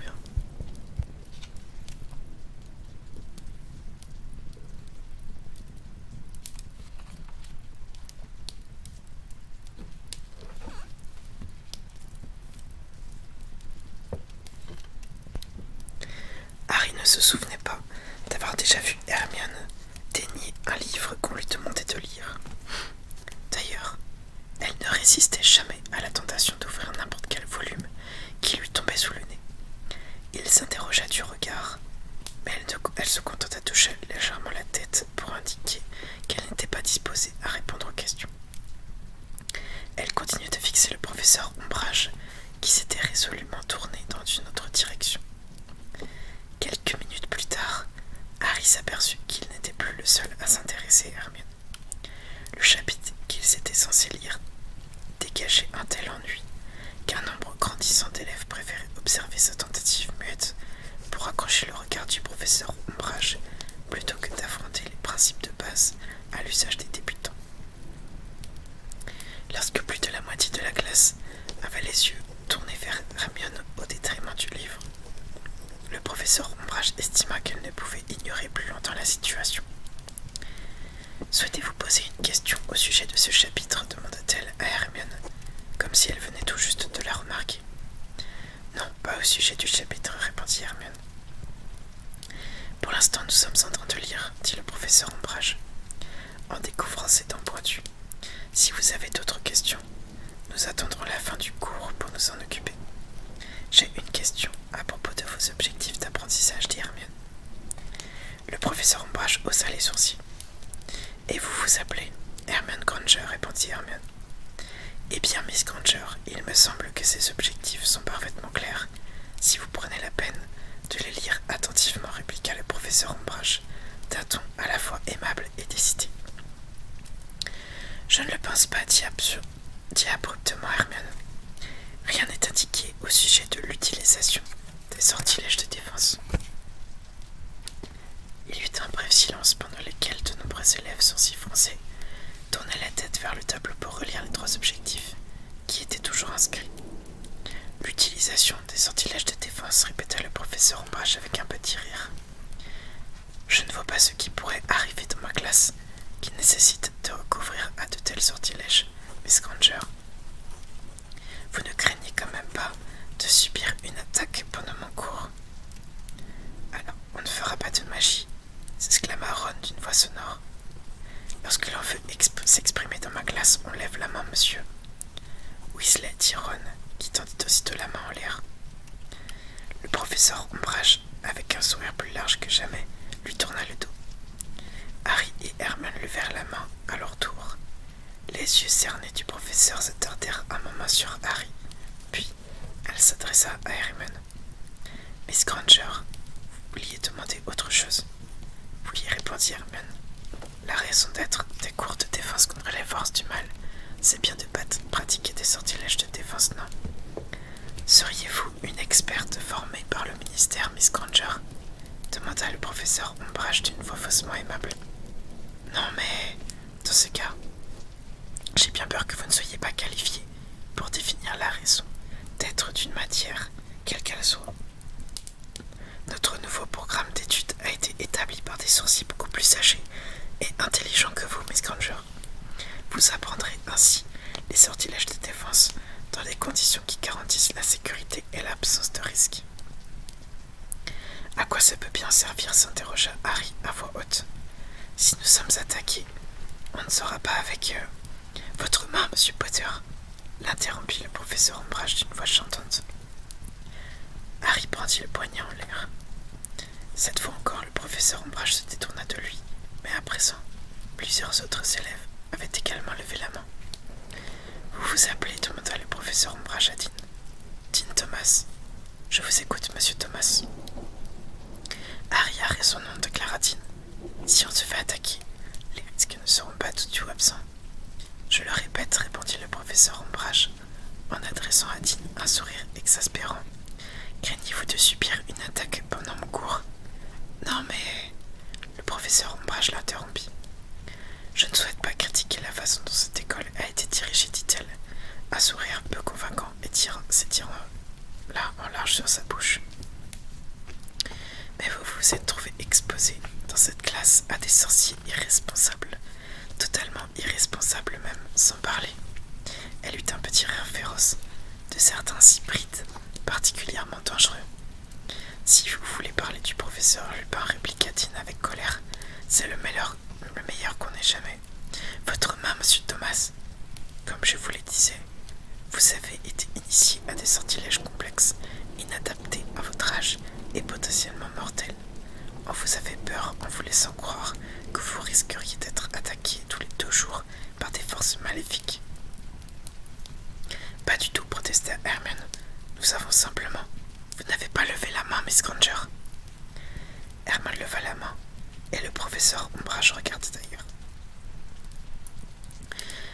Harry ne se souvenait pas d'avoir déjà vu Hermione dénier un livre qu'on lui demandait de lire. D'ailleurs, elle ne résistait jamais à la tentation d'ouvrir n'importe quel volume qui lui tombait sous le nez, il s'interrogea du regard, mais elle, se contenta de toucher légèrement la tête pour indiquer qu'elle n'était pas disposée à répondre aux questions. Elle continuait de fixer le professeur Ombrage, qui s'était résolument tourné dans une autre direction. Quelques minutes plus tard, Harry s'aperçut qu'il n'était plus le seul à s'intéresser à Hermione. Le chapitre qu'il s'était censé lire dégageait un tel ennui qu'un nombre grandissant d'élèves préférait observer sa tentative muette pour accrocher le regard du professeur Ombrage plutôt que d'affronter les principes de base à l'usage des débutants. Lorsque plus de la moitié de la classe avait les yeux tournés vers Ramion au détriment du livre, le professeur Ombrage estima qu'elle ne pouvait ignorer plus longtemps la situation. Souhaitez-vous poser une question au sujet de ce chapitre demanda-t-elle à Hermione, comme si elle venait tout juste de la remarquer. Non, pas au sujet du chapitre, répondit Hermione. Pour l'instant, nous sommes en train de lire, dit le professeur Ombrage, en découvrant ses dents pointues. Si vous avez d'autres questions, nous attendrons la fin du cours pour nous en occuper. J'ai une question à propos de vos objectifs d'apprentissage, dit Hermione. Le professeur Ombrage haussa les sourcils. Et vous vous appelez Hermione Granger, répondit Hermione. Eh bien, Miss Granger, il me semble que ces objectifs sont parfaitement clairs, si vous prenez la peine de les lire attentivement, répliqua le professeur Ombrage, d'un ton à la fois aimable et décidé. Je ne le pense pas, dit, dit abruptement Hermione. Rien n'est indiqué au sujet de l'utilisation des sortilèges de défense. Il y eut un bref silence pendant lequel de nombreux élèves s'y foncer, tournaient la tête vers le tableau pour relire les trois objectifs qui étaient toujours inscrits. L'utilisation des sortilèges de défense, répéta le professeur Ombrage avec un petit rire. Je ne vois pas ce qui pourrait arriver dans ma classe qui nécessite de recouvrir à de tels sortilèges, Miss Granger. Vous ne craignez quand même pas de subir une attaque pendant mon cours Alors, on ne fera pas de magie, s'exclama Ron d'une voix sonore. Lorsque l'on veut s'exprimer dans ma classe, on lève la main, monsieur. Weasley dit Ron, qui tendit aussitôt la main en l'air. Le professeur Ombrage, avec un sourire plus large que jamais, lui tourna le dos. Harry et Herman levèrent la main à leur tour, les yeux cernés du professeur se tardèrent un moment sur Harry, puis elle s'adressa à Hermione. Miss Granger, vous vouliez demander autre chose lui répondit Hermione. La raison d'être des cours de défense contre les forces du mal, c'est bien de pratiquer des sortilèges de défense, non Seriez-vous une experte formée par le ministère, Miss Granger demanda le professeur Ombrage d'une voix faussement aimable. Non mais, dans ce cas, j'ai bien peur que vous ne soyez pas qualifié pour définir la raison d'être d'une matière, quelle qu'elle soit. Notre nouveau programme d'études a été établi par des sourcils beaucoup plus âgés et intelligents que vous, Miss Granger. Vous apprendrez ainsi les sortilèges de défense dans des conditions qui garantissent la sécurité et l'absence de risque. À quoi ça peut bien servir s'interrogea Harry à voix haute. Si nous sommes attaqués, on ne sera pas avec euh, votre main, monsieur Potter, l'interrompit le professeur Ombrage d'une voix chantante. Harry prendit le poignet en l'air. Cette fois encore, le professeur Ombrage se détourna de lui, mais à présent, plusieurs autres élèves avaient également levé la main. Vous vous appelez demanda le professeur ombrage à Dean. Dean Thomas. Je vous écoute, monsieur Thomas. est son nom Clara Dean. Si on se fait attaquer, les risques ne seront pas tout du absents. Je le répète, répondit le professeur ombrage en adressant à Dean un sourire exaspérant. Craignez-vous de subir une attaque pendant mon cours Non, mais le professeur Ombrage l'interrompit. Je ne souhaite pas critiquer la façon dont cette école a été dirigée, dit-elle, un sourire peu convaincant et s'étirant là en large sur sa bouche. Mais vous vous êtes trouvé exposé dans cette classe à des sorciers irresponsables, totalement irresponsables même, sans parler. Elle eut un petit rire féroce de certains hybrides particulièrement dangereux si vous voulez parler du professeur Lupin, répliqua Tine avec colère, c'est le meilleur, le meilleur qu'on ait jamais. Votre main, monsieur Thomas, comme je vous le disais, vous avez été initié à des sortilèges complexes, inadaptés à votre âge et potentiellement mortels. On vous avait peur en vous laissant croire que vous risqueriez d'être attaqué tous les deux jours par des forces maléfiques. Pas du tout, protesta Herman, Nous avons simplement. Vous n'avez pas levé la main, Miss Granger. Herman leva la main, et le professeur Ombrage regarda d'ailleurs.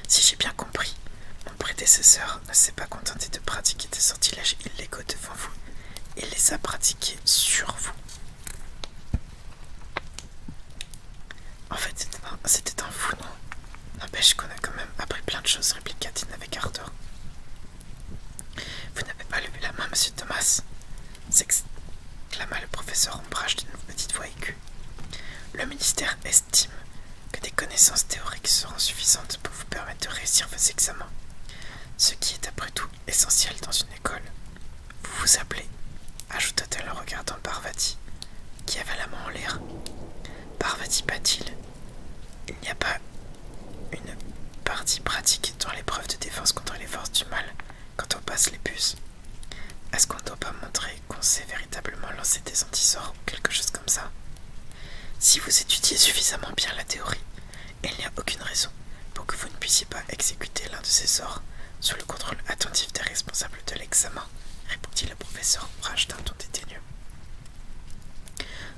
Si j'ai bien compris, mon prédécesseur ne s'est pas contenté de pratiquer des sortilèges illégaux devant vous, il les a pratiqués sur vous. En fait, c'était un, un fou, non N'empêche qu'on a quand même appris plein de choses, répliqua avec ardeur. Vous n'avez pas levé la main, monsieur Thomas s'exclama le professeur Ombrage d'une petite voix aiguë. Le ministère estime que des connaissances théoriques seront suffisantes pour vous permettre de réussir vos examens, ce qui est après tout essentiel dans une école. Vous vous appelez ajouta-t-elle en regardant Parvati, qui avait la main en l'air. Parvati bat-il il n'y a pas une partie pratique dans l'épreuve de défense contre les forces du mal quand on passe les puces. Est-ce qu'on ne doit pas montrer qu'on sait véritablement lancer des antisors ou quelque chose comme ça Si vous étudiez suffisamment bien la théorie, il n'y a aucune raison pour que vous ne puissiez pas exécuter l'un de ces sorts sous le contrôle attentif des responsables de l'examen, répondit le professeur Rage d'un ton dédaigneux.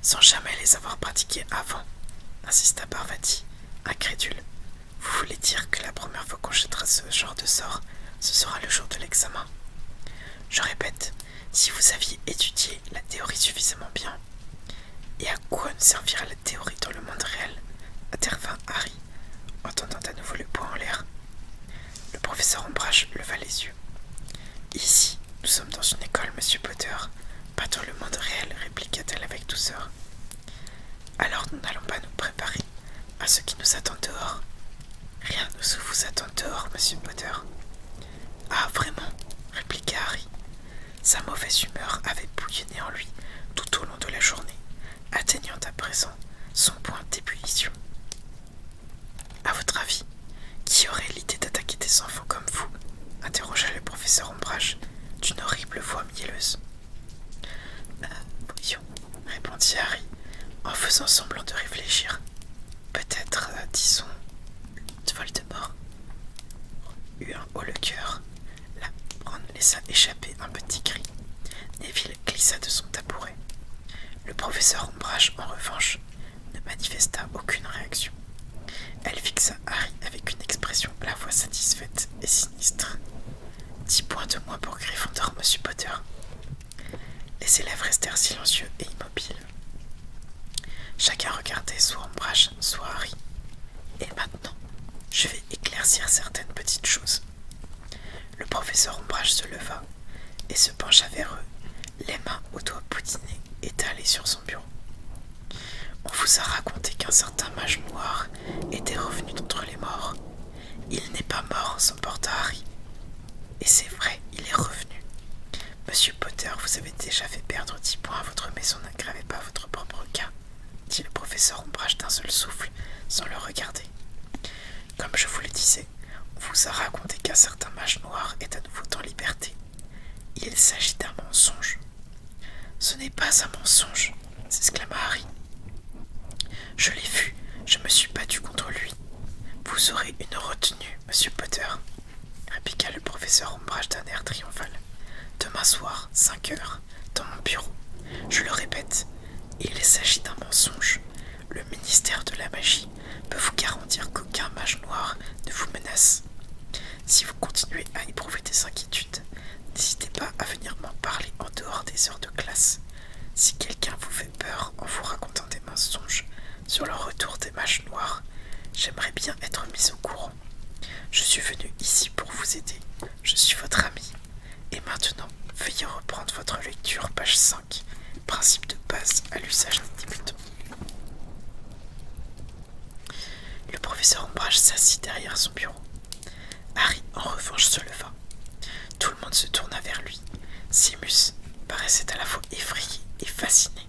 Sans jamais les avoir pratiqués avant, insista Parvati, incrédule. Vous voulez dire que la première fois qu'on jettera ce genre de sort, ce sera le jour de l'examen Je répète, si vous aviez étudié la théorie suffisamment bien. Et à quoi nous servira la théorie dans le monde réel intervint Harry, entendant à nouveau le poing en l'air. Le professeur Ombrage leva les yeux. Ici, nous sommes dans une école, monsieur Potter, pas dans le monde réel, répliqua-t-elle avec douceur. Alors nous n'allons pas nous préparer à ce qui nous attend dehors. Rien ne vous attend dehors, monsieur Potter. Ah, vraiment répliqua Harry. Sa mauvaise humeur avait bouillonné en lui tout au long de la journée, atteignant à présent son point d'ébullition. À votre avis, qui aurait l'idée d'attaquer des enfants comme vous interrogea le professeur Ombrage d'une horrible voix mielleuse. Euh, répondit Harry en faisant semblant de réfléchir. Peut-être, euh, disons, Voldemort eut un haut le cœur. La Brande laissa échapper un petit cri. Neville glissa de son tabouret. Le professeur Ombrage, en revanche, ne manifesta aucune réaction. Elle fixa Harry avec une expression à la fois satisfaite et sinistre. Dix points de moins pour Gryffondor, monsieur Potter. Les élèves restèrent silencieux et immobiles. Chacun regardait soit Ombrage, soit Harry. Et maintenant, je vais éclaircir certaines petites choses. Le professeur Ombrage se leva et se pencha vers eux, les mains aux doigts boutinés étalés sur son bureau. On vous a raconté qu'un certain mage noir était revenu d'entre les morts. Il n'est pas mort son porte Harry. Et c'est vrai, il est revenu. Monsieur Potter, vous avez déjà fait perdre dix points à votre maison, n'aggravez pas votre propre cas, dit le professeur en Ombrage d'un seul souffle, sans le regarder. Comme je vous le disais, on vous a raconté qu'un certain mage noir est à nouveau en liberté. Il s'agit d'un mensonge. Ce n'est pas un mensonge, s'exclama Harry. Je l'ai vu, je me suis battu contre lui. Vous aurez une retenue, monsieur Potter, répliqua le professeur Ombrage d'un air triomphal. Demain soir, 5 heures, dans mon bureau. Je le répète, il s'agit d'un mensonge. Le ministère de la magie peut vous garantir qu'aucun mage noir ne vous menace. Si vous continuez à éprouver des inquiétudes, n'hésitez pas à venir m'en parler en dehors des heures de classe. Si quelqu'un vous fait peur en vous racontant des mensonges sur le retour des mages noirs, j'aimerais bien être mis au courant. Je suis venu ici pour vous aider. Je suis votre ami. Et maintenant, veuillez reprendre votre lecture, page 5, principe de base à l'usage des débutants. Le professeur Ombrage s'assit derrière son bureau. Harry, en revanche, se leva. Tout le monde se tourna vers lui. Simus paraissait à la fois effrayé et fasciné.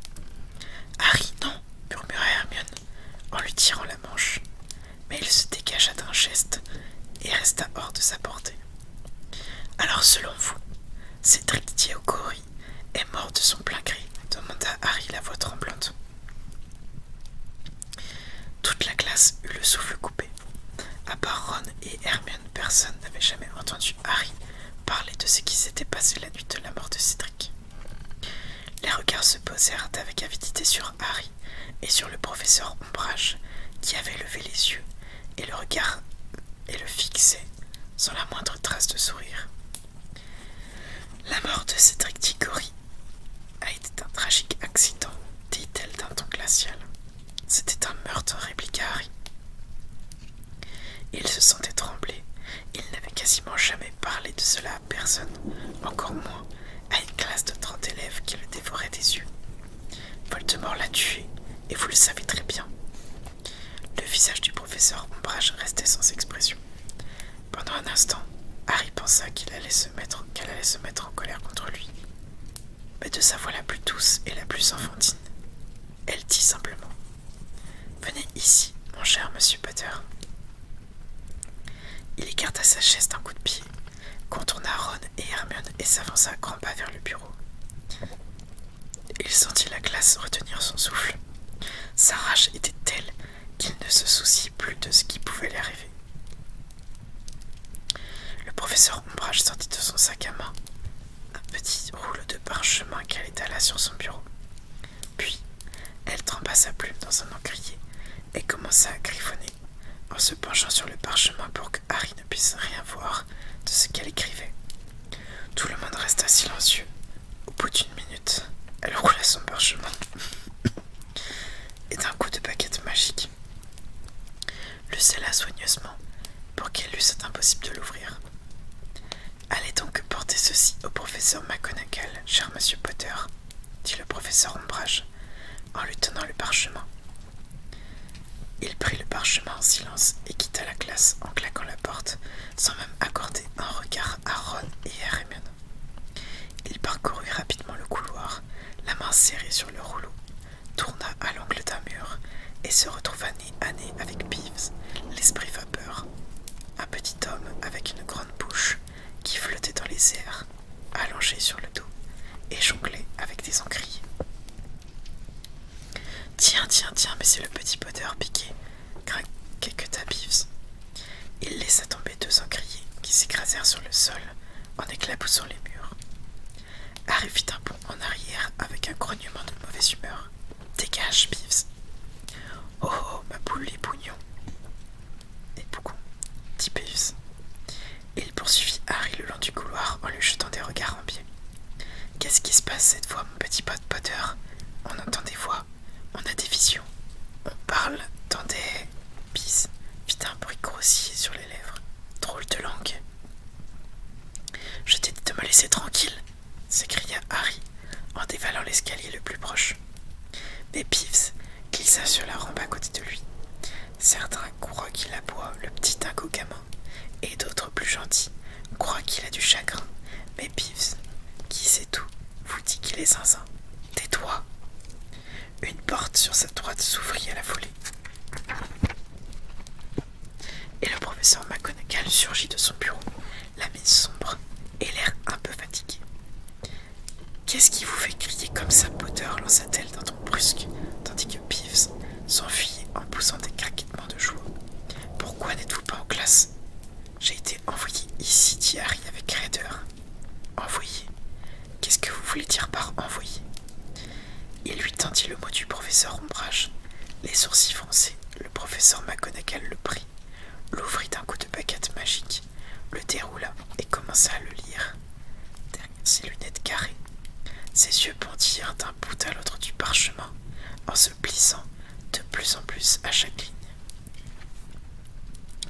Harry, non, murmura Hermione en lui tirant la manche. Mais il se dégagea d'un geste et resta hors de sa portée. Alors, selon vous, c'est au corps est mort de son plein cri demanda Harry la voix tremblante. Toute la classe eut le souffle coupé. À part Ron et Hermione, personne n'avait jamais entendu Harry parler de ce qui s'était passé la nuit de la mort de Cédric. Les regards se posèrent avec avidité sur Harry et sur le professeur Ombrage, qui avait levé les yeux et le regard et le fixait sans la moindre trace de sourire. La mort de Cédric Diggory a été un tragique accident, dit-elle d'un ton glacial. C'était un meurtre, répliqua Harry. Il se sentait trembler. Il n'avait quasiment jamais parlé de cela à personne, encore moins à une classe de trente élèves qui le dévorait des yeux. Voldemort l'a tué, et vous le savez très bien. Le visage du professeur Ombrage restait sans expression. Pendant un instant, Harry pensa qu'il allait se mettre, qu'elle allait se mettre en colère contre lui. Mais de sa voix la plus douce et la plus enfantine, elle dit simplement Venez ici, mon cher monsieur Potter. Il écarta sa chaise d'un coup de pied, contourna Ron et Hermione et s'avança à grands pas vers le bureau. Il sentit la glace retenir son souffle. Sa rage était telle qu'il ne se souciait plus de ce qui pouvait lui arriver. Le professeur Ombrage sortit de son sac à main un petit rouleau de parchemin qu'elle étala sur son bureau. Puis, elle trempa sa plume dans un encrier et commença à griffonner en se penchant sur le parchemin pour que Harry ne puisse rien voir de ce qu'elle écrivait. Tout le monde resta silencieux. Au bout d'une minute, elle roula son parchemin et d'un coup de baguette magique le scella soigneusement pour qu'elle eût impossible de l'ouvrir. Allez donc porter ceci au professeur McGonagall, cher monsieur Potter, dit le professeur Ombrage en lui tenant le parchemin. Il prit le parchemin en silence et quitta la classe en claquant la porte sans même accorder un regard à Ron et à Raymond. Il parcourut rapidement le couloir, la main serrée sur le rouleau, tourna à l'angle d'un mur et se retrouva nez à nez avec Peeves, l'esprit vapeur, un petit homme avec une grande bouche qui flottait dans les airs, allongé sur le dos et jonglait avec des encriers. Tiens, tiens, tiens, mais c'est le petit Potter piqué, quelques tapis. Il laissa tomber deux encriers qui s'écrasèrent sur le sol en éclaboussant les murs. Harry fit un bond en arrière avec un grognement de mauvaise humeur. Dégage, Bives. Oh, oh, ma boule les bougnons. Et bougon, dit Et Il poursuivit Harry le long du couloir en lui jetant des regards Qu'est-ce qui se passe cette fois, mon petit pote Potter On entend des voix, on a des visions, on parle dans des. pis fit un bruit grossier sur les lèvres. Drôle de langue. Je t'ai dit de me laisser tranquille, s'écria Harry en dévalant l'escalier le plus proche. Mais Piffs glissa sur la rampe à côté de lui. Certains croient qu'il aboie, le petit dingo et d'autres plus gentils croient qu'il a du chagrin. Mais Pives, qui sait tout, vous dit qu'il est zinzin. Tais-toi Une porte sur sa droite s'ouvrit à la foulée. Et le professeur McGonagall surgit de son bureau, la mine sombre et l'air un peu fatigué. Qu'est-ce qui vous fait crier comme ça, poteur lança-t-elle d'un ton brusque, tandis que Pives s'enfuit en poussant des craquements de joie. Pourquoi n'êtes-vous pas en classe J'ai été envoyé ici, dit Harry avec raideur. Envoyé Qu'est-ce que vous voulez dire par envoyé Il lui tendit le mot du professeur Ombrage. Les sourcils froncés, le professeur McGonagall le prit, l'ouvrit d'un coup de baguette magique, le déroula et commença à le lire. ses lunettes carrées, ses yeux pendirent d'un bout à l'autre du parchemin se plissant de plus en plus à chaque ligne.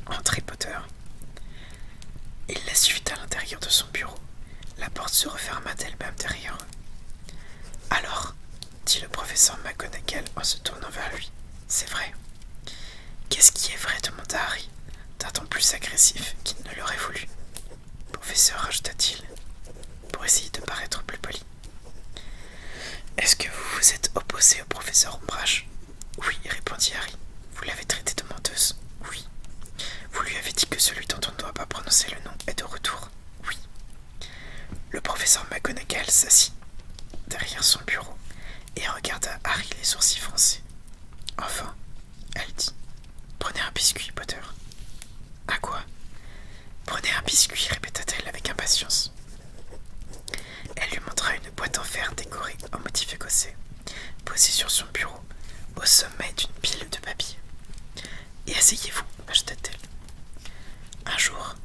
Entrez, Potter. Il la suit à l'intérieur de son bureau. La porte se referma d'elle-même derrière Alors, dit le professeur McGonagall en se tournant vers lui, c'est vrai. Qu'est-ce qui est vrai demanda Harry, d'un ton plus agressif qu'il ne l'aurait voulu. Professeur, ajouta-t-il, pour essayer de paraître plus poli. Est-ce que vous vous êtes opposé au professeur Ombrage Oui, répondit Harry. Vous l'avez traité de menteuse Oui. Vous lui avez dit que celui dont on ne doit pas prononcer le nom est de retour Oui. Le professeur McGonagall s'assit derrière son bureau et regarda Harry les sourcils froncés. Enfin, elle dit Prenez un biscuit, Potter. À quoi Prenez un biscuit, répéta-t-elle avec impatience. Elle lui montra une boîte en fer décorée en motif écossais, posée sur son bureau, au sommet d'une pile de papier. Et asseyez-vous, ajouta-t-elle. Un jour,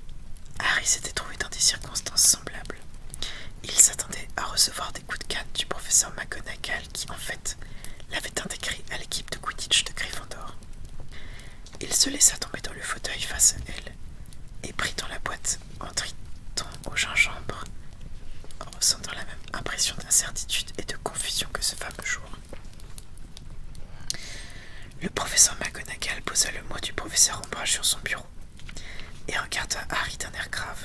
Harry s'était trouvé dans des circonstances semblables. Il s'attendait à recevoir des coups de canne du professeur McGonagall qui, en fait, l'avait intégré à l'équipe de Quidditch de Gryffondor. Il se laissa tomber dans le fauteuil face à elle et prit dans la boîte un triton au gingembre, en ressentant la même impression d'incertitude et de confusion que ce fameux jour. Le professeur McGonagall posa le mot du professeur Ombrage sur son bureau et regarda Harry d'un air grave.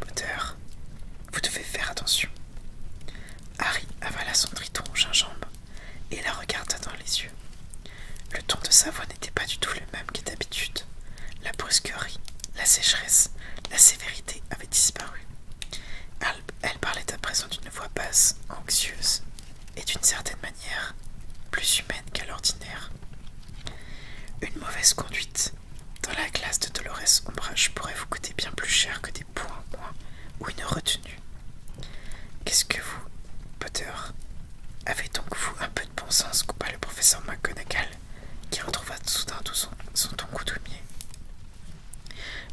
Potter, vous devez faire attention. Harry avala son triton au gingembre et la regarda dans les yeux. Le ton de sa voix n'était pas du tout le même que d'habitude. La brusquerie, la sécheresse, la sévérité avaient disparu. Elle, parlait à présent d'une voix basse, anxieuse, et d'une certaine manière plus humaine qu'à l'ordinaire. Une mauvaise conduite dans la classe de Dolores Ombrage pourrait vous coûter bien plus cher que des « Pour ou une retenue. Qu'est-ce que vous, Potter Avez donc vous un peu de bon sens coupa le professeur McGonagall, qui retrouva soudain tout son, ton coutumier.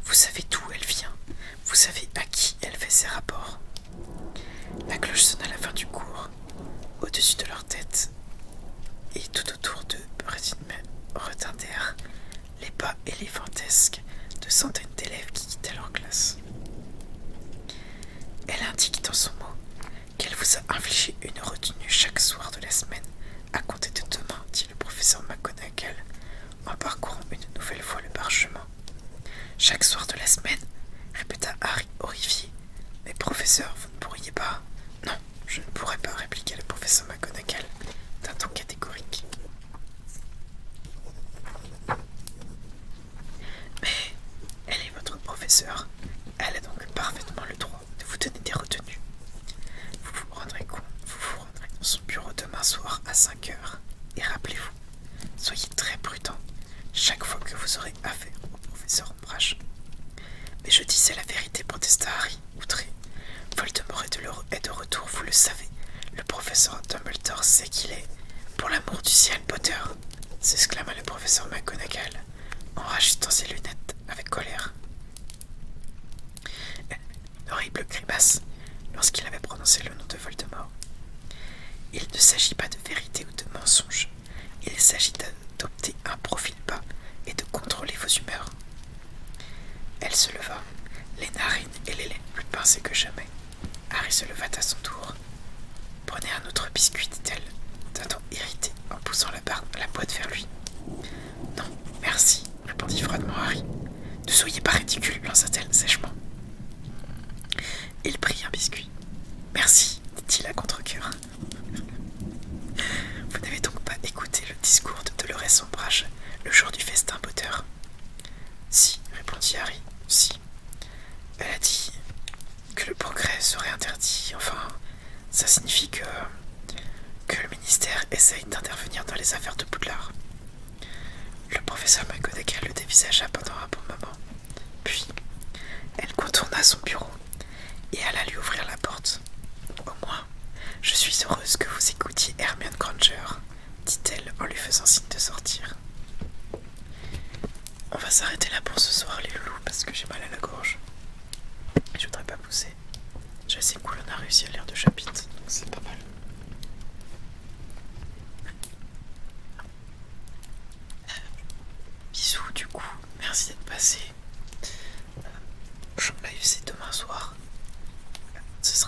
Vous savez d'où elle vient, vous savez à qui elle fait ses rapports. La cloche sonna à la fin du cours, au-dessus de leur tête, et tout autour d'eux retardèrent les pas éléphantesques de centaines d'élèves qui quittaient leur classe. Elle indique dans son mot qu'elle vous a infligé une retenue chaque soir de la semaine à compter de demain, dit le professeur McGonagall en parcourant une nouvelle fois le parchemin. Chaque soir de la semaine, répéta Harry horrifié. Mais professeur, vous ne pourriez pas. Non, je ne pourrais pas, répliqua le professeur McGonagall d'un ton catégorique. Mais elle est votre professeur, Elle a donc parfaitement le droit de vous donner des retenues. Vous vous rendrez compte, vous vous rendrez dans son bureau demain soir à 5 heures. Et rappelez-vous, soyez très prudent chaque fois que vous aurez affaire au professeur Ombrage. Mais je disais la vérité, protesta Harry, outré. Voldemort est de, est de retour, vous le savez. Le professeur Dumbledore qu'il est. Pour l'amour du ciel, Potter s'exclama le professeur McGonagall en rajustant ses lunettes avec colère. Horrible euh, !» horrible grimace lorsqu'il avait prononcé le nom de Voldemort. Il ne s'agit pas de vérité ou de mensonge, il s'agit d'adopter un profil bas et de contrôler vos humeurs. Elle se leva, les narines et les lèvres plus pincées que jamais. Harry se leva à son tour. Prenez un autre biscuit, dit-elle, d'un ton irrité en poussant la, barre, la boîte vers lui. Non, merci, répondit froidement Harry. Ne soyez pas ridicule, lança-t-elle sèchement. Il prit un biscuit. Merci, dit-il à contre cœur Vous n'avez donc pas écouté le discours de Dolores Sombrage le jour du festin Potter si, répondit Harry, si. Elle a dit que le progrès serait interdit. Enfin, ça signifie que, que le ministère essaye d'intervenir dans les affaires de Poudlard. Le professeur McGonagall le dévisagea pendant un bon moment. Puis, elle contourna son bureau et alla lui ouvrir la porte. Au moins, je suis heureuse que vous écoutiez Hermione Granger, dit-elle en lui faisant signe de sortir. On va s'arrêter là pour ce soir, les loulous, parce que j'ai mal à la gorge. Je voudrais pas pousser. J'ai assez cool, on a réussi à lire deux chapitres, donc c'est pas mal. Euh, bisous, du coup, merci d'être passé. m'en euh, live, bah, c'est demain soir. Ce sera